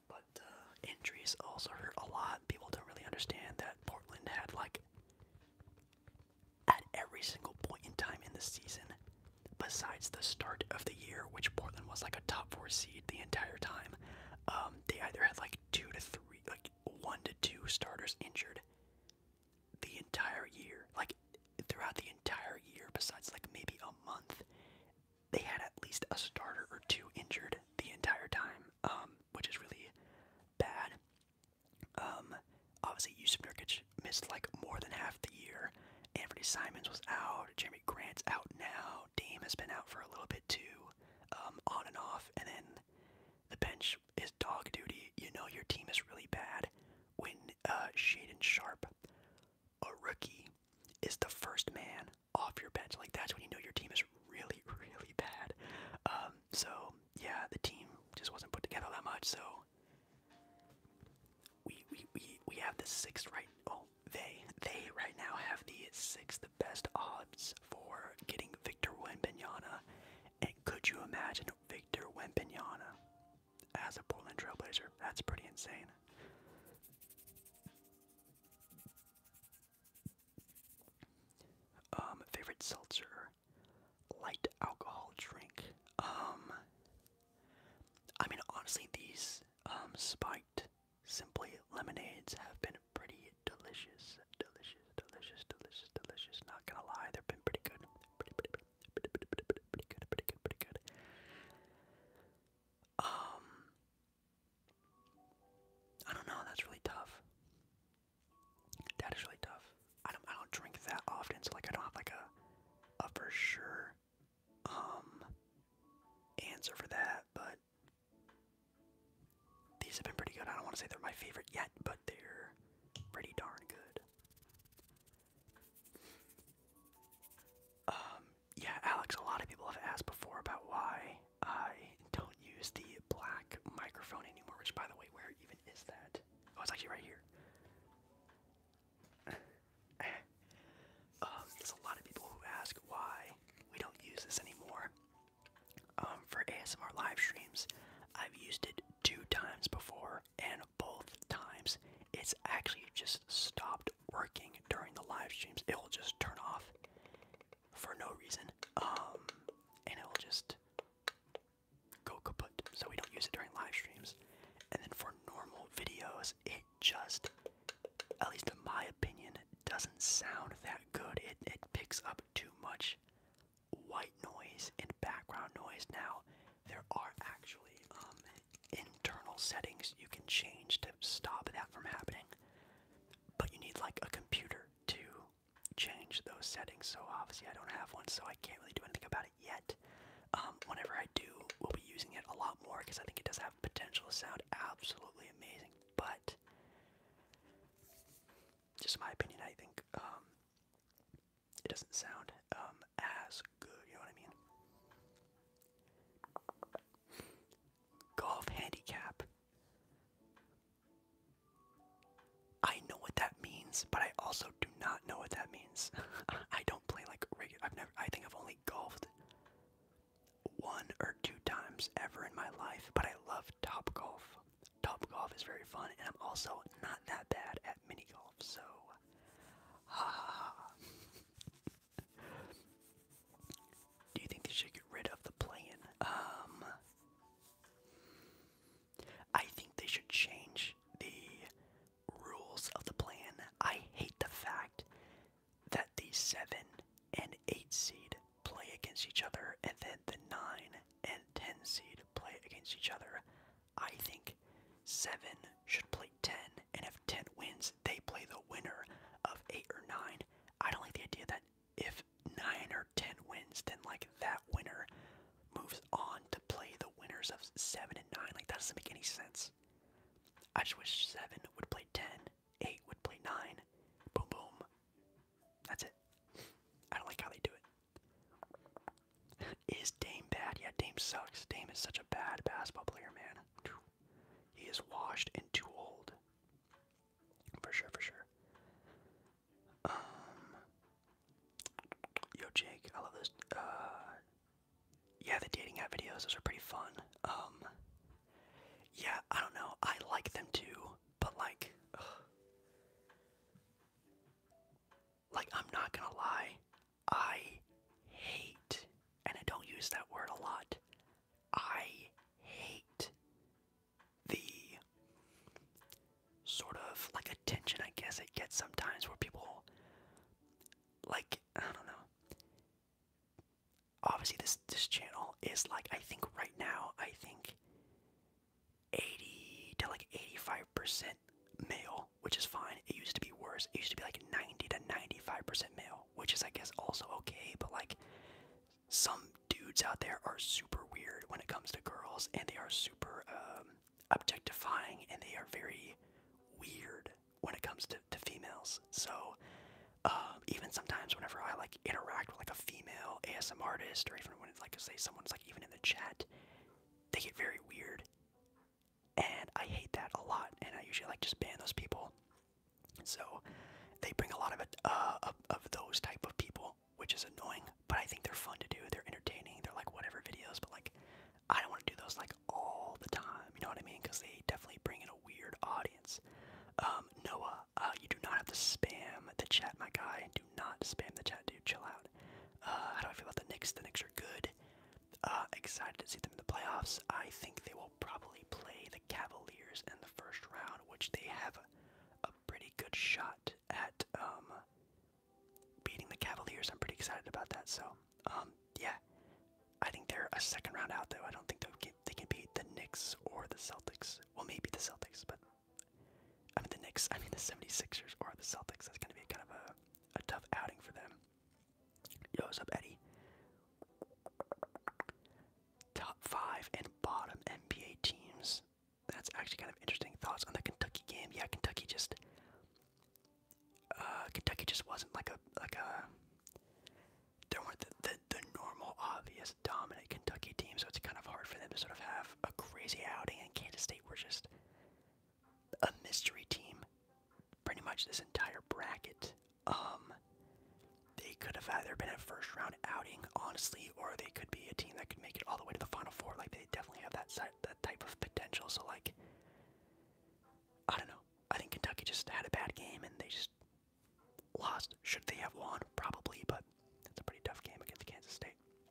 Speaker 1: But uh, injuries also hurt a lot. People don't really understand that Portland had, like, at every single point in time in the season, besides the start of the year, which Portland was like a top four seed the entire time, um, they either had like two to three, like one to two starters injured the entire year, like throughout the entire year, besides like maybe a month, they had at least a starter or two injured the entire time, um, which is really bad. Um, obviously, Yusuf Nurkic missed like more than half the year. Anthony Simons was out. Jeremy Grant's out now. Dame has been out for a little bit too, um, on and off. And then the bench is dog duty. You know your team is really bad when uh, Shaden Sharp, a rookie, is the first man off your bench. Like that's when you know your team is really, really bad. Um, so yeah, the team just wasn't put together that much. So we we we we have the sixth right. Oh, they they right now have the sixth best odds for getting Victor Wembanyama. And could you imagine Victor Wembanyama as a Portland Trailblazer. That's pretty insane. Um, favorite seltzer, light alcohol drink. Um, I mean, honestly, these um, spiked simply lemonades have been pretty delicious. Delicious delicious, delicious, delicious, Not gonna lie, they've been pretty good. pretty, pretty, pretty, pretty good, pretty good, pretty good. Um, I don't know. That's really tough. That is really tough. I don't. I don't drink that often, so like I don't have like a, a for sure, um, answer for that. But these have been pretty good. I don't want to say they're my favorite yet, but they're pretty darn good. Um, yeah, Alex, a lot of people have asked before about why I don't use the black microphone anymore, which, by the way, where even is that? Oh, it's actually right here. um, there's a lot of people who ask why we don't use this anymore. Um, um, for ASMR live streams. I've used it two times before, and both times it's actually just stopped working during the live streams. It will just turn off for no reason, um, and it will just go kaput. So we don't use it during live streams. And then for normal videos, it just, at least in my opinion, doesn't sound that good. It, it picks up too much white noise and background noise. Now, there are actually um, internal settings you can change to stop that from happening, but you need like a computer to change those settings. So, obviously, I don't have one, so I can't really do anything about it yet. Um, whenever I do, we'll be using it a lot more because I think it does have potential to sound absolutely amazing. But, just my opinion, I think um, it doesn't sound um as good, you know what I mean? Golf handicap. I know what that means, but I also do not know what that means. I don't play like regular. I've never. I think I've only golfed one or two times ever in my life, but I love top golf. Top golf is very fun, and I'm also not that bad at mini golf, so Do you think they should get rid of the play Um, I think they should change the rules of the plan. I hate the fact that the seven and eight seed play against each other, and then the nine and ten seed play against each other. I think seven should play ten, and if ten wins, they play the winner of eight or nine. I don't like the idea that if nine or ten wins, then like that winner moves on to play the winners of seven and nine. Like that doesn't make any sense. I just wish seven would play ten, eight would play nine, boom boom. That's it. I don't like how they do it. Is Dame bad? Yeah, Dame sucks. Dame is such a bad basketball player, man. He is washed and too old. For sure, for sure. Um, yo, Jake, I love those. Uh, yeah, the dating app videos, those are pretty fun. Um, yeah, I don't know. I like them too, but like, like I'm not gonna lie, I hate, and I don't use that word a lot, I hate the sort of like attention I guess it gets sometimes where people like I don't know. Obviously this this channel is like I think right now I think 80 to like 85% male, which is fine. It used to be worse. It used to be like 90 to 95% male, which is, I guess, also okay. But like, some dudes out there are super weird when it comes to girls, and they are super um, objectifying, and they are very weird when it comes to, females. So, um, even sometimes whenever I like interact with like a female ASM artist, or even when it's like, say, someone's like even in the chat, they get very weird. And I hate that a lot, and I usually like just ban those people. So they bring a lot of it, uh, of, of those type of people, which is annoying. But I think they're fun to do. They're entertaining. They're like whatever videos, but like I don't want to do those like all the time. You know what I mean? Because they definitely bring in a weird audience. Um, Noah, uh, you do not have to spam the chat, my guy not spam the chat, dude. Chill out. Uh, how do I feel about the Knicks? The Knicks are good. Uh, excited to see them in the playoffs. I think they will probably play the Cavaliers in the first round, which they have a, pretty good shot at um, beating the Cavaliers. I'm pretty excited about that. So, um, yeah, I think they're a second round out, though. I don't think they can, they can beat the Knicks or the Celtics. Well, maybe the Celtics, but I mean the Knicks, I mean the 76ers or the Celtics. That's gonna be kind of a, a tough outing for them. Yo, what's up, Eddie? Top five and bottom NBA teams. That's actually kind of interesting. Thoughts on the Kentucky game? Yeah, Kentucky just uh, Kentucky just wasn't like a like a There weren't the, the the normal obvious dominant Kentucky team, so it's kind of hard for them to sort of have a crazy outing. And Kansas State were just a mystery team. Pretty much this entire bracket. Um, they could have either been a first round outing, honestly, or they could be a team that could make it all the way to the final four. Like they definitely have that that type of potential. So like, I don't know. I think Kentucky just had a bad game and they just lost. Should they have won? Probably, but it's a pretty tough game against Kansas State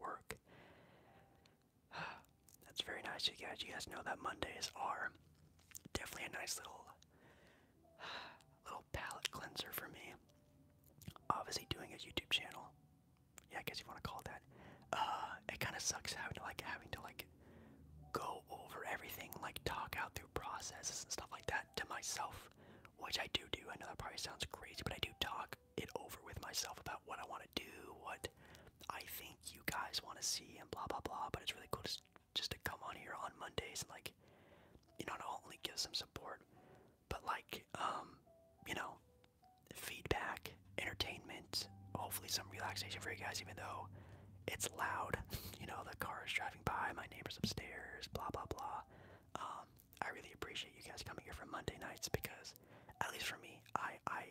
Speaker 1: work. That's very nice, you guys. You guys know that Mondays are definitely a nice little little palate cleanser for me. Obviously, doing a YouTube channel, yeah, I guess you want to call that. Uh, it kind of sucks having to like having to like go over everything, like talk out through processes and stuff like that to myself, which I do do. I know that probably sounds crazy, but I do talk it over with myself about what I want to do, what I think you guys want to see, and blah blah blah. But it's really cool just just to come on here on Mondays and like, you know, not only give some support, but like, um, you know, feedback, entertainment, hopefully some relaxation for you guys, even though it's loud. you know, the car is driving by, my neighbor's upstairs, blah blah blah. Um, I really appreciate you guys coming here for Monday nights because, at least for me, I I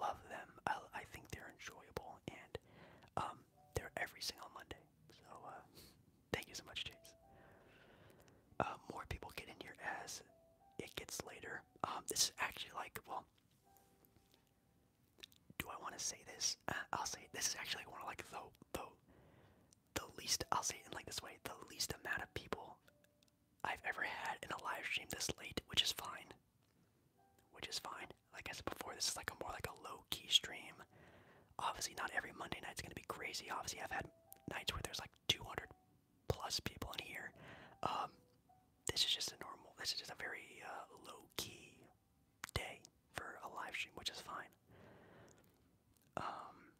Speaker 1: love them. I, I think they're enjoyable and um, they're every single Monday. So uh, thank you so much, Chase. Uh, more people get in here as it gets later. Um, this is actually like well. Do I want to say this? Uh, I'll say this is actually one of like the the the least, I'll say it in like this way, the least amount of people I've ever had in a live stream this late, which is fine. Which is fine. Like I said before, this is like a more like a low key stream. Obviously, not every Monday night is gonna be crazy. Obviously, I've had nights where there's like 200 plus people in here. Um, this is just a normal. This is just a very uh, low key day for a live stream, which is fine. Um,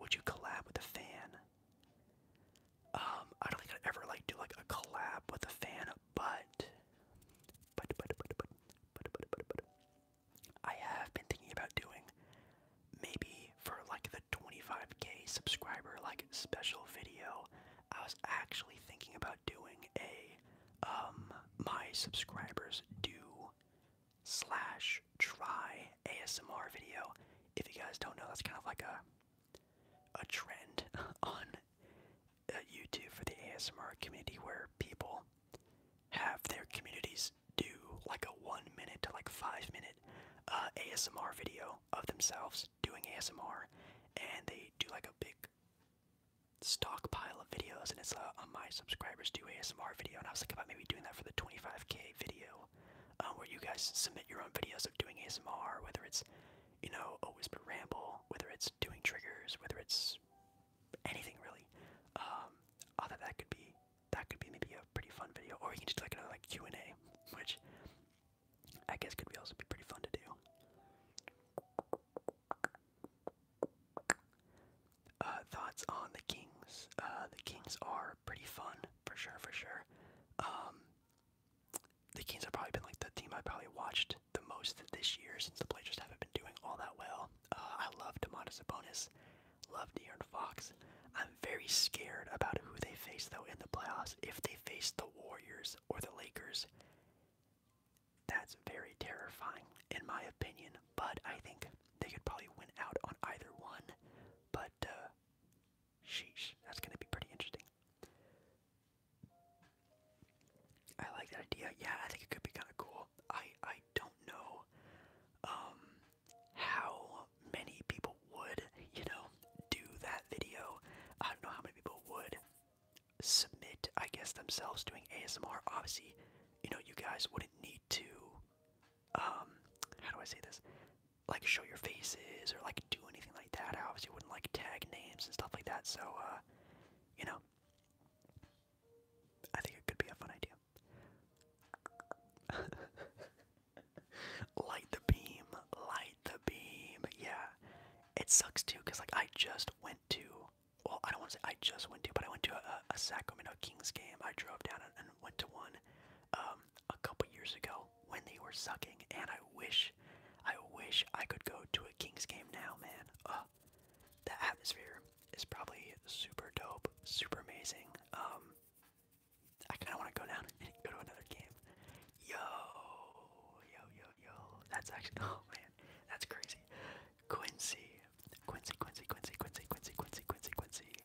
Speaker 1: would you collab with a fan? Um, I don't think I'd ever like do like a collab with a fan, but but but but but but but but I have been thinking about doing maybe for like the 25k subscriber like special video. I was actually thinking about doing a um my subscribers do slash try ASMR video. If you guys don't know, that's kind of like a a trend on uh, YouTube for the ASMR community where people have their communities do like a one minute to like five minute uh, ASMR video of themselves doing ASMR, and they do like a big stockpile of videos, and it's uh, on my subscribers do ASMR video, and I was thinking about maybe doing that for the 25k video um, where you guys submit your own videos of doing ASMR, whether it's, you know, a whisper ramble, whether it's doing triggers, whether it's anything really. Um, I that could be that could be maybe a pretty fun video, or you can just do like another like Q and A, which I guess could be also be pretty fun to do. Uh, thoughts on the Kings? Uh, the Kings are pretty fun for sure, for sure. Um, the Kings have probably been like the team I probably watched the most this year since the Blazers haven't been doing all that well. Uh, I love Demontis Sabonis, love De'Aaron Fox. I'm very scared about who they face though in the playoffs. If they face the Warriors or the Lakers, that's very terrifying in my opinion. But I think they could probably win out on either one. But but, uh, sheesh, that's gonna be pretty interesting. I like that idea. Yeah, I think it could be kind of cool. I I don't know um how many people would, you know, do that video. I don't know how many people would submit, I guess, themselves doing ASMR. Obviously, you know, you guys wouldn't need to um, how do I say this? Like show your faces or like do anything like that. I obviously wouldn't like tag names and stuff like that. So, uh, you know, I think it could be a fun idea. light the beam, light the beam. Yeah, it sucks too because like I just went to. Well, I don't want to say I just went to, but I went to a, Sacramento Kings game. I drove down and went to one, um, a couple years ago when they were sucking, and I wish, I wish I could go to a Kings game now, man. Uh, the atmosphere is probably super dope, super amazing. Um, I kind of want to go down and go to another game. Yo, yo, yo, yo. That's actually, oh man, that's crazy. Quincy, Quincy, Quincy, Quincy, Quincy, Quincy, Quincy, Quincy, Quincy.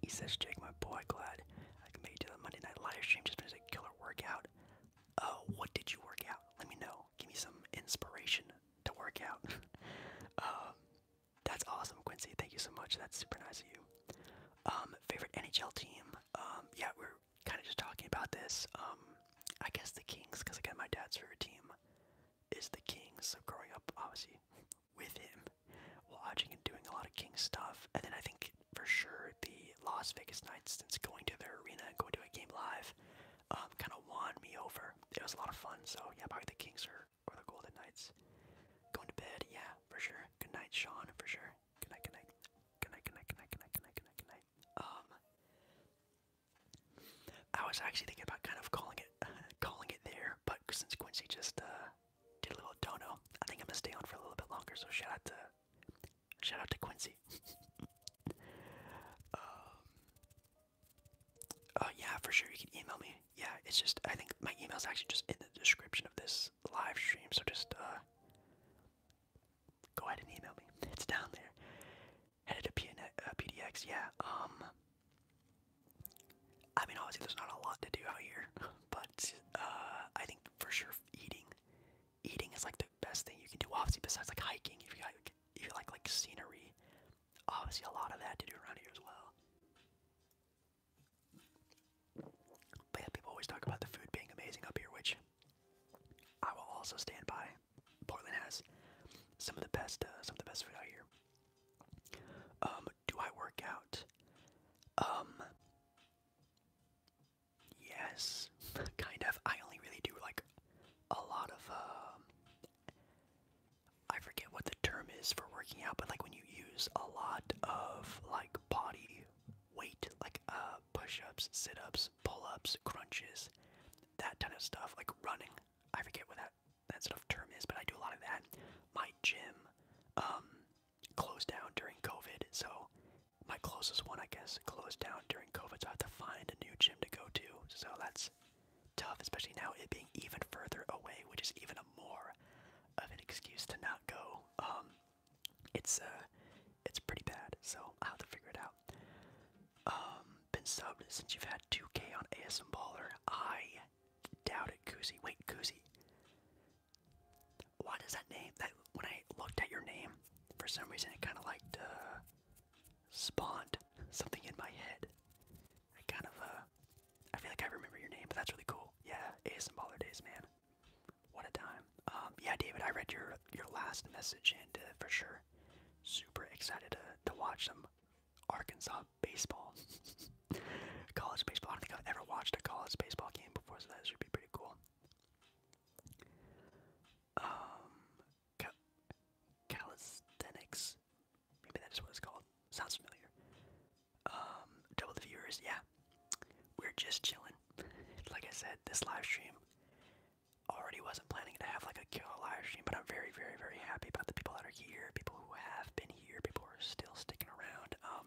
Speaker 1: he says, Jake, my boy, glad I can make it to the Monday Night Live stream. Just finished a killer workout. Oh, what did you work out? Let me know. Give me some inspiration to work out. um, that's awesome, Quincy. Thank you so much. That's super nice of you. Um, favorite NHL team? Um, yeah, we we're kind of just talking about this. Um, I guess the Kings, because again, my dad's favorite team is the Kings. So growing up, obviously, with him, watching and doing a lot of Kings stuff. And then I think for sure the Las Vegas nights, since going to their arena and going to a game live, um, kind of won me over. It was a lot of fun. So yeah, probably the Kings or, or the Golden Knights. Going to bed, yeah, for sure. Good night, Sean, for sure. Good night, good night. Good night, good night, good night, good night, good night, Um, I was actually thinking about kind of calling it, calling it there, but since Quincy just uh, did a little dono. I think I'm gonna stay on for a little bit longer. So shout out to shout out to Quincy. Um, uh, yeah, for sure you can email me. Yeah, it's just I think my email's actually just in the description of this live stream. So just uh, go ahead and email me. It's down there. Headed to PN uh, PDX. Yeah. Um. I mean, obviously, there's not a lot to do out here, but uh, I think for sure eating, eating is like the best thing you can do. Obviously, besides like hiking, if you like, if you like like scenery, obviously a lot of that to do around here as well. But people always talk about the food being amazing up here, which I will also stand by. Portland has some of the best, uh, some of the best food out here. Um, do I work out? Um, Yes, kind of. I only really do like a lot of. Um, I forget what the term is for working out, but like when you use a lot of like body weight, like uh, push ups, sit ups, pull ups, crunches, that kind of stuff, like running. I forget what that, that sort of term is, but I do a lot of that. My gym, um, closed down during COVID, so my closest one, I guess, closed down during COVID, so I have to find a new gym to go to. So that's tough, especially now it being even further away, which is even more of an excuse to not go. Um, it's uh, it's pretty bad, so I'll have to figure it out. Um, been subbed since you've had 2K on ASM Baller. I doubt it, Koozie. Wait, Koozie. Why does that name that when I looked at your name, for some reason it kind of like uh, spawned something in my head. I kind of uh, I feel like I remember your name, but that's really cool. Yeah, Baller days, man. What a time. Um, yeah, David, I read your your last message and uh, for sure, super excited to to watch some Arkansas baseball, college baseball. I don't think I've ever watched a college baseball game before, so that should be pretty cool. Um, calisthenics, maybe that is what it's called. Sounds familiar. Um, double the viewers, yeah. We're just chilling. like I said, this live stream already wasn't planning to have like a killer live stream, but I'm very, very, very happy about the people that are here, people who have been here, before, still sticking around. Um,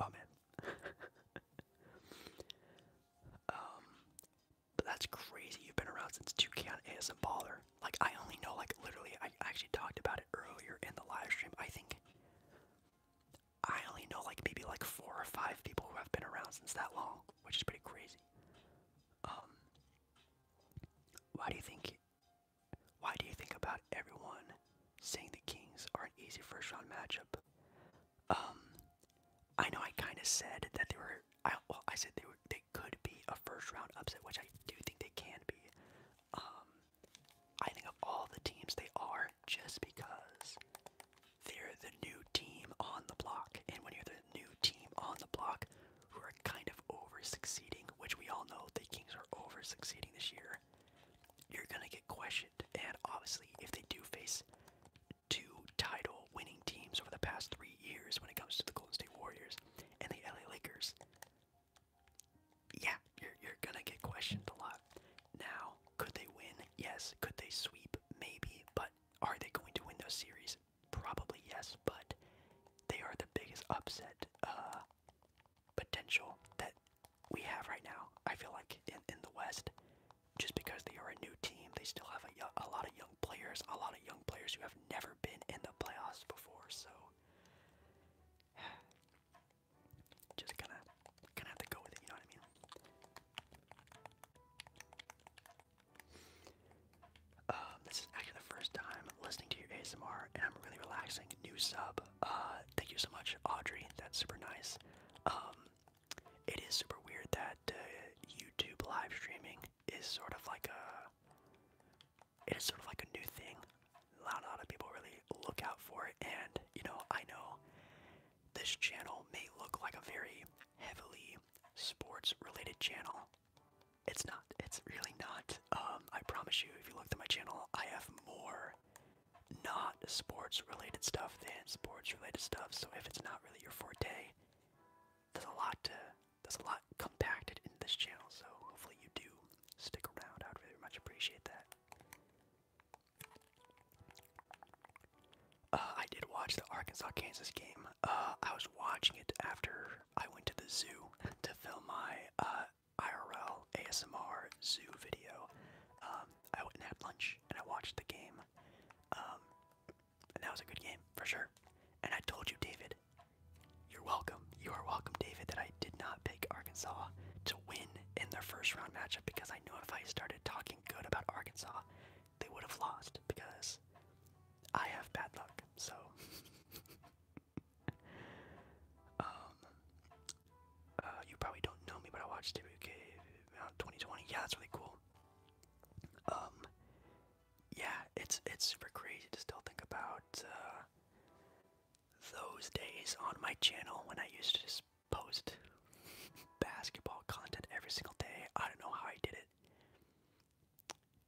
Speaker 1: Oh um, but that's crazy. You've been around since 2K on ASM Baller. Like I only know like literally I actually talked about it earlier in the live stream. I think I only know like maybe like four or five people who have been around since that long, which is pretty crazy. Um why do you think why do you think about everyone saying the Kings are an easy first round matchup? Um, I know I kind of said that they were. I, well, I said they were. They could be a first round upset, which I do think they can be. Um, I think of all the teams, they are just because they're the new team on the block, and when you're the new team on the block, who are kind of over succeeding, which we all know the Kings are over succeeding this year you're gonna get questioned. And obviously, if they do face two title winning teams over the past three years when it comes to the Golden State Warriors and the LA Lakers, yeah, you're, you're gonna get questioned a lot. Now, could they win? Yes. Could they sweep? Maybe. But are they going to win those series? Probably yes, but they are the biggest upset uh, potential that we have right now. I feel like in, in the West, just because they are a new team, they still have a, a lot of young players, a lot of young players who have never been in the playoffs before. So just gonna gonna have to go with it. You know what I mean? Um, this is actually the first time listening to your ASMR, and I'm really relaxing. New sub. Uh, thank you so much, Audrey. That's super nice. Um, it is super weird that uh, YouTube live streaming is sort of like a. It is sort of like a new thing. Not a lot of people really look out for it, and you know, I know this channel may look like a very heavily sports-related channel. It's not. It's really not. Um, I promise you, if you look at my channel, I have more not sports related stuff than sports related stuff. So if it's not really your forte, there's a lot to there's a lot compacted in this channel. So hopefully you do stick around. I'd really much appreciate that. Uh, I did watch the Arkansas Kansas game. Uh, I was watching it after I went to the zoo to film my uh, IRL ASMR zoo video. Um, I went and had lunch and I watched the game. Um, and that was a good game for sure. And I told you, David, you're welcome. You are welcome, David, that I did not pick Arkansas to win in their first round matchup because I knew if I started talking good about Arkansas, they would have lost because I have bad luck. So Um, uh, you probably don't know me, but I watched WK around 2020. Yeah, that's really cool. Um, yeah, it's it's super crazy to still think about uh, those days on my channel when I used to just post basketball content every single day. I don't know how I did it,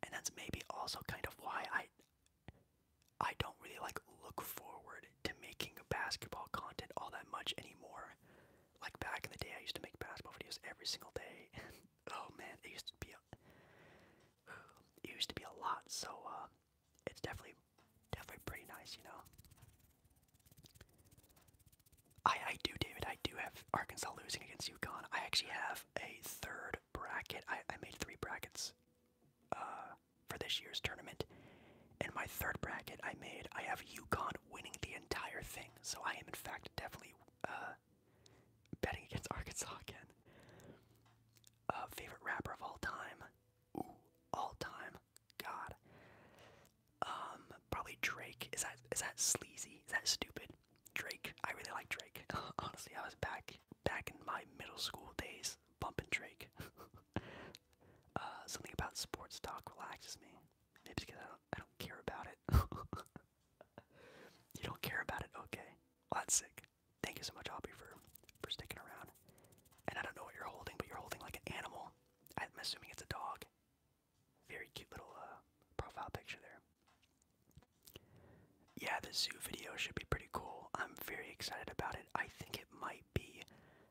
Speaker 1: and that's maybe also kind of why I I don't really like look forward to making basketball content all that much anymore. Like back in the day, I used to make basketball videos every single day, oh man, it used to be a, it used to be a lot. So uh, it's definitely definitely pretty nice, you know. I I do, David. I do have Arkansas losing against UConn. I actually have a third bracket. I I made three brackets. Uh, for this year's tournament. In my third bracket I made, I have UConn winning the entire thing. So I am, in fact, definitely uh, betting against Arkansas again. Uh, favorite rapper of all time? all time. God. Um, probably Drake. Is that is that sleazy? Is that stupid? Drake. I really like Drake. Honestly, I was back back in my middle school days bumping Drake. Uh, something about sports talk relaxes me. Maybe because I don't, I don't care about it. you don't care about it, okay? Well, that's sick. Thank you so much, Aubrey, for for sticking around. And I don't know what you're holding, but you're holding like an animal. I'm assuming it's a dog. Very cute little uh, profile picture there. Yeah, the zoo video should be pretty cool. I'm very excited about it. I think it might be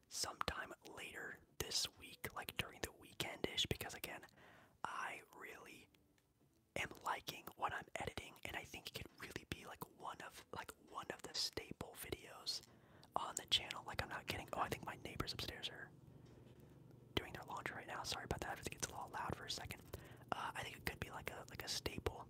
Speaker 1: sometime later this week, like during the weekendish, because again, I really am liking what I'm editing, and I think it could really be like one of like one of the staple videos on the channel. Like I'm not kidding. Oh, I think my neighbors upstairs are doing their laundry right now. Sorry about that. If think it's a little loud for a second, uh, I think it could be like a like a staple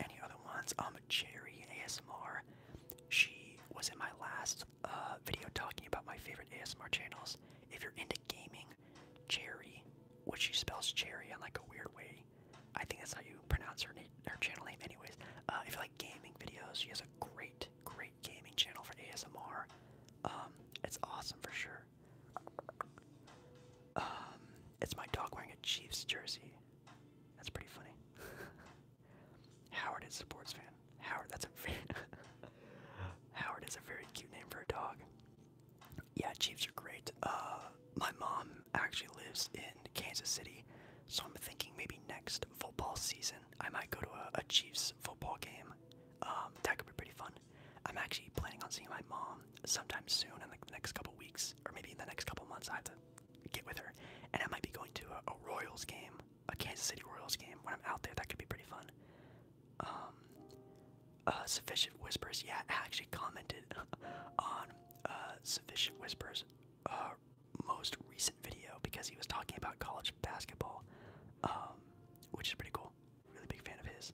Speaker 1: Any other ones? Um, Cherry ASMR. She was in my last uh, video talking about my favorite ASMR channels. If you're into gaming, Cherry, which she spells Cherry in like a weird way. I think that's how you pronounce her name, her channel name, anyways. Uh, if you like gaming videos, she has a great, great gaming channel for ASMR. Um, it's awesome for sure. Um, it's my dog wearing a Chiefs jersey. That's pretty funny. Howard is a sports fan. Howard, that's a very Howard is a very cute name for a dog. Yeah, Chiefs are great. Uh, my mom actually lives in Kansas City, so I'm thinking maybe next football season I might go to a, Chiefs football game. Um, that could be pretty fun. I'm actually planning on seeing my mom sometime soon in like the next couple weeks, or maybe in the next couple months. I have to get with her. And I might be going to a, Royals game, a Kansas City Royals game when I'm out there. That could be pretty fun. Um, uh, Sufficient Whispers. Yeah, I actually commented on uh, Sufficient Whispers' uh, most recent video because he was talking about college basketball, um, which is pretty cool. Really big fan of his.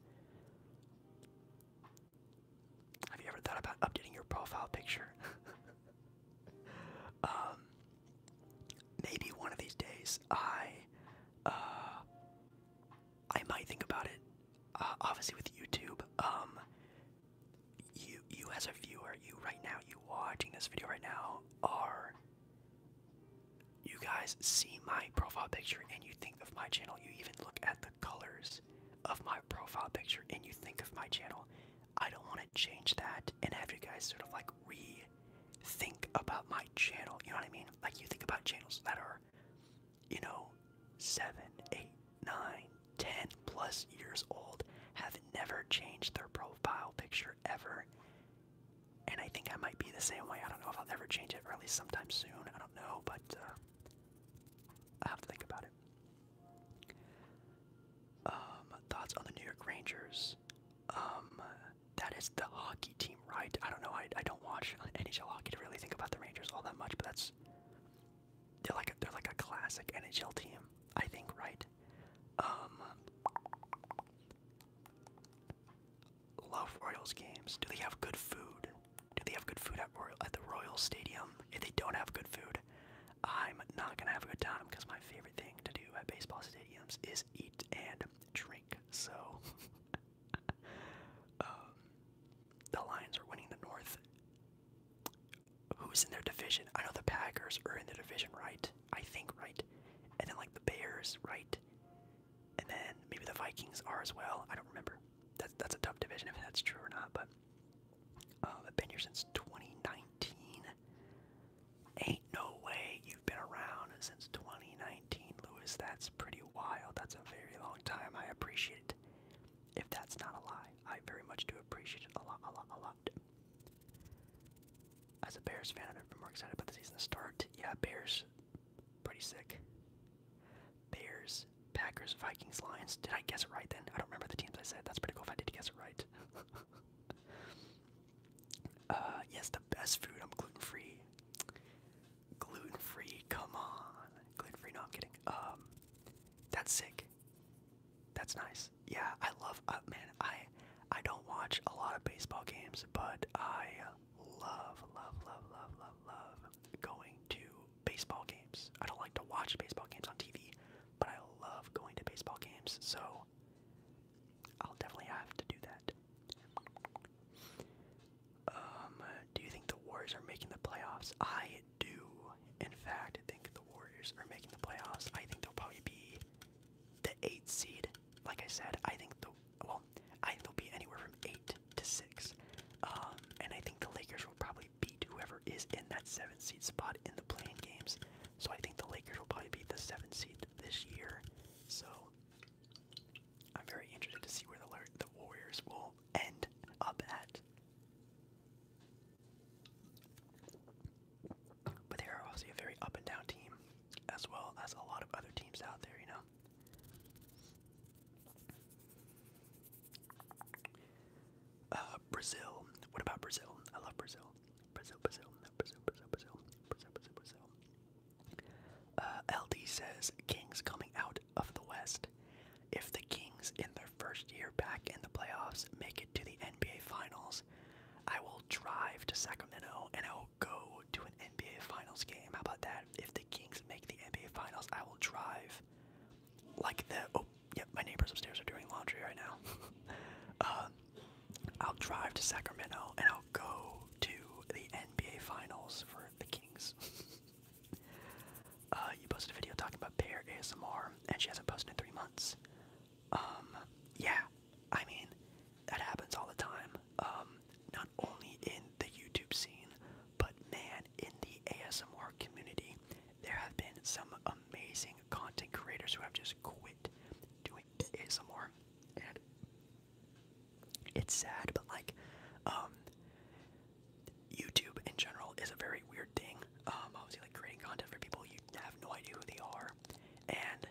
Speaker 1: Have you ever thought about updating your profile picture? Um, maybe one of these days I, uh, I might think about it. Uh, obviously, with YouTube, um, you you as a viewer, you right now, you watching this video right now, are you guys see my profile picture and you think of my channel? You even look at the colors of my profile picture and you think of my channel. I don't want to change that and have you guys sort of like rethink about my channel. You know what I mean? Like you think about channels that are, you know, seven, eight, nine, ten plus years old, have never changed their profile picture ever. And I think I might be the same way. I don't know if I'll ever change it, or at least sometime soon. I don't know, but uh, I have to think about it. Um, thoughts on the New York Rangers? Um, that is the hockey team, right? I don't know. I, I don't watch NHL hockey to really think about the Rangers all that much, but that's they're like a, they're like a classic NHL team, I think, right? Um, love Royals games. Do they have good food? Do they have good food at Royal at the Royal Stadium? If they don't have good food, I'm not gonna have a good time because my favorite thing to do at baseball stadiums is eat and drink. So um, the Lions are winning the North. Who's in their division? I know the Packers are in the division, right? I think right. And then like the Bears, right? And then maybe the Vikings are as well. I don't remember. That's that's a tough division if that's true or not, but uh, I've been here since 2019. Ain't no way you've been around since 2019, Lewis. That's pretty wild. That's a very long time. I appreciate it. If that's not a lie, I very much do appreciate it a lot, a lot, a lot. As a Bears fan, I've never been more excited about the season to start. Yeah, Bears, pretty sick. Bears Cowboys, Packers, Vikings, Lions. Did I guess it right then? I don't remember the teams I said. That's pretty cool if I did guess it right. uh, yes, the best food. I'm gluten free. Gluten free. Come on. Gluten free. No, I'm kidding. Um, that's sick. That's nice. Yeah, I love. Uh, man, I I don't watch a lot of baseball games, but I love, love, love, love, love, love going to baseball games. I don't like to watch baseball games on TV, but I love going to baseball games, so I'll definitely have to do that. Um, do you think the Warriors are making the playoffs? I do, in fact, think the Warriors are making the playoffs. I think they'll probably be the eight seed. Like I said, I think the well, I think they'll be anywhere from eight to six. Um, and I think the Lakers will probably probably beat whoever is in that seven seed spot in the playing games. So I think the Lakers will probably beat the seven seed this year. So I'm very interested to see where the the Warriors will end up at. But they are obviously a very up and down team, as well as a lot of other teams out there, you know. Uh, Brazil. What about Brazil? I love Brazil. Brazil, Brazil, Brazil, Brazil, Brazil, Brazil, Brazil, Uh, LD says Kings coming out of the West. If the Kings in their first year back in the playoffs make it to the NBA Finals, I will drive to Sacramento and I will go to an NBA Finals game. How about that? If the Kings make the NBA Finals, I will drive like the oh yep, my neighbors upstairs are doing laundry right now. Um, I'll drive to Sacramento and I'll go to the NBA Finals for the Kings. Uh, you posted a video talking about Pear ASMR, and she hasn't posted in three months. Um, yeah, I mean, that happens all the time. Um, not only in the YouTube scene, but man, in the ASMR community, there have been some amazing content creators who have just quit doing ASMR, and it's sad. But like, um, YouTube in general is a very weird thing. Um, obviously, like creating content for people you have no idea who they are, and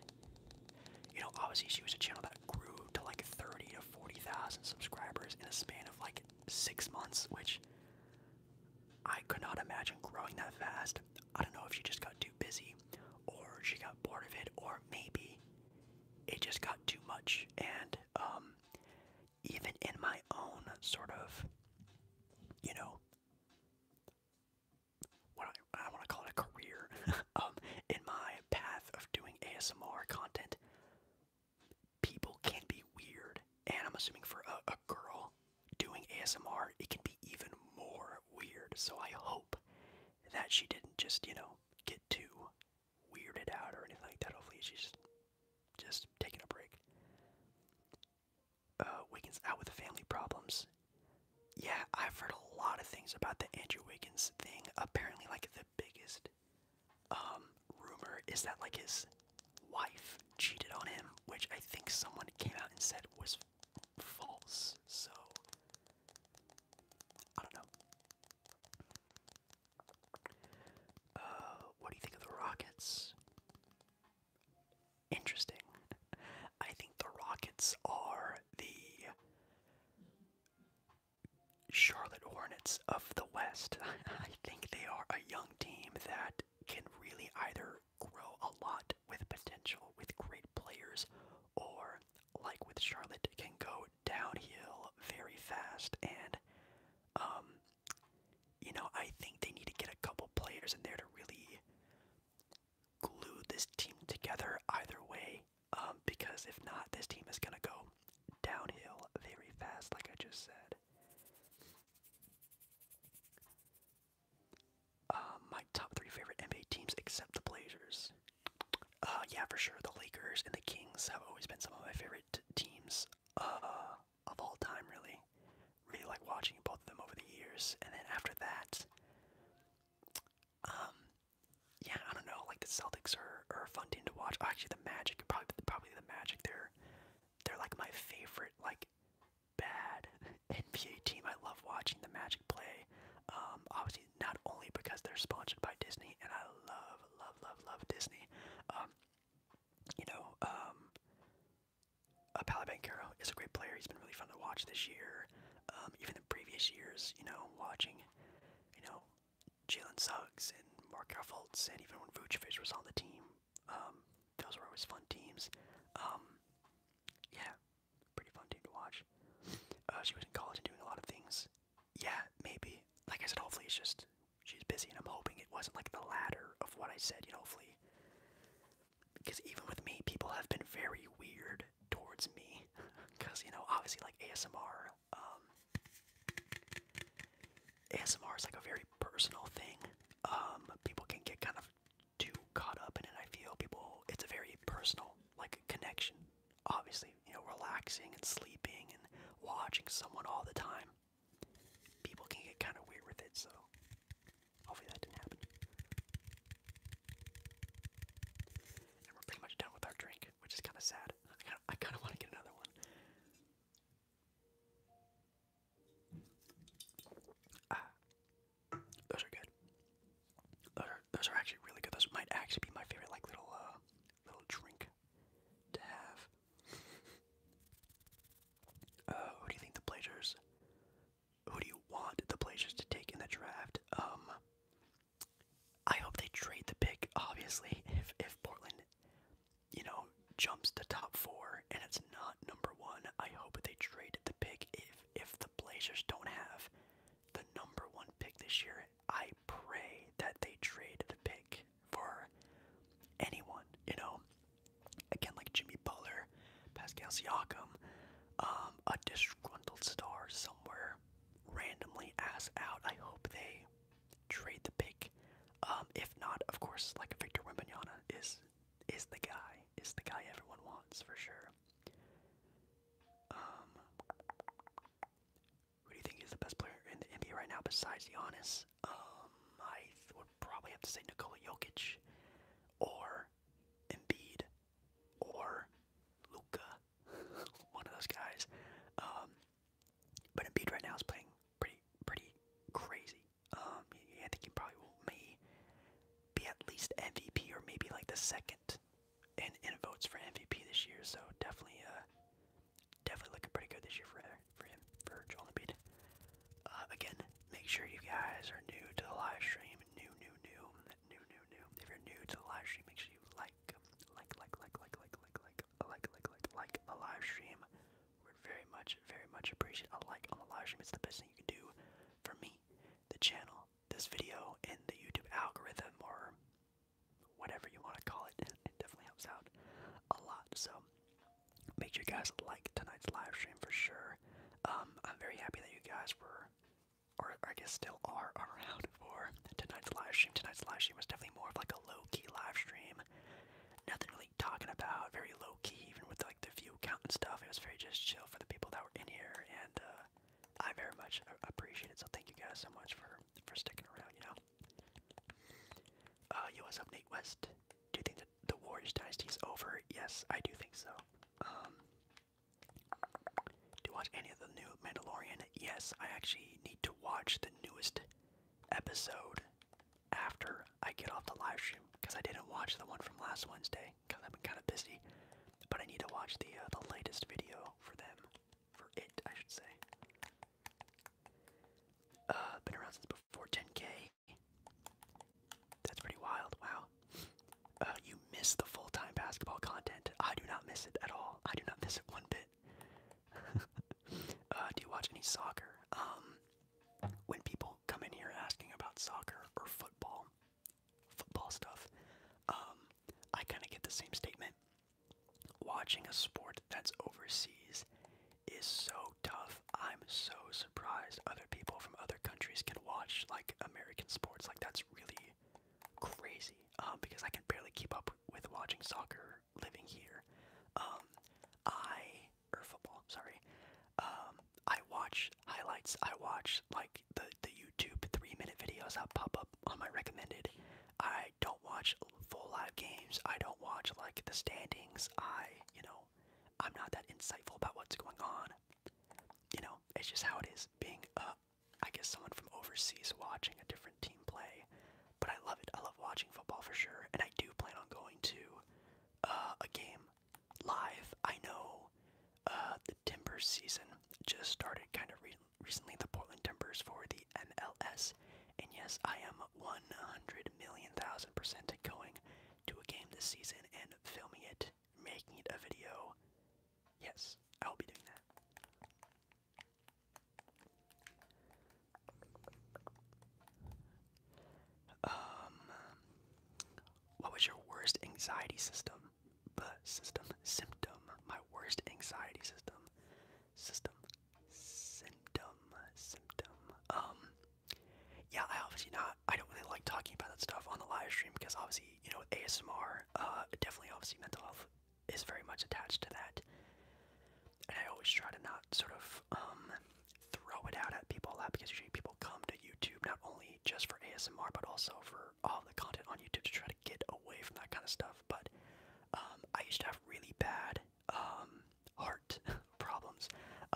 Speaker 1: you know, obviously, she was a channel that grew to like thirty to forty thousand subscribers in a span of like six months, which I could not imagine growing that fast. I don't know if she just got too busy or she got bored of it or maybe it just got too much and um, even in my own sort of you know what I, want to call it a career um in my path of doing ASMR content people can be weird and I'm assuming for a girl doing ASMR, it can be even more weird. So I hope that she didn't just, you know, get too weirded out or anything like that. Hopefully she's just taking a break. Uh, Wiggins out with family problems. Yeah, I've heard a lot of things about the Andrew Wiggins thing. Apparently, like the biggest um, rumor is that like his wife cheated on him, which I think someone came out and said was false. So I don't know. Uh, what do you think of the Rockets? Interesting. I think the Rockets are the Charlotte Hornets of the West. I think they are a young team that can really either grow a lot with potential with great players, or like with Charlotte, can go downhill very fast. And, um, you know, I think they need to get a couple players in there to really glue this team together either way, um, because if not, this team is going to go downhill very fast, like I just said. Uh, my top three favorite NBA teams except the Blazers. Uh, yeah, for sure. The Lakers and the Kings have always been some of my favorite teams uh, of all time, really. Really like watching both of them over the years. And then after that, um, yeah, I don't know. Like the Celtics are, are a fun team to watch. Actually, the Magic, probably, probably the Magic. They're they're like my favorite like bad NBA team. I love watching the Magic play. Um, obviously, not only because they're sponsored by Disney, and I love, love, love, love Disney. Um, you know, um, uh, Palo Bancaro is a great player. He's been really fun to watch this year. Um, even the previous years, you know, watching, you know, Jalen Suggs and Markel Fultz, and even when Vucevic was on the team, um, those were always fun teams. Um, yeah, pretty fun team to watch. Uh, she was in college and doing a lot of things. Yeah, maybe. Like I said, hopefully it's just she's busy, and I'm hoping it wasn't like the latter of what I said. You know, hopefully, because even with me, people have been very weird towards me. Because you know, obviously, like ASMR. Um, ASMR is like a very personal thing. Um, people can get kind of too caught up in it. I feel people, it's a very personal like connection. Obviously, you know, relaxing and sleeping and watching someone all the time. People can get kind of weird with it, so hopefully that didn't happen. And we're pretty much done with our drink, which is kind of sad. I kind of want to get another one. Ah, those are good. Those are those are actually really good. Those might actually be my favorite, like little uh, little drink to have. Uh, who do you think the Blazers? Who do you want the Blazers to take in the draft? Um, I hope they trade the pick. Obviously, if if Portland, you know, jumps to top four and it's not number one. I hope they trade the pick. If if the Blazers don't have the number one pick this year, I pray that they trade the pick for anyone, you know. Again, like Jimmy Butler, Pascal Siakam, um, a disgruntled star somewhere randomly ass out. I hope they trade the pick. Um, if not, of course, like Victor Wembanyama is is the guy. Is the guy everyone wants for sure. Um, who do you think is the best player in the NBA right now besides Giannis? Um, I would probably have to say Nikola Jokic, or Embiid, or Luca, one of those guys. Um, but Embiid right now is playing pretty, pretty crazy. Um, I think he probably will, may be at least MVP or maybe like the second in, in votes for MVP this year. So definitely, uh, definitely looking pretty good this year for for him for Joel Embiid. Uh, again, make sure you guys are new to the live stream. New, new, new, new, new, new. If you're new to the live stream, make sure you like, like, like, like, like, like, like, like, like, like, like, like, like the live stream would very much, very much appreciate a like on the live stream. It's the best thing you can do for me, the channel, this video, and the YouTube algorithm, or whatever you want to call it. It definitely helps out a lot. So make sure you guys like tonight's live stream for sure. Um, I'm very happy that you guys were, or I guess still are, around for tonight's live stream. Tonight's live stream was definitely more of like a low key live stream. Nothing really talking about, very low key, even with like the view count and stuff. It was very just chill for the people that were in here, and uh, I very much appreciate So thank you guys so much for for sticking around. You know. Uh, yo, West? Do you think that the Warriors dynasty is over? Yes, I do think so. Um, do you watch any of the new Mandalorian? Yes, I actually need to watch the newest episode after I get off the live stream because I didn't watch the one from last Wednesday because I've been kind of busy. But I need to watch the uh, the latest video for them, for it, I should say. Uh, been around since before 10k. That's pretty wild. Wow. Uh, you miss the full-time basketball content. I do not miss it at all. I do not miss it one bit. uh, do you watch any soccer? Um, when people come in here asking about soccer or football, football stuff, um, I kind of get the same statement. Watching a sport that's overseas is so tough. I'm so surprised other people from other countries can watch like American sports. Like that's really crazy um, because I can barely keep up with watching soccer living here. Um, I or football, sorry. Um, I watch highlights. I watch like the the YouTube three minute videos that pop up on my recommended. I don't watch full live games. I don't watch like the standings. I, you know, I'm not that insightful about what's going on. You know, it's just how it is being a, uh, I guess someone from overseas watching a different team play. But I love it. I love watching football for sure, and I do plan on going to uh, a game live. I know uh, the Timbers season just started kind of recently, the Portland Timbers for the MLS. And yes, I am 100 million thousand percent going to a game this season and filming it, making it a video. Yes, I'll be doing that. Um, what was your worst anxiety system? But system symptom. My worst anxiety system. System symptom symptom. Um, yeah, I obviously not. I don't really like talking about that stuff on the live stream because obviously you know ASMR. Uh, definitely obviously mental health is very much attached to that, and I always try to not sort of um throw it out at people a because usually people come to YouTube not only just for ASMR but also for all the content on YouTube to try to get away from that kind of stuff. But um, I used to have really bad um, heart problems,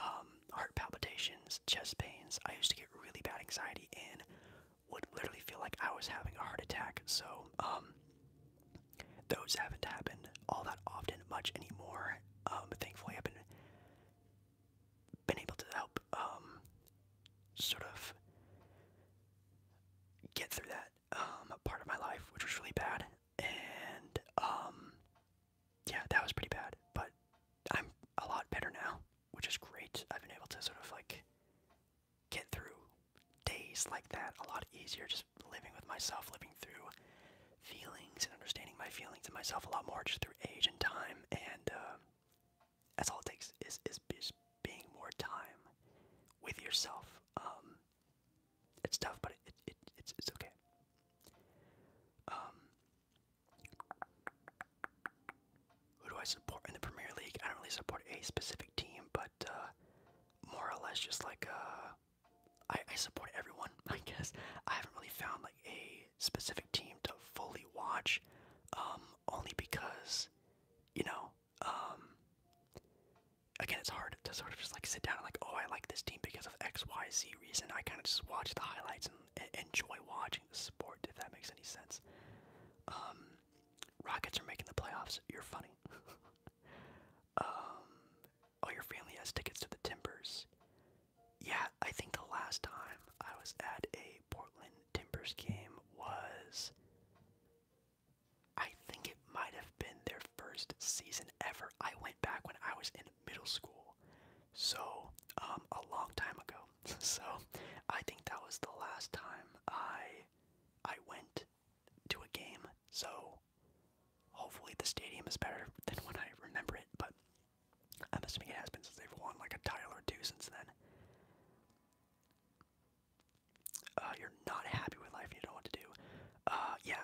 Speaker 1: um, heart palpitations, chest pains. I used to get really bad anxiety and would literally feel like I was having a heart attack. So those haven't happened all that often much anymore. Um, thankfully, I've been been able to help um, sort of get through that um, part of my life, which was really bad. And um, yeah, that was pretty bad, but I'm a lot better now, which is great. I've been able to sort of like get through days like that a lot easier, just living with myself, living through feelings and understanding my feelings and myself a lot more just through age and time. And uh, that's all it takes is is just being more time with yourself. Um, it's tough, but it, it, it's okay. Um, who do I support in the Premier League? I don't really support a specific team, but uh, more or less just like uh, I, I support everyone, I guess. I haven't really found like a specific team to fully watch, um, only because, you know, um, again, it's hard to sort of just like sit down and like, oh, I like this team because of X, Y, Z reason. I kind of just watch the highlights and, enjoy watching the sport, if that makes any sense. Um, Rockets are making the playoffs. You're funny. um, oh, your family has tickets to the Timbers yeah, I think the last time I was at a Portland Timbers game was. I think it might have been their first season ever. I went back when I was in middle school. So, um, a long time ago. so, I think that was the last time I I went to a game. So, hopefully the stadium is better than when I remember it, but I'm assuming it has been since they've won like a title or two since then. Uh, you're not happy with life you don't know what to do. Uh, yeah,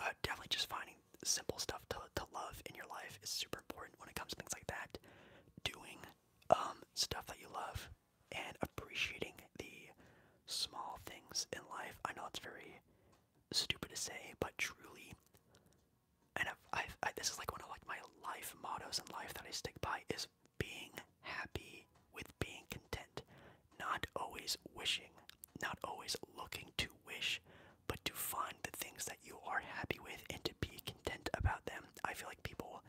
Speaker 1: uh, definitely just finding simple stuff to, to love in your life is super important when it comes things like that. Doing um, stuff that you love and appreciating the small things in life. I know it's very stupid to say, but truly and I've, I've this is like one of like my life mottos in life that I stick by is being happy with being content, not always wishing, not always looking to wish, but to find the things that you are happy with and to be content about them. I feel like people,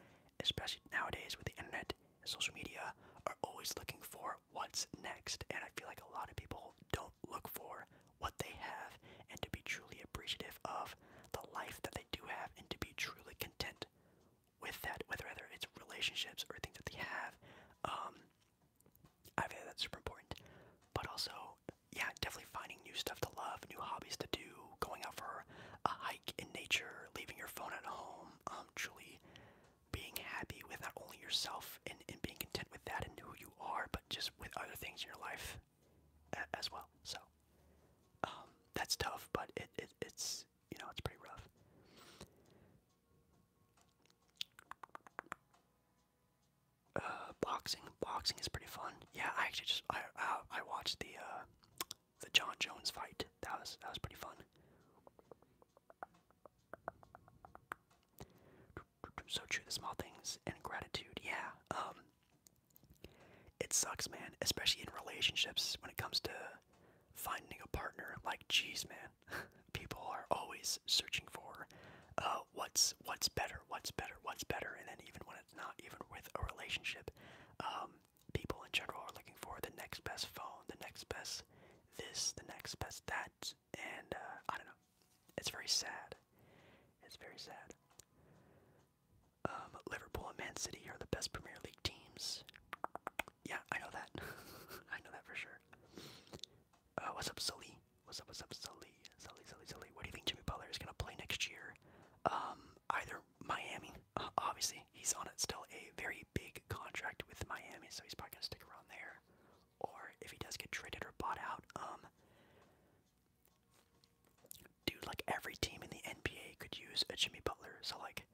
Speaker 1: especially nowadays with the internet and social media, are always looking for what's next, and I feel like a lot of people don't look for what they have, and to be truly appreciative of the life that they do have, and to be truly content with that, whether it's relationships or things that they have. Um, I feel that's super important. But also, yeah, definitely finding new stuff to love, new hobbies to do, going out for a hike in nature, leaving your phone at home, um, truly being happy with not only yourself and, and being content with that and who you are, but just with other things in your life as well. So um, that's tough, but it, it it's you know it's pretty rough. Uh, boxing, boxing is pretty fun. Yeah, I actually just I I, I watched the uh, the John Jones fight. That was that was pretty fun so true the small things and gratitude yeah um, it sucks man especially in relationships when it comes to finding a partner like geez man people are always searching for uh, what's what's better what's better what's better and then even when it's not even with a relationship um, people in general are looking for the next best phone the next best this the next best that and uh, i don't know it's very sad. It's very sad. Um, Liverpool and Man City are the best Premier League teams. Yeah, I know that. I know that for sure. Uh, what's up, Sully? What's up, what's up, Sully? Sully, Sully, Sully. What do you think Jimmy Butler is going to play next year? Um, either Miami, uh, obviously. He's on it still a very big contract with Miami, so he's probably going to stick around there. Or if he does get traded or bought out, um, Dude, like every team in the NBA could use a Jimmy Butler. So like,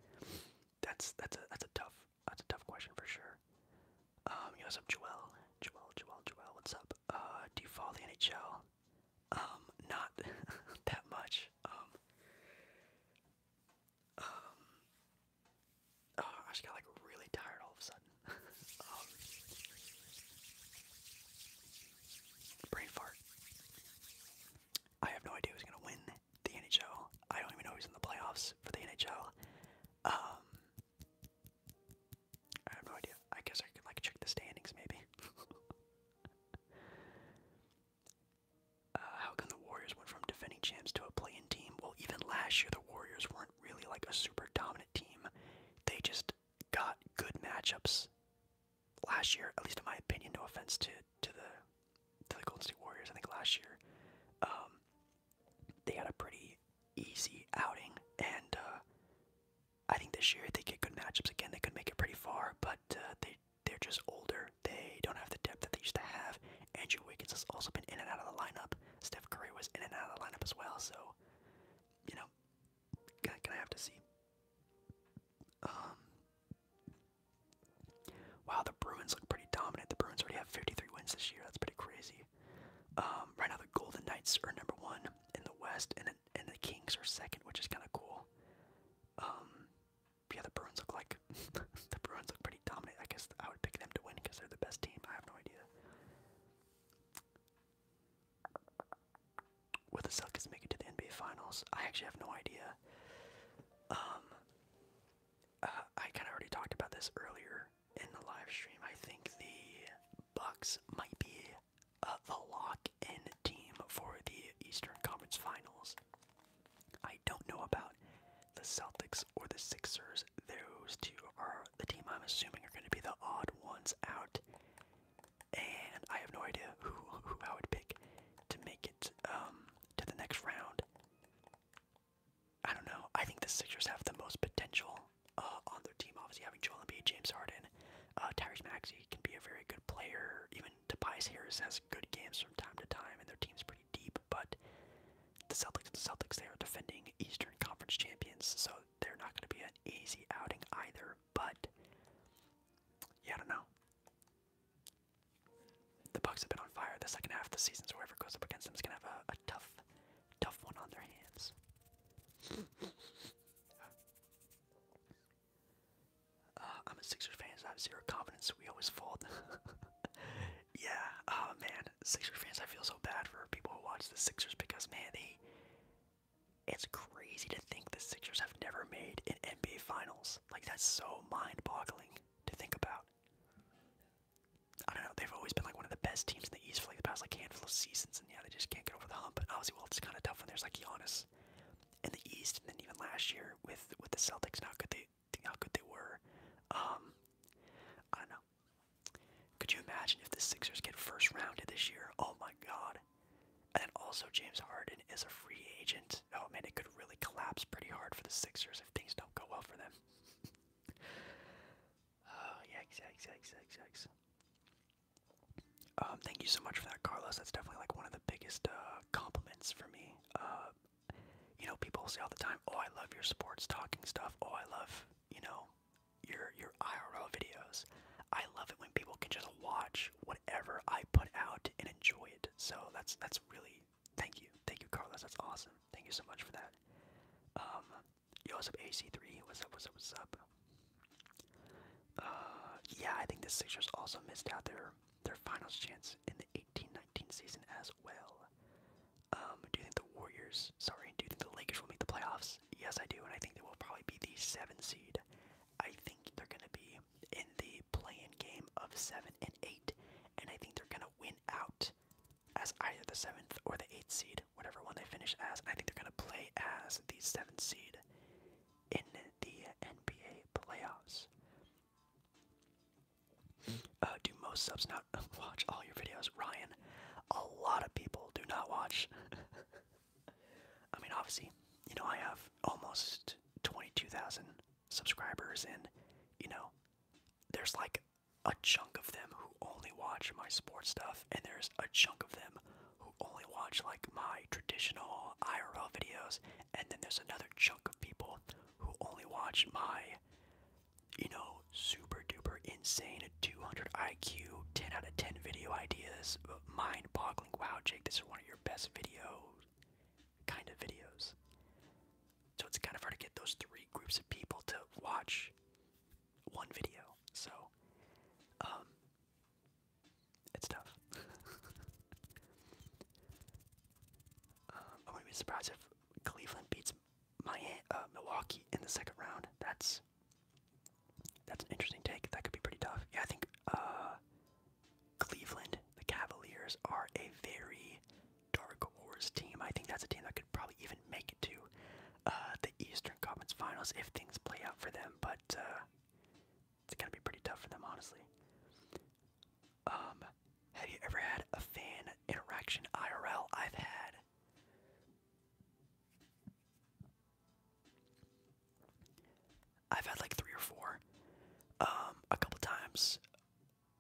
Speaker 1: that's that's a that's a tough that's a tough question for sure. Um, you know, some Joel, Joel, Joel, Joel. What's up? Uh, do you follow the NHL? Um, not that much. Um, um, oh, I just got like really tired all of a sudden. Um, brain fart. I have no idea who's gonna win the NHL. I don't even know who's in the playoffs for the NHL. Um, I have no idea. I guess I could like check the standings maybe. Uh, how come the Warriors went from defending champs to a playing team? Well, even last year the Warriors weren't really like a super dominant team. They just got good matchups last year, at least in my opinion. No offense to to the to the Golden State Warriors. I think last year um, they had a pretty easy outing, and uh, I think this year they get good matchups again, they could make it pretty far. But uh, they they're just older. They don't have the depth that they used to have. Andrew Wiggins has also been in and out of the lineup. Steph Curry was in and out of the lineup as well. So, you know, gonna, have to see. Um, wow, the Bruins look pretty dominant. The Bruins already have 53 wins this year. That's pretty crazy. Um, right now, the Golden Knights are number one in the West, and and the Kings are second, which is kind of cool. Um, yeah, the Bruins look like the Bruins look pretty dominant. I guess I would pick them to win because they're the best team. I have no idea. Will the Celtics make it to the NBA Finals? I actually have no idea. Um, uh, I kind of already talked about this earlier in the live stream. I think the Bucks might be uh, the lock-in team for the Eastern Conference Finals. I don't know about the Celtics or the Sixers. Those two are the team I'm assuming are going to be the odd ones out and I have no idea who, I would pick to make it um, to the next round. I don't know. I think the Sixers have the most potential uh, on their team. Obviously, having Joel Embiid, James Harden, uh, Tyrese Maxey can be a very good player. Even Tobias Harris has good games from time to time, and their team's pretty deep. But the Celtics, the Celtics, they are defending Eastern Conference champions, so they're not going to be an easy outing either. But yeah, I don't know. The Bucks have been on fire the second half of the season, so whoever goes up against them is gonna have a, tough, tough one on their hands.
Speaker 2: Uh, I'm
Speaker 1: a Sixers fan, I have zero confidence. We always fold. yeah, oh man, Sixers fans, I feel so bad for people who watch the Sixers because man, they it's crazy to think the Sixers have never made an NBA Finals. Like, that's so mind boggling to think about. I don't know, they've always been like one of the best teams in the East for like the past like handful of seasons, and yeah, they just can't get over the hump. But obviously, well, it's kind of tough when there's like Giannis in the East, and then even last year with with the Celtics and how good they how good they were. Um, I don't know. Could you imagine if the Sixers get first rounded this year? Oh my God, and also James Harden is a free agent. Oh man, it could really collapse pretty hard for the Sixers if things don't go well for them. oh yikes, yikes, yikes, yikes, yikes. Um, thank you so much for that, Carlos. That's definitely like one of the biggest uh, compliments for me. Uh, you know, people say all the time, "Oh, I love your sports talking stuff." Oh, I love you know your your IRL videos. I love it when people can just watch whatever I put out and enjoy it. So that's that's really thank you, thank you, Carlos. That's awesome. Thank you so much for that. Um, yo, AC3? What's up? What's up? What's up? Uh, yeah, I think the Sixers also missed out their their finals chance in the 18-19 season as well. Um, do you think the Warriors? Sorry, do you think the Lakers will make the playoffs? Yes, I do, and I think they will probably be the seven seed. I think they're going to be in the play-in game of seven and eight, and I think they're going to win out as either the seventh or the eighth seed, whatever one they finish as. I think they're going to play as the seventh seed in the NBA playoffs. Uh, do most subs not watch all your videos, Ryan? A lot of people do not watch I mean, obviously, you know, I have almost 22,000 subscribers, and, you know, there's like a chunk of them who only watch my sports stuff, and there's a chunk of them who only watch like my traditional IRL videos, and then there's another chunk of people who only watch my, you know, super duper insane 200 IQ, 10 out of 10 video ideas, mind boggling. Wow, Jake, this is one of your best videos, kind of videos. So it's kind of hard to get those three groups of people to watch one video. So, um, it's tough. um, I wouldn't be surprised if Cleveland beats my uh, Milwaukee in the second round. That's that's an interesting take. That could be pretty tough. Yeah, I think uh, Cleveland, the Cavaliers, are a very dark horse team. I think that's a team that could probably even make it to uh, the Eastern Conference Finals if things play out for them. But uh, it's gonna be pretty tough for them, honestly. Um, have you ever had a fan interaction IRL? I've had. I've had like three or four, um, a couple times,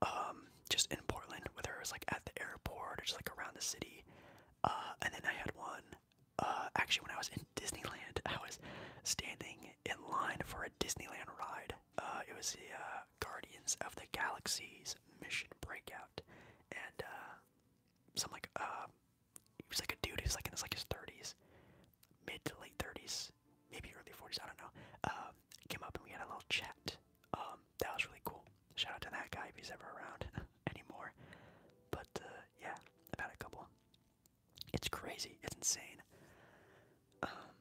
Speaker 1: um, just in Portland, whether it was like at the airport or just like around the city. Uh, and then I had one, uh, actually when I was in Disneyland, I was standing in line for a Disneyland ride. Uh, it was the Guardians of the Galaxy's Mission Breakout, and some like uh, he was like a dude who's like in his like his thirties, mid to late thirties, maybe early forties. I don't know. Um, came up and we had a little chat. Um, that was really cool. Shout out to that guy if he's ever around anymore. But uh, yeah, I've had a couple. It's crazy. It's insane. Um,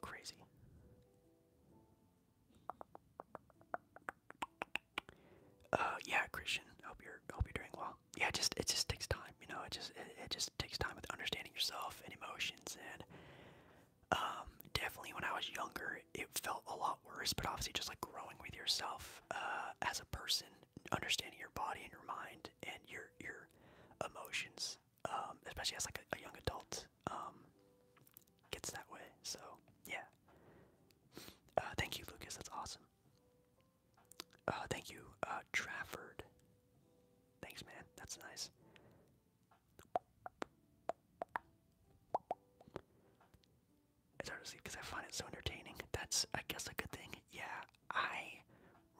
Speaker 1: crazy. Uh, yeah, Christian. Hope you're hope you're doing well. Yeah, it just it just takes time, you know. It just it, just takes time with understanding yourself and emotions, and um, definitely when I was younger, it felt a lot worse. But obviously, just like growing with yourself uh, as a person, understanding your body and your mind and your your emotions, um, especially as like a, a young adult, um, gets that way. So yeah. Uh, thank you, Lucas. That's awesome. Uh, thank you, uh, Trafford. Thanks, man. That's nice. It's hard to sleep because I find it so entertaining. That's, I guess, a good thing. Yeah, I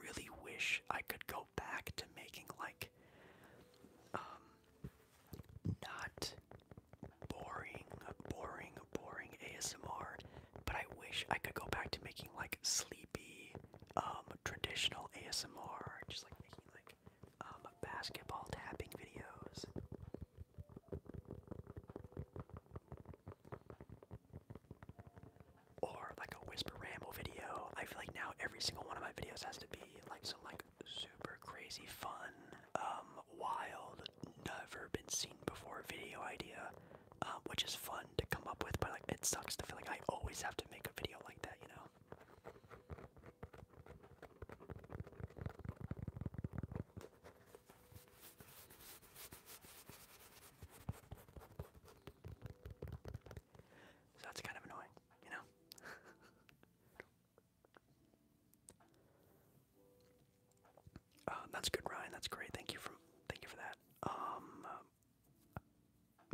Speaker 1: really wish I could go back to making like, um, not boring, boring, boring ASMR, but I wish I could go back to making like sleepy, um, traditional ASMR, just like making like um, basketball tapping videos. Or like a whisper ramble video. I feel like now every single one of my videos has to be like some like super crazy fun um wild, never been seen before video idea, um, which is fun to come up with, but like it sucks to feel like I always have to make a video like that, you know. So that's kind of annoying, you know? Um, that's good, Ryan. That's great. Thank you for thank you for that. Um, uh,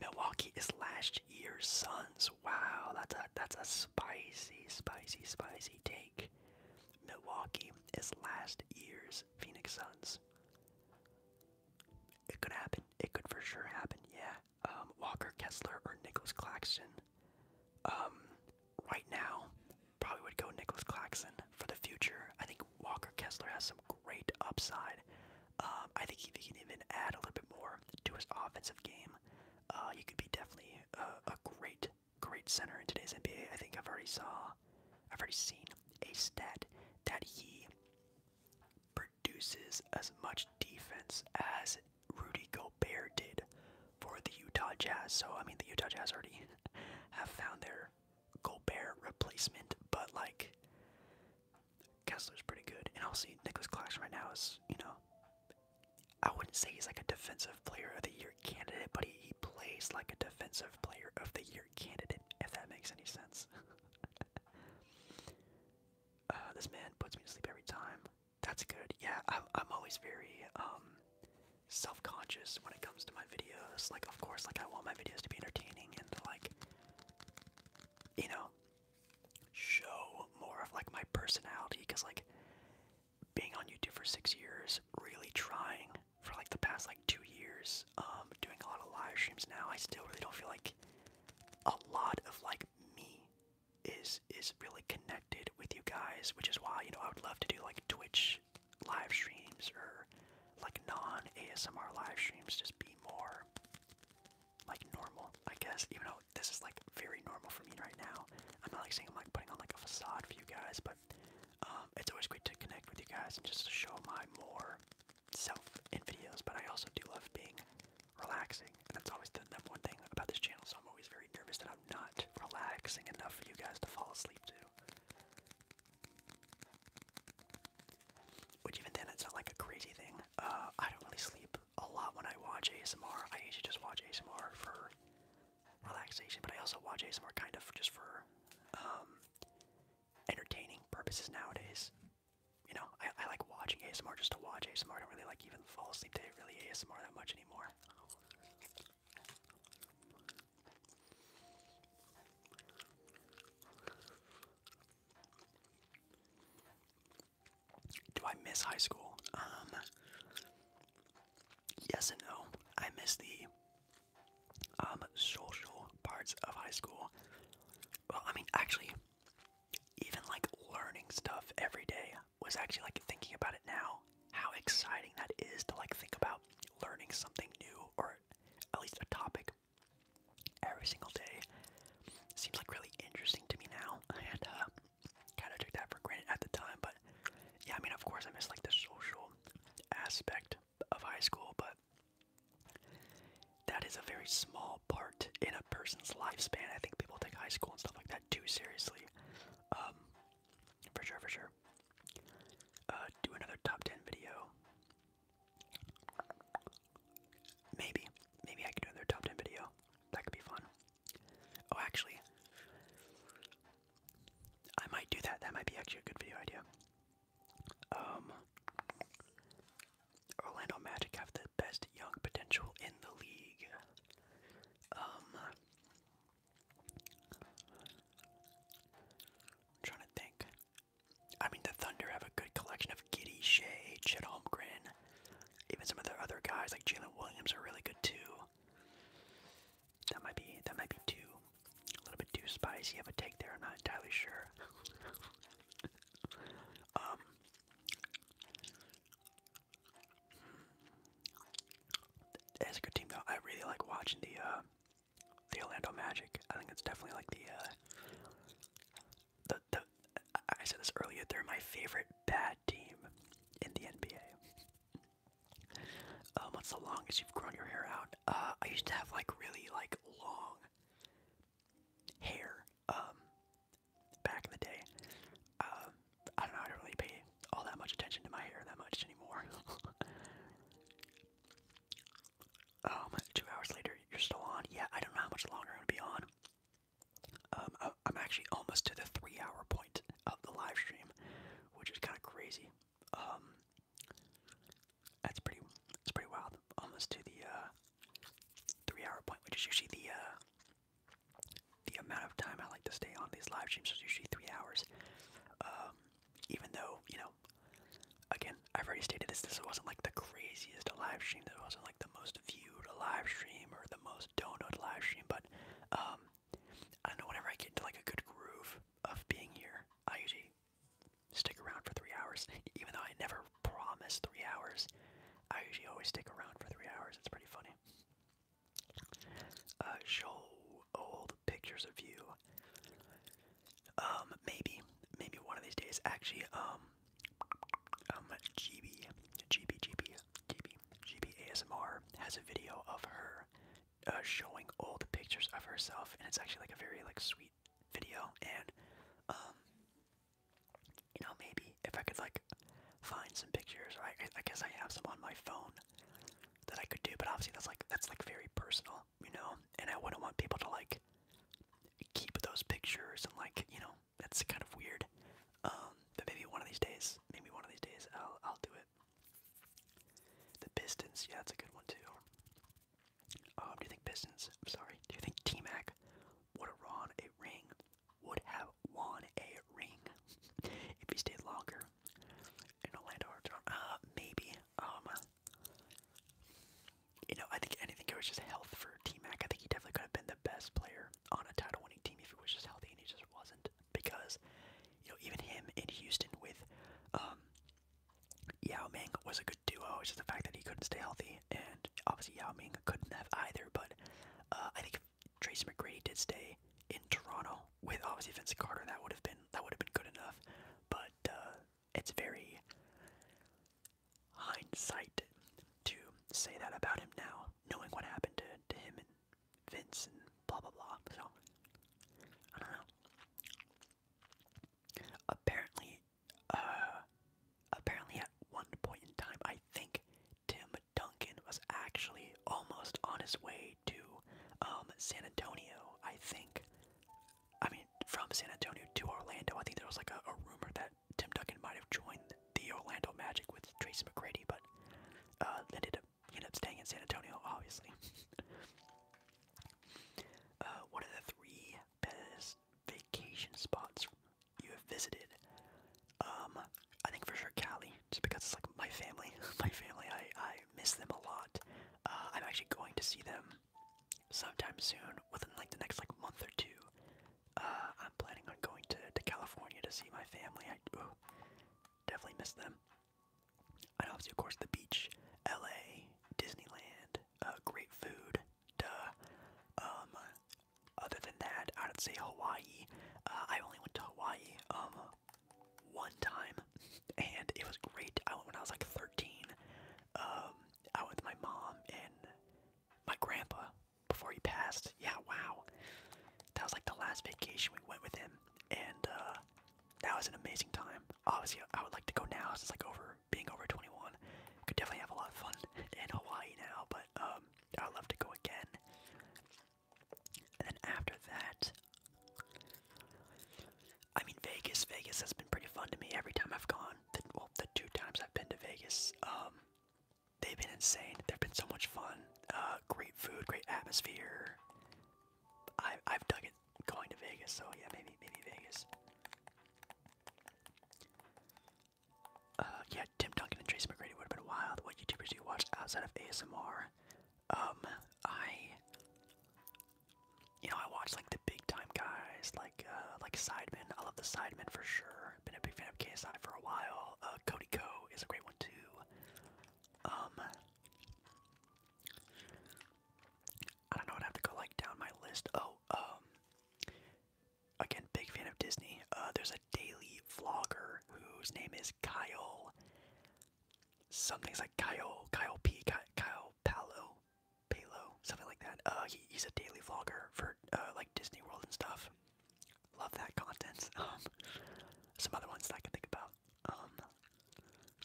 Speaker 1: Milwaukee is last year's Suns. Wow, that's a that's a spicy, spicy, spicy take. Milwaukee is last year's Phoenix Suns. It could happen. It could for sure happen. Yeah. Um, Walker Kessler or Nicholas Claxton. Um, right now, Probably would go Nicholas Claxton for the future. I think Walker Kessler has some great upside. Um, I think he can even add a little bit more to his offensive game, uh, he could be definitely a, a great, great center in today's NBA. I think I've already saw, I've already seen a stat that he produces as much defense as Rudy Gobert did for the Utah Jazz. So I mean, the Utah Jazz already have found their Gobert replacement, but like Kessler's pretty good. And obviously Nicholas Claxton right now is, you know, I wouldn't say he's like a defensive player of the year candidate, but he, he plays like a defensive player of the year candidate, if that makes any sense. Uh, this man puts me to sleep every time. That's good. Yeah, I'm I'm always very um self-conscious when it comes to my videos. Like, of course, like I want my videos to be entertaining and to like, you know, show more of like my personality. Because like, being on YouTube for six years, really trying for like the past like two years, um, doing a lot of live streams now. I still really don't feel like a lot of like me is is really connected with you guys, which is why you know I would love to do like Twitch live streams or like non ASMR live streams just be more like normal, I guess, even though this is like very normal for me right now. I'm not like saying I'm like putting on like a facade for you guys, but um, it's always great to connect with you guys and just show my more self in videos. But I also do love being relaxing, and that's always the number one thing about this channel. So I'm always very nervous that I'm not relaxing enough for you guys to fall asleep to. Which even then, it's not like a crazy thing. Uh, I don't really sleep a lot when I watch ASMR. I usually just watch ASMR for relaxation, but I also watch ASMR kind of just for um, entertaining purposes nowadays. You know, I, I like watching ASMR just to watch ASMR. I don't really like even fall asleep to really ASMR that much anymore. Do I miss high school? Um, yes and no. I miss the um, social parts of high school. Well, I mean, actually, even like learning stuff every day was actually like thinking about it now how exciting that is to like think about learning something new or at least a topic every single day. Seems like really interesting to me now, and uh, kind of took that for granted at the time. But yeah, I mean, of course, I miss like the social aspect of high school, but that is a very small part in a person's lifespan. I think people take high school and stuff like that too seriously. Um, for sure, for sure. Uh, do another top ten video. Maybe, maybe I could do another top ten video. That could be fun. Oh, actually, I might do that. That might be actually a good video idea. Um, Orlando Magic have the best young potential in the league. Um, i trying to think. I mean, the Thunder have a good collection of Giddy, Shea, Chet Holmgren. Even some of the other guys like Jalen Williams are really good too. That might be that might be too a little bit too spicy of a take there. I'm not entirely sure. um, it's a good team though. I really like watching the uh, the Orlando Magic. I think it's definitely like the uh, the the. I said this earlier. They're my favorite bad team in the NBA. Um, what's the longest you've grown your hair out? Uh, I used to have like really like long hair. Um, back in the day. Um, I don't know. I don't really pay all that much attention to my hair that much anymore. Um, two hours later, you're still on. Yeah, I don't know how much longer I'm gonna be on. Um, I, am actually almost to the three-hour point of the live stream, which is kind of crazy. Um, that's pretty. It's pretty wild. Almost to the uh, three-hour point, which is usually the uh, the amount of time I like to stay on these live streams. is usually three hours. Um, even though, you know, again, I've already stated this, this wasn't like the craziest live stream, this wasn't like the most viewed live stream or the most downloaded live stream, but um, I don't know, whenever I get into like a good groove of being here, I usually stick around for three hours, even though I never promise three hours, I usually always stick around for three hours, it's pretty funny. Uh, show old pictures of you. Um, maybe, maybe one of these days. Actually, um, um, GB, GB, GB, GB, GB ASMR has a video of her uh, showing the pictures of herself, and it's actually like a very like sweet video. And um, you know, maybe if I could like find some pictures, or I, I guess I have some on my phone that I could do, but obviously that's like that's like very personal you know, and I wouldn't want people to like keep those pictures and like, you know, that's kind of weird. Um, but maybe one of these days, maybe one of these days I'll I'll do it. The Pistons, yeah, that's a good one too. Um, do you think Pistons? I'm sorry. Do you think T Mac would have won a ring? Would have won a ring if he stayed longer in Orlando? Or, uh, maybe. Um, you know, I think anything it was just health for T Mac. I think he definitely could have been the best player on a title winning team if he was just healthy and he just wasn't. Because, you know, even him in Houston with um, Yao Ming was a good duo. It's just the fact that he couldn't stay healthy, and obviously Yao Ming couldn't have either. But uh, I think if Tracy McGrady did stay in Toronto with obviously Vince Carter, that would have been that would have been good enough. But uh, it's very hindsight to say that about him now, knowing what happened to, to him and Vince and blah blah blah. So I don't know. Apparently, uh, apparently at one point in time, I think Tim Duncan was actually almost on his way to um, San Antonio, I think. I mean, from San Antonio to Orlando. I think there was like a, rumor that Tim Duncan might have joined the Orlando Magic with Tracy McGrady, but uh, ended up ended up staying in San Antonio, obviously. uh, what are the three best vacation spots you have visited? Um, I think for sure Cali, just because it's like my family. my family, I I miss them a lot. Uh, I'm actually going to see them sometime soon, within like the next like month or two. Uh, I'm planning on going to, to California to see my family. I definitely miss them. And obviously, of course, the beach, LA, Disneyland, uh, great food, duh. Um, other than that, I'd say Hawaii. I only went to Hawaii um one time and it was great. I went when I was like 13. Um, I went with my mom and my grandpa before he passed. Yeah, wow. That was like the last vacation we went with him, and uh, that was an amazing time. Obviously, I would like to go now since like over being over 21. Could definitely have a lot of fun in Hawaii now, but um, I would love to go again. And then after that, I mean, Vegas, Vegas has been pretty fun to me every time I've gone. The, well, the two times I've been to Vegas, um, they've been insane. They've been so much fun. Uh, great food, great atmosphere. I, I've dug it going to Vegas, so yeah, maybe, maybe Vegas. Uh, yeah, Tim Duncan and Tracy McGrady would have been wild. What YouTubers do you watch outside of ASMR? Um, I you know, I watch like the big time guys, like uh, like Sidemen. I love the Sidemen for sure. Been a big fan of KSI for a while. Uh, Cody Co is a great one too. Um, I don't know. I'd have to go like down my list. Oh, um, again, big fan of Disney. Uh, there's a daily vlogger whose name is Kyle something's like Kyle Kyle P Kyle, Palo Palo something like that. Uh, he's a daily vlogger for uh, like Disney World and stuff. Love that content. Um, some other ones I can think about. Um,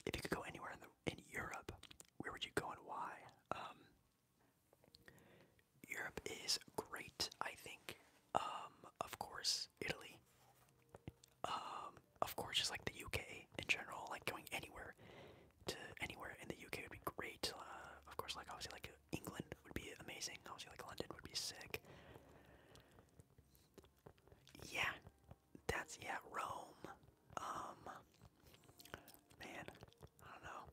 Speaker 1: if you could go anywhere in the in Europe, where would you go and why? Um, Europe is great, I think. Um, of course, Italy. Um, of course, just like the UK in general, like going anywhere to anywhere in the UK would be great. Uh, of course, like obviously, like England would be amazing. Obviously, like London would be sick. Yeah, that's yeah. Rome. Um, man, I don't know.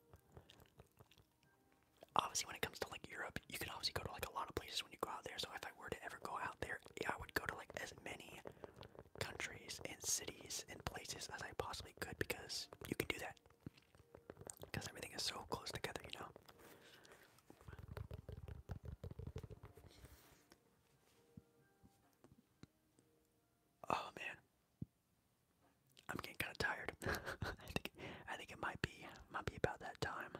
Speaker 1: Obviously, when it comes to like Europe, you can obviously go to like a lot of places when you go out there. So if I were to ever go out there, yeah, I would go to like as many countries and cities and places as I possibly could because you can do that. Because everything is so close together, you know? Oh man. I'm getting kinda tired. I think I think it might be might be about that time.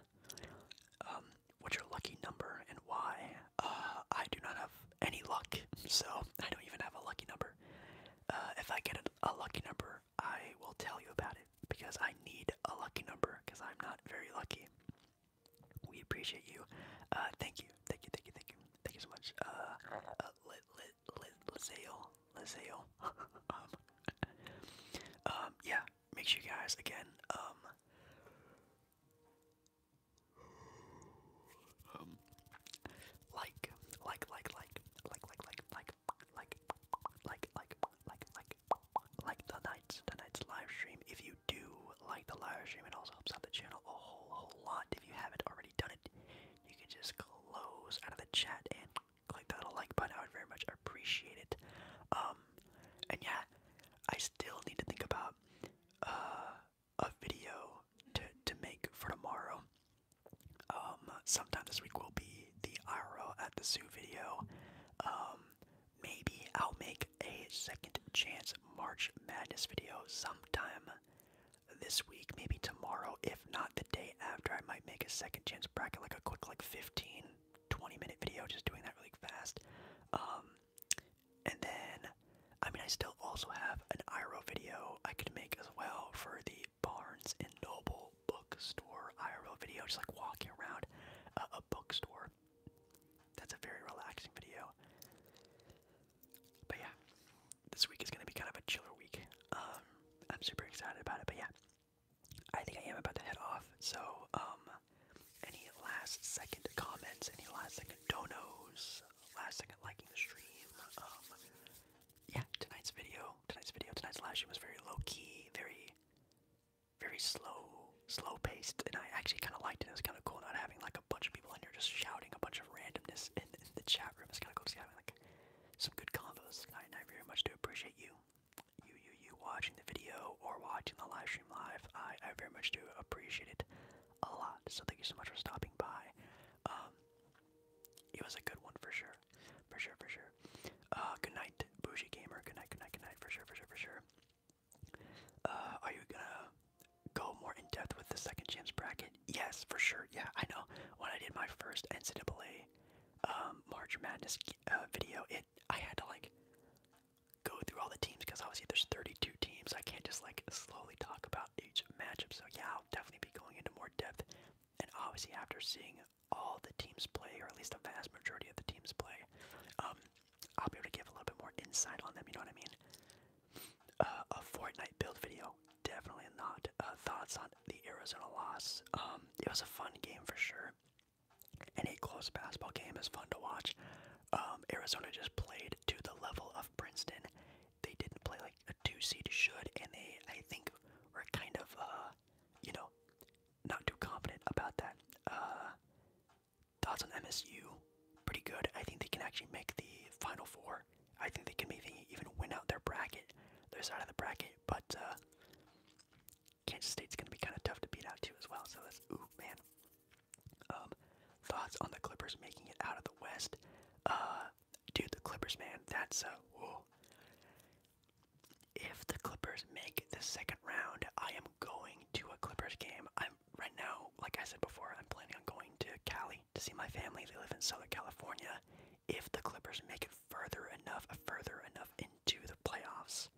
Speaker 1: Um, what's your lucky number and why? Uh, I do not have any luck, so I don't even have a lucky number. Uh, if I get a, lucky number, I will tell you about it because I need a lucky number because I'm not very lucky. We appreciate you. Uh, thank you, thank you, thank you, thank you, thank you so much. Uh, uh let let let Lazale, Lazale. um, um, yeah. Make sure guys again. Um, um, like, like, like, like, like, like, like, like, like, like, like, like, like, like the night's the night's live stream. If you do like the live stream, it also helps out the channel a whole whole lot. If you haven't already done it, you can just close out of the chat and click the little like button. I would very much appreciate it. Um, and yeah, I still need to think about uh a video to to make for tomorrow. Um, sometime this week will be the IRL at the zoo video. Um, maybe I'll make a second chance March Madness video sometime this week, maybe tomorrow, if not the day after. I might make a second chance bracket, like a quick, like 15, 20 minute video, just doing that really fast. Um, and then, I mean, I still also have an IRO video I could make as well for the Barnes and Noble bookstore IRL video, just like walking around a, bookstore. That's a very relaxing video. But yeah, this week is going to be kind of a chiller week. Um, I'm super excited about it. But yeah, I think I am about to head off. So, um, any last second comments? Any last second donos? last second liking the stream. Um, yeah, tonight's video, tonight's video, tonight's live stream was very low key, very, very slow, slow paced, and I actually kind of liked it. It was kind of cool not having like a bunch of people in here just shouting a bunch of randomness in, the chat room. It's kind of cool just having like some good combos. I, I very much do appreciate you, you, you, you watching the video or watching the live stream live. I, I very much do appreciate it a lot. So thank you so much for stopping by. Um, it was a good one for sure, for sure, for sure. Uh, good night, bougie gamer. Good night, good night, good night. For sure, for sure, for sure. Uh, are you gonna go more in depth with the second champs bracket? Yes, for sure. Yeah, I know. When I did my first NCAA um, March Madness uh, video, it I had to like go through all the teams because obviously there's 32 teams. I can't just like slowly talk about each matchup. So yeah, I'll definitely be going into more depth. And obviously, after seeing all the teams play, or at least a vast majority of the teams play, um, I'll be able to give a little bit more insight on them. You know what I mean? Uh, a Fortnite build video, definitely not. Uh, thoughts on the Arizona loss? Um, it was a fun game for sure. Any close basketball game is fun to watch. Um, Arizona just played to the level of Princeton. They didn't play like a two seed should, and they I think were kind of uh, you know, not too confident about that. Uh, thoughts on MSU? Pretty good. I think they can actually make the Final Four. I think they can maybe even win out their bracket, their side of the bracket. But uh, Kansas State's gonna be kind of tough to beat out too as well. So that's ooh man. Um, thoughts on the Clippers making it out of the West? Uh, dude, the Clippers, man, that's uh, If the Clippers make the second round, I am going to a Clippers game. I'm right now, like I said before, I'm planning on going to Cali to see my family. They live in Southern California. If the Clippers make it further enough, further enough into the playoffs,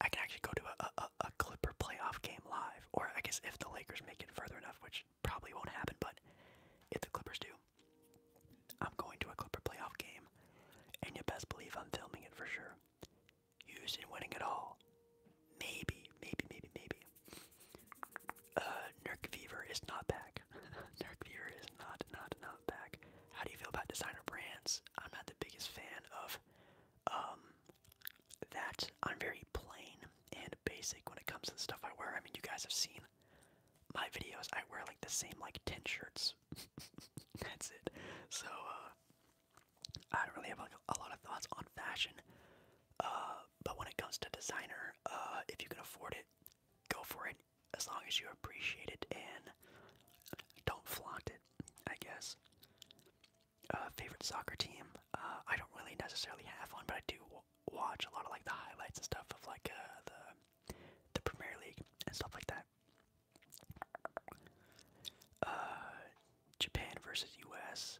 Speaker 1: I can actually go to a, a, Clipper playoff game live, or I guess if the Lakers make it further enough, which probably won't happen, but if the Clippers do, I'm going to a Clipper playoff game, and you best believe I'm filming it for sure. Houston winning it all. Maybe, maybe, maybe, maybe. Uh, Nurk Fever is not back. Nurk Fever is not, not, not back. How do you feel about designer brands? I'm not the biggest fan of, um, that I'm very plain and basic when it comes to the stuff I wear. I mean, you guys have seen my videos. I wear like the same like 10 shirts. That's it. So uh, I don't really have like, a lot of thoughts on fashion. Uh, but when it comes to designer, uh, if you can afford it, go for it as long as you appreciate it and don't flaunt it, I guess uh, favorite soccer team. Uh, I don't really necessarily have one, but I do w watch a lot of like the highlights and stuff of like uh, the the Premier League and stuff like that. Uh, Japan versus U.S.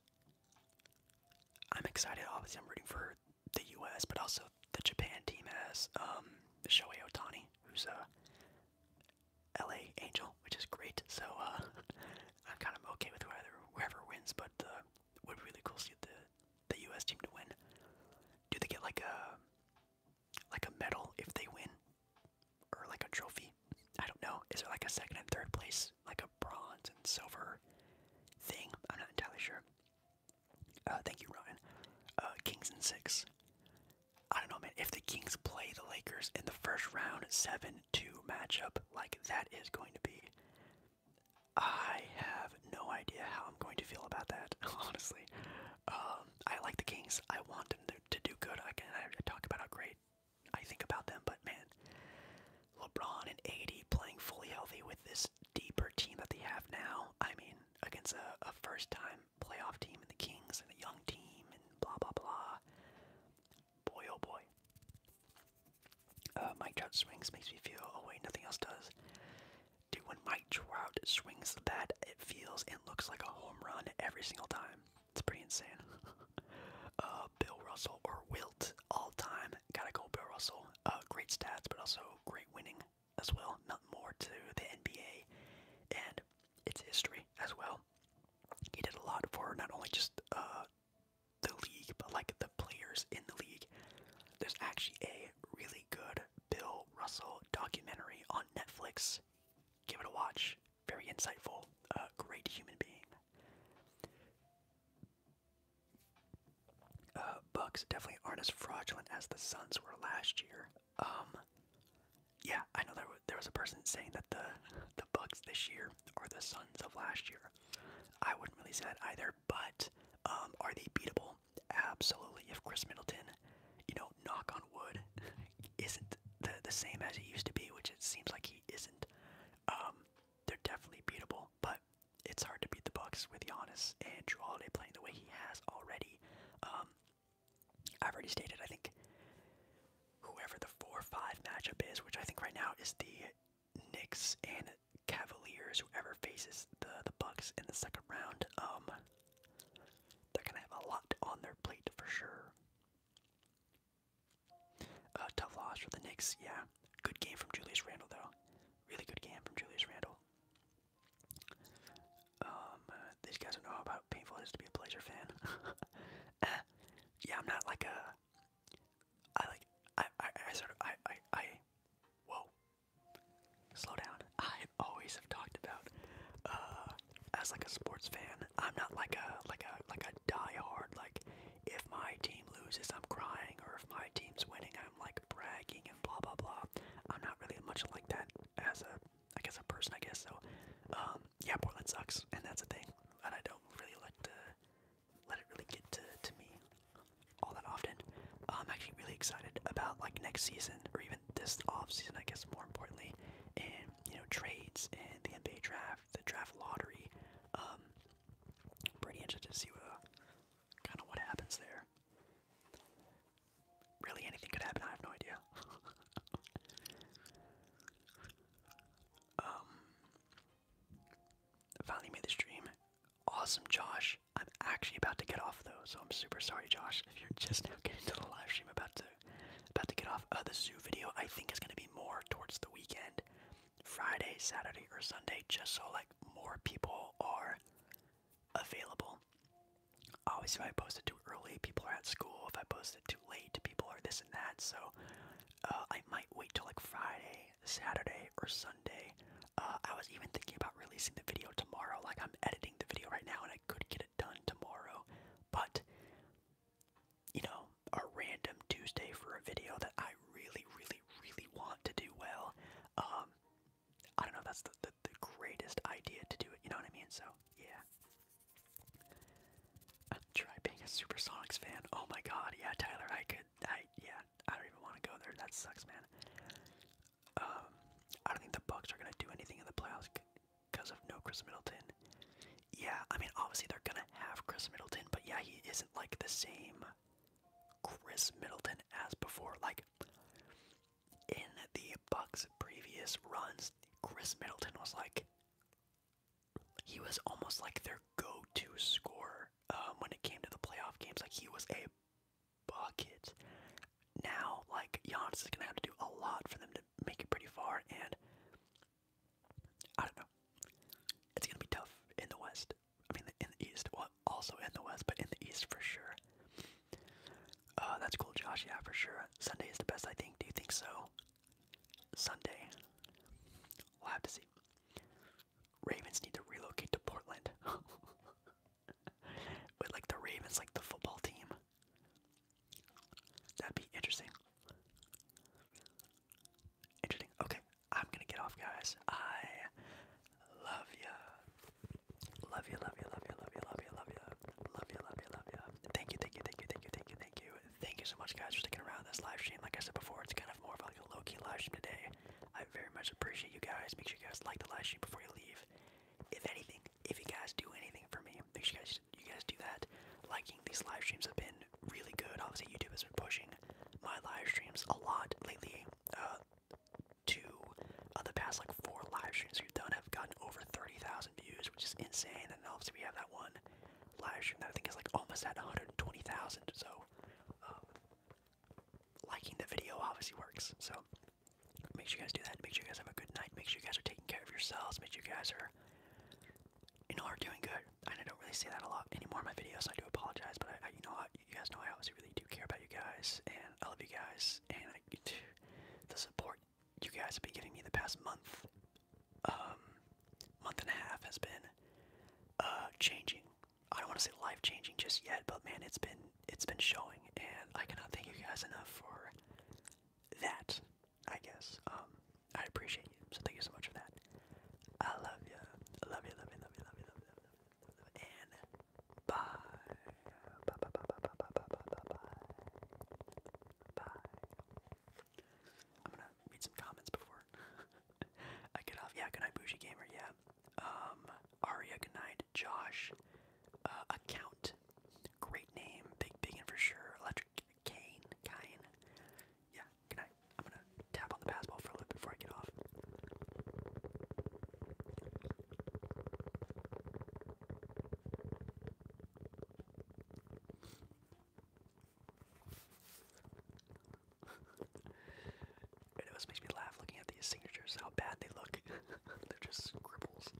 Speaker 1: I'm excited. Obviously, I'm rooting for the U.S., but also the Japan team has um, Shohei Otani, who's a LA Angel, which is great. So uh, I'm kind of okay with whoever whoever wins, but uh, it would be really cool to see the the U.S. team to win. Do they get like a like a medal if they win, or like a trophy? I don't know. Is there like a second and third place, like a bronze and silver thing? I'm not entirely sure. Uh, thank you, Ryan. Uh, Kings and six. I don't know, man. If the Kings play the Lakers in the first round, seven-two matchup, like that is going to be I have no idea how I'm going to feel about that, honestly. Um, I like the Kings. I want them to, do good. I can talk about how great I think about them, but man, LeBron and AD playing fully healthy with this deeper team that they have now. I mean, against a, a first-time playoff team in the Kings and a young team and blah blah blah. Boy, oh boy. Uh, Mike Trout swings makes me feel a way nothing else does. Dude, when Mike Trout swings the bat, it feels and looks like a home run every single time. It's pretty insane. uh, Bill Russell or Wilt, all time. Gotta go, Bill Russell. Uh, great stats, but also great winning as well. Not more to the NBA and its history as well. He did a lot for not only just uh, the league, but like the players in the league. There's actually a really good Bill Russell documentary on Netflix. Give it a watch. Very insightful. A great human being. The uh, Bucks definitely aren't as fraudulent as the Suns were last year. Um, yeah, I know there was, there was a person saying that the the Bucks this year are the Suns of last year. I wouldn't really say that either, but um, are they beatable? Absolutely. If Chris Middleton, you know, knock on wood, isn't the the same as he used to be, which it seems like he isn't, um, they're definitely beatable. But it's hard to beat the Bucks with Giannis and Drew Holiday playing the way he has already. Um, I've already stated. I think whoever the four-five matchup is, which I think right now is the Knicks and Cavaliers, whoever faces the the Bucks in the second round, um, they're gonna have a lot on their plate for sure. A uh, tough loss for the Knicks, yeah. Good game from Julius Randle though. Really good game from Julius Randle. Um, these guys don't know how painful it is to be a Blazer fan. yeah, I'm not like a I like I I, sort of I, I I whoa slow down. I always have talked about uh as like a sports fan, I'm not like a like a like a die hard like if my team loses I'm crying or if my team's winning I'm like bragging and blah blah blah. I'm not really much like that as a I guess a person I guess so. Um yeah Portland sucks and that's a thing and I don't really like to let it really get to, to me all that often. I'm actually really excited about like next season or even this off season, I guess more importantly, and you know trades and the NBA draft, the draft lottery. I'm um, pretty interested to see uh, kind of what happens there. Really, anything could happen. I have no idea. um, Finally made the stream. Awesome, Josh. I'm actually about to get off though, so I'm super sorry, Josh, if you're just now getting to the live stream. About to, about to get off. of uh, the zoo video I think it's gonna be more towards the weekend, Friday, Saturday, or Sunday, just so like more people are available. Obviously, if I post it too early, people are at school. If I post it too late, people are this and that. So uh, I might wait till like Friday, Saturday, or Sunday. Uh, I was even thinking about releasing the video tomorrow. Like, I'm editing the video right now and I could get it done tomorrow. But, you know, a random Tuesday for a video that I really, really, really want to do well. Um, I don't know if that's the, the, greatest idea to do it, you know what I mean? So, yeah. Uh, try being a Super Supersonics fan. Oh my god, yeah, Tyler, I could yeah, I don't even want to go there. That sucks, man. Um, I don't think the Bucks are gonna do anything in the playoffs because of no Chris Middleton. Yeah, I mean obviously they're gonna have Chris Middleton, but yeah, he isn't like the same Chris Middleton as before. Like in the Bucks' previous runs, Chris Middleton was like he was almost like their go-to scorer um, when it came to the playoff games. Like he was a bucket. Now, like Giannis is gonna have to do a lot for them to make it pretty far, and I don't know. It's gonna be tough in the West. I mean, in the East, well, also in the West, but in the East for sure. Uh, that's cool, Josh. Yeah, for sure. Sunday is the best, I think. Do you think so? Sunday. We'll have to see. Ravens need to relocate to Portland. With like the Ravens, like the football team. That'd be interesting. Interesting. Okay, I'm gonna get off, guys. I love ya. Love you, love you, love you, love you, love you, love you, love you, love you, love you. Thank you, thank you, thank you, thank you, thank you, thank you. Thank you so much, guys, for sticking around this live stream. Like I said before, it's kind more of like a low key live stream today. I very much appreciate you guys. Make sure you guys like the live stream before you leave. If anything, if you guys do anything for me, make sure you guys you guys do that. Liking these live streams have been really good. Obviously, YouTube has been pushing my live streams a lot lately. Uh, two of uh, the past like four live streams we've done have gotten over 30,000 views, which is insane. And obviously, we have that one live stream that I think is like almost at 120,000. So um, liking the video obviously works. So make sure you guys do that. Make sure you guys have a good night. Make sure you guys are taking care of yourselves. Make sure you guys are, you know, are doing good. And I don't really say that a lot anymore in my videos. So I do apologize, but I, you know, I, you guys know I obviously really do care about you guys, and I love you guys, and I, the support you guys have been giving me the past month, um, month and a half has been uh, changing I don't want to say life changing just yet, but man, it's been it's been showing, and I cannot thank you guys enough for that. I guess um, I appreciate you, so thank you so much for that. I love you, I love you, love you, love you, love you, love you, love you, love you. and bye, bye, bye, bye, bye, bye, bye, bye, bye, bye. I'm gonna read some comments before. I get off. Yeah, good night, Bougie Gamer. Yeah. Um, Aria, good night. Josh, uh, Account, great name. Big big, Biggin for sure. Electric cane. Cane. Yeah, good night. I'm gonna tap on the basketball for a little before I get off. it always makes me laugh looking at these signatures, how bad they look. They're just scribbles.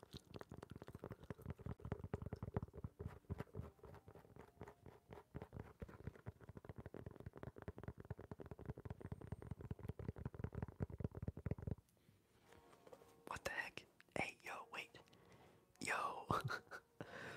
Speaker 1: What the heck? Hey, yo, wait. Yo!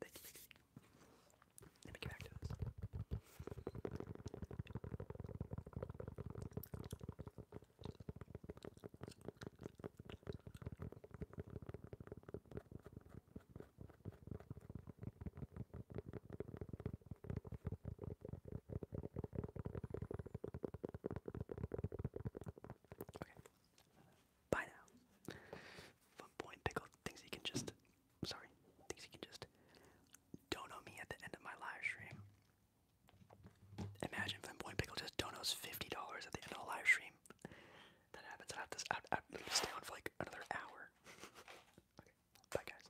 Speaker 1: thank you. Let me get back to this. Okay. Bye now. Fun point, Pickle thinks he can just, sorry, thinks he can just dono me at the end of my live stream. Imagine Flimpoint just donos fifty dollars at the end of a live stream. That happens. I have to stay on for like another hour. okay, bye guys.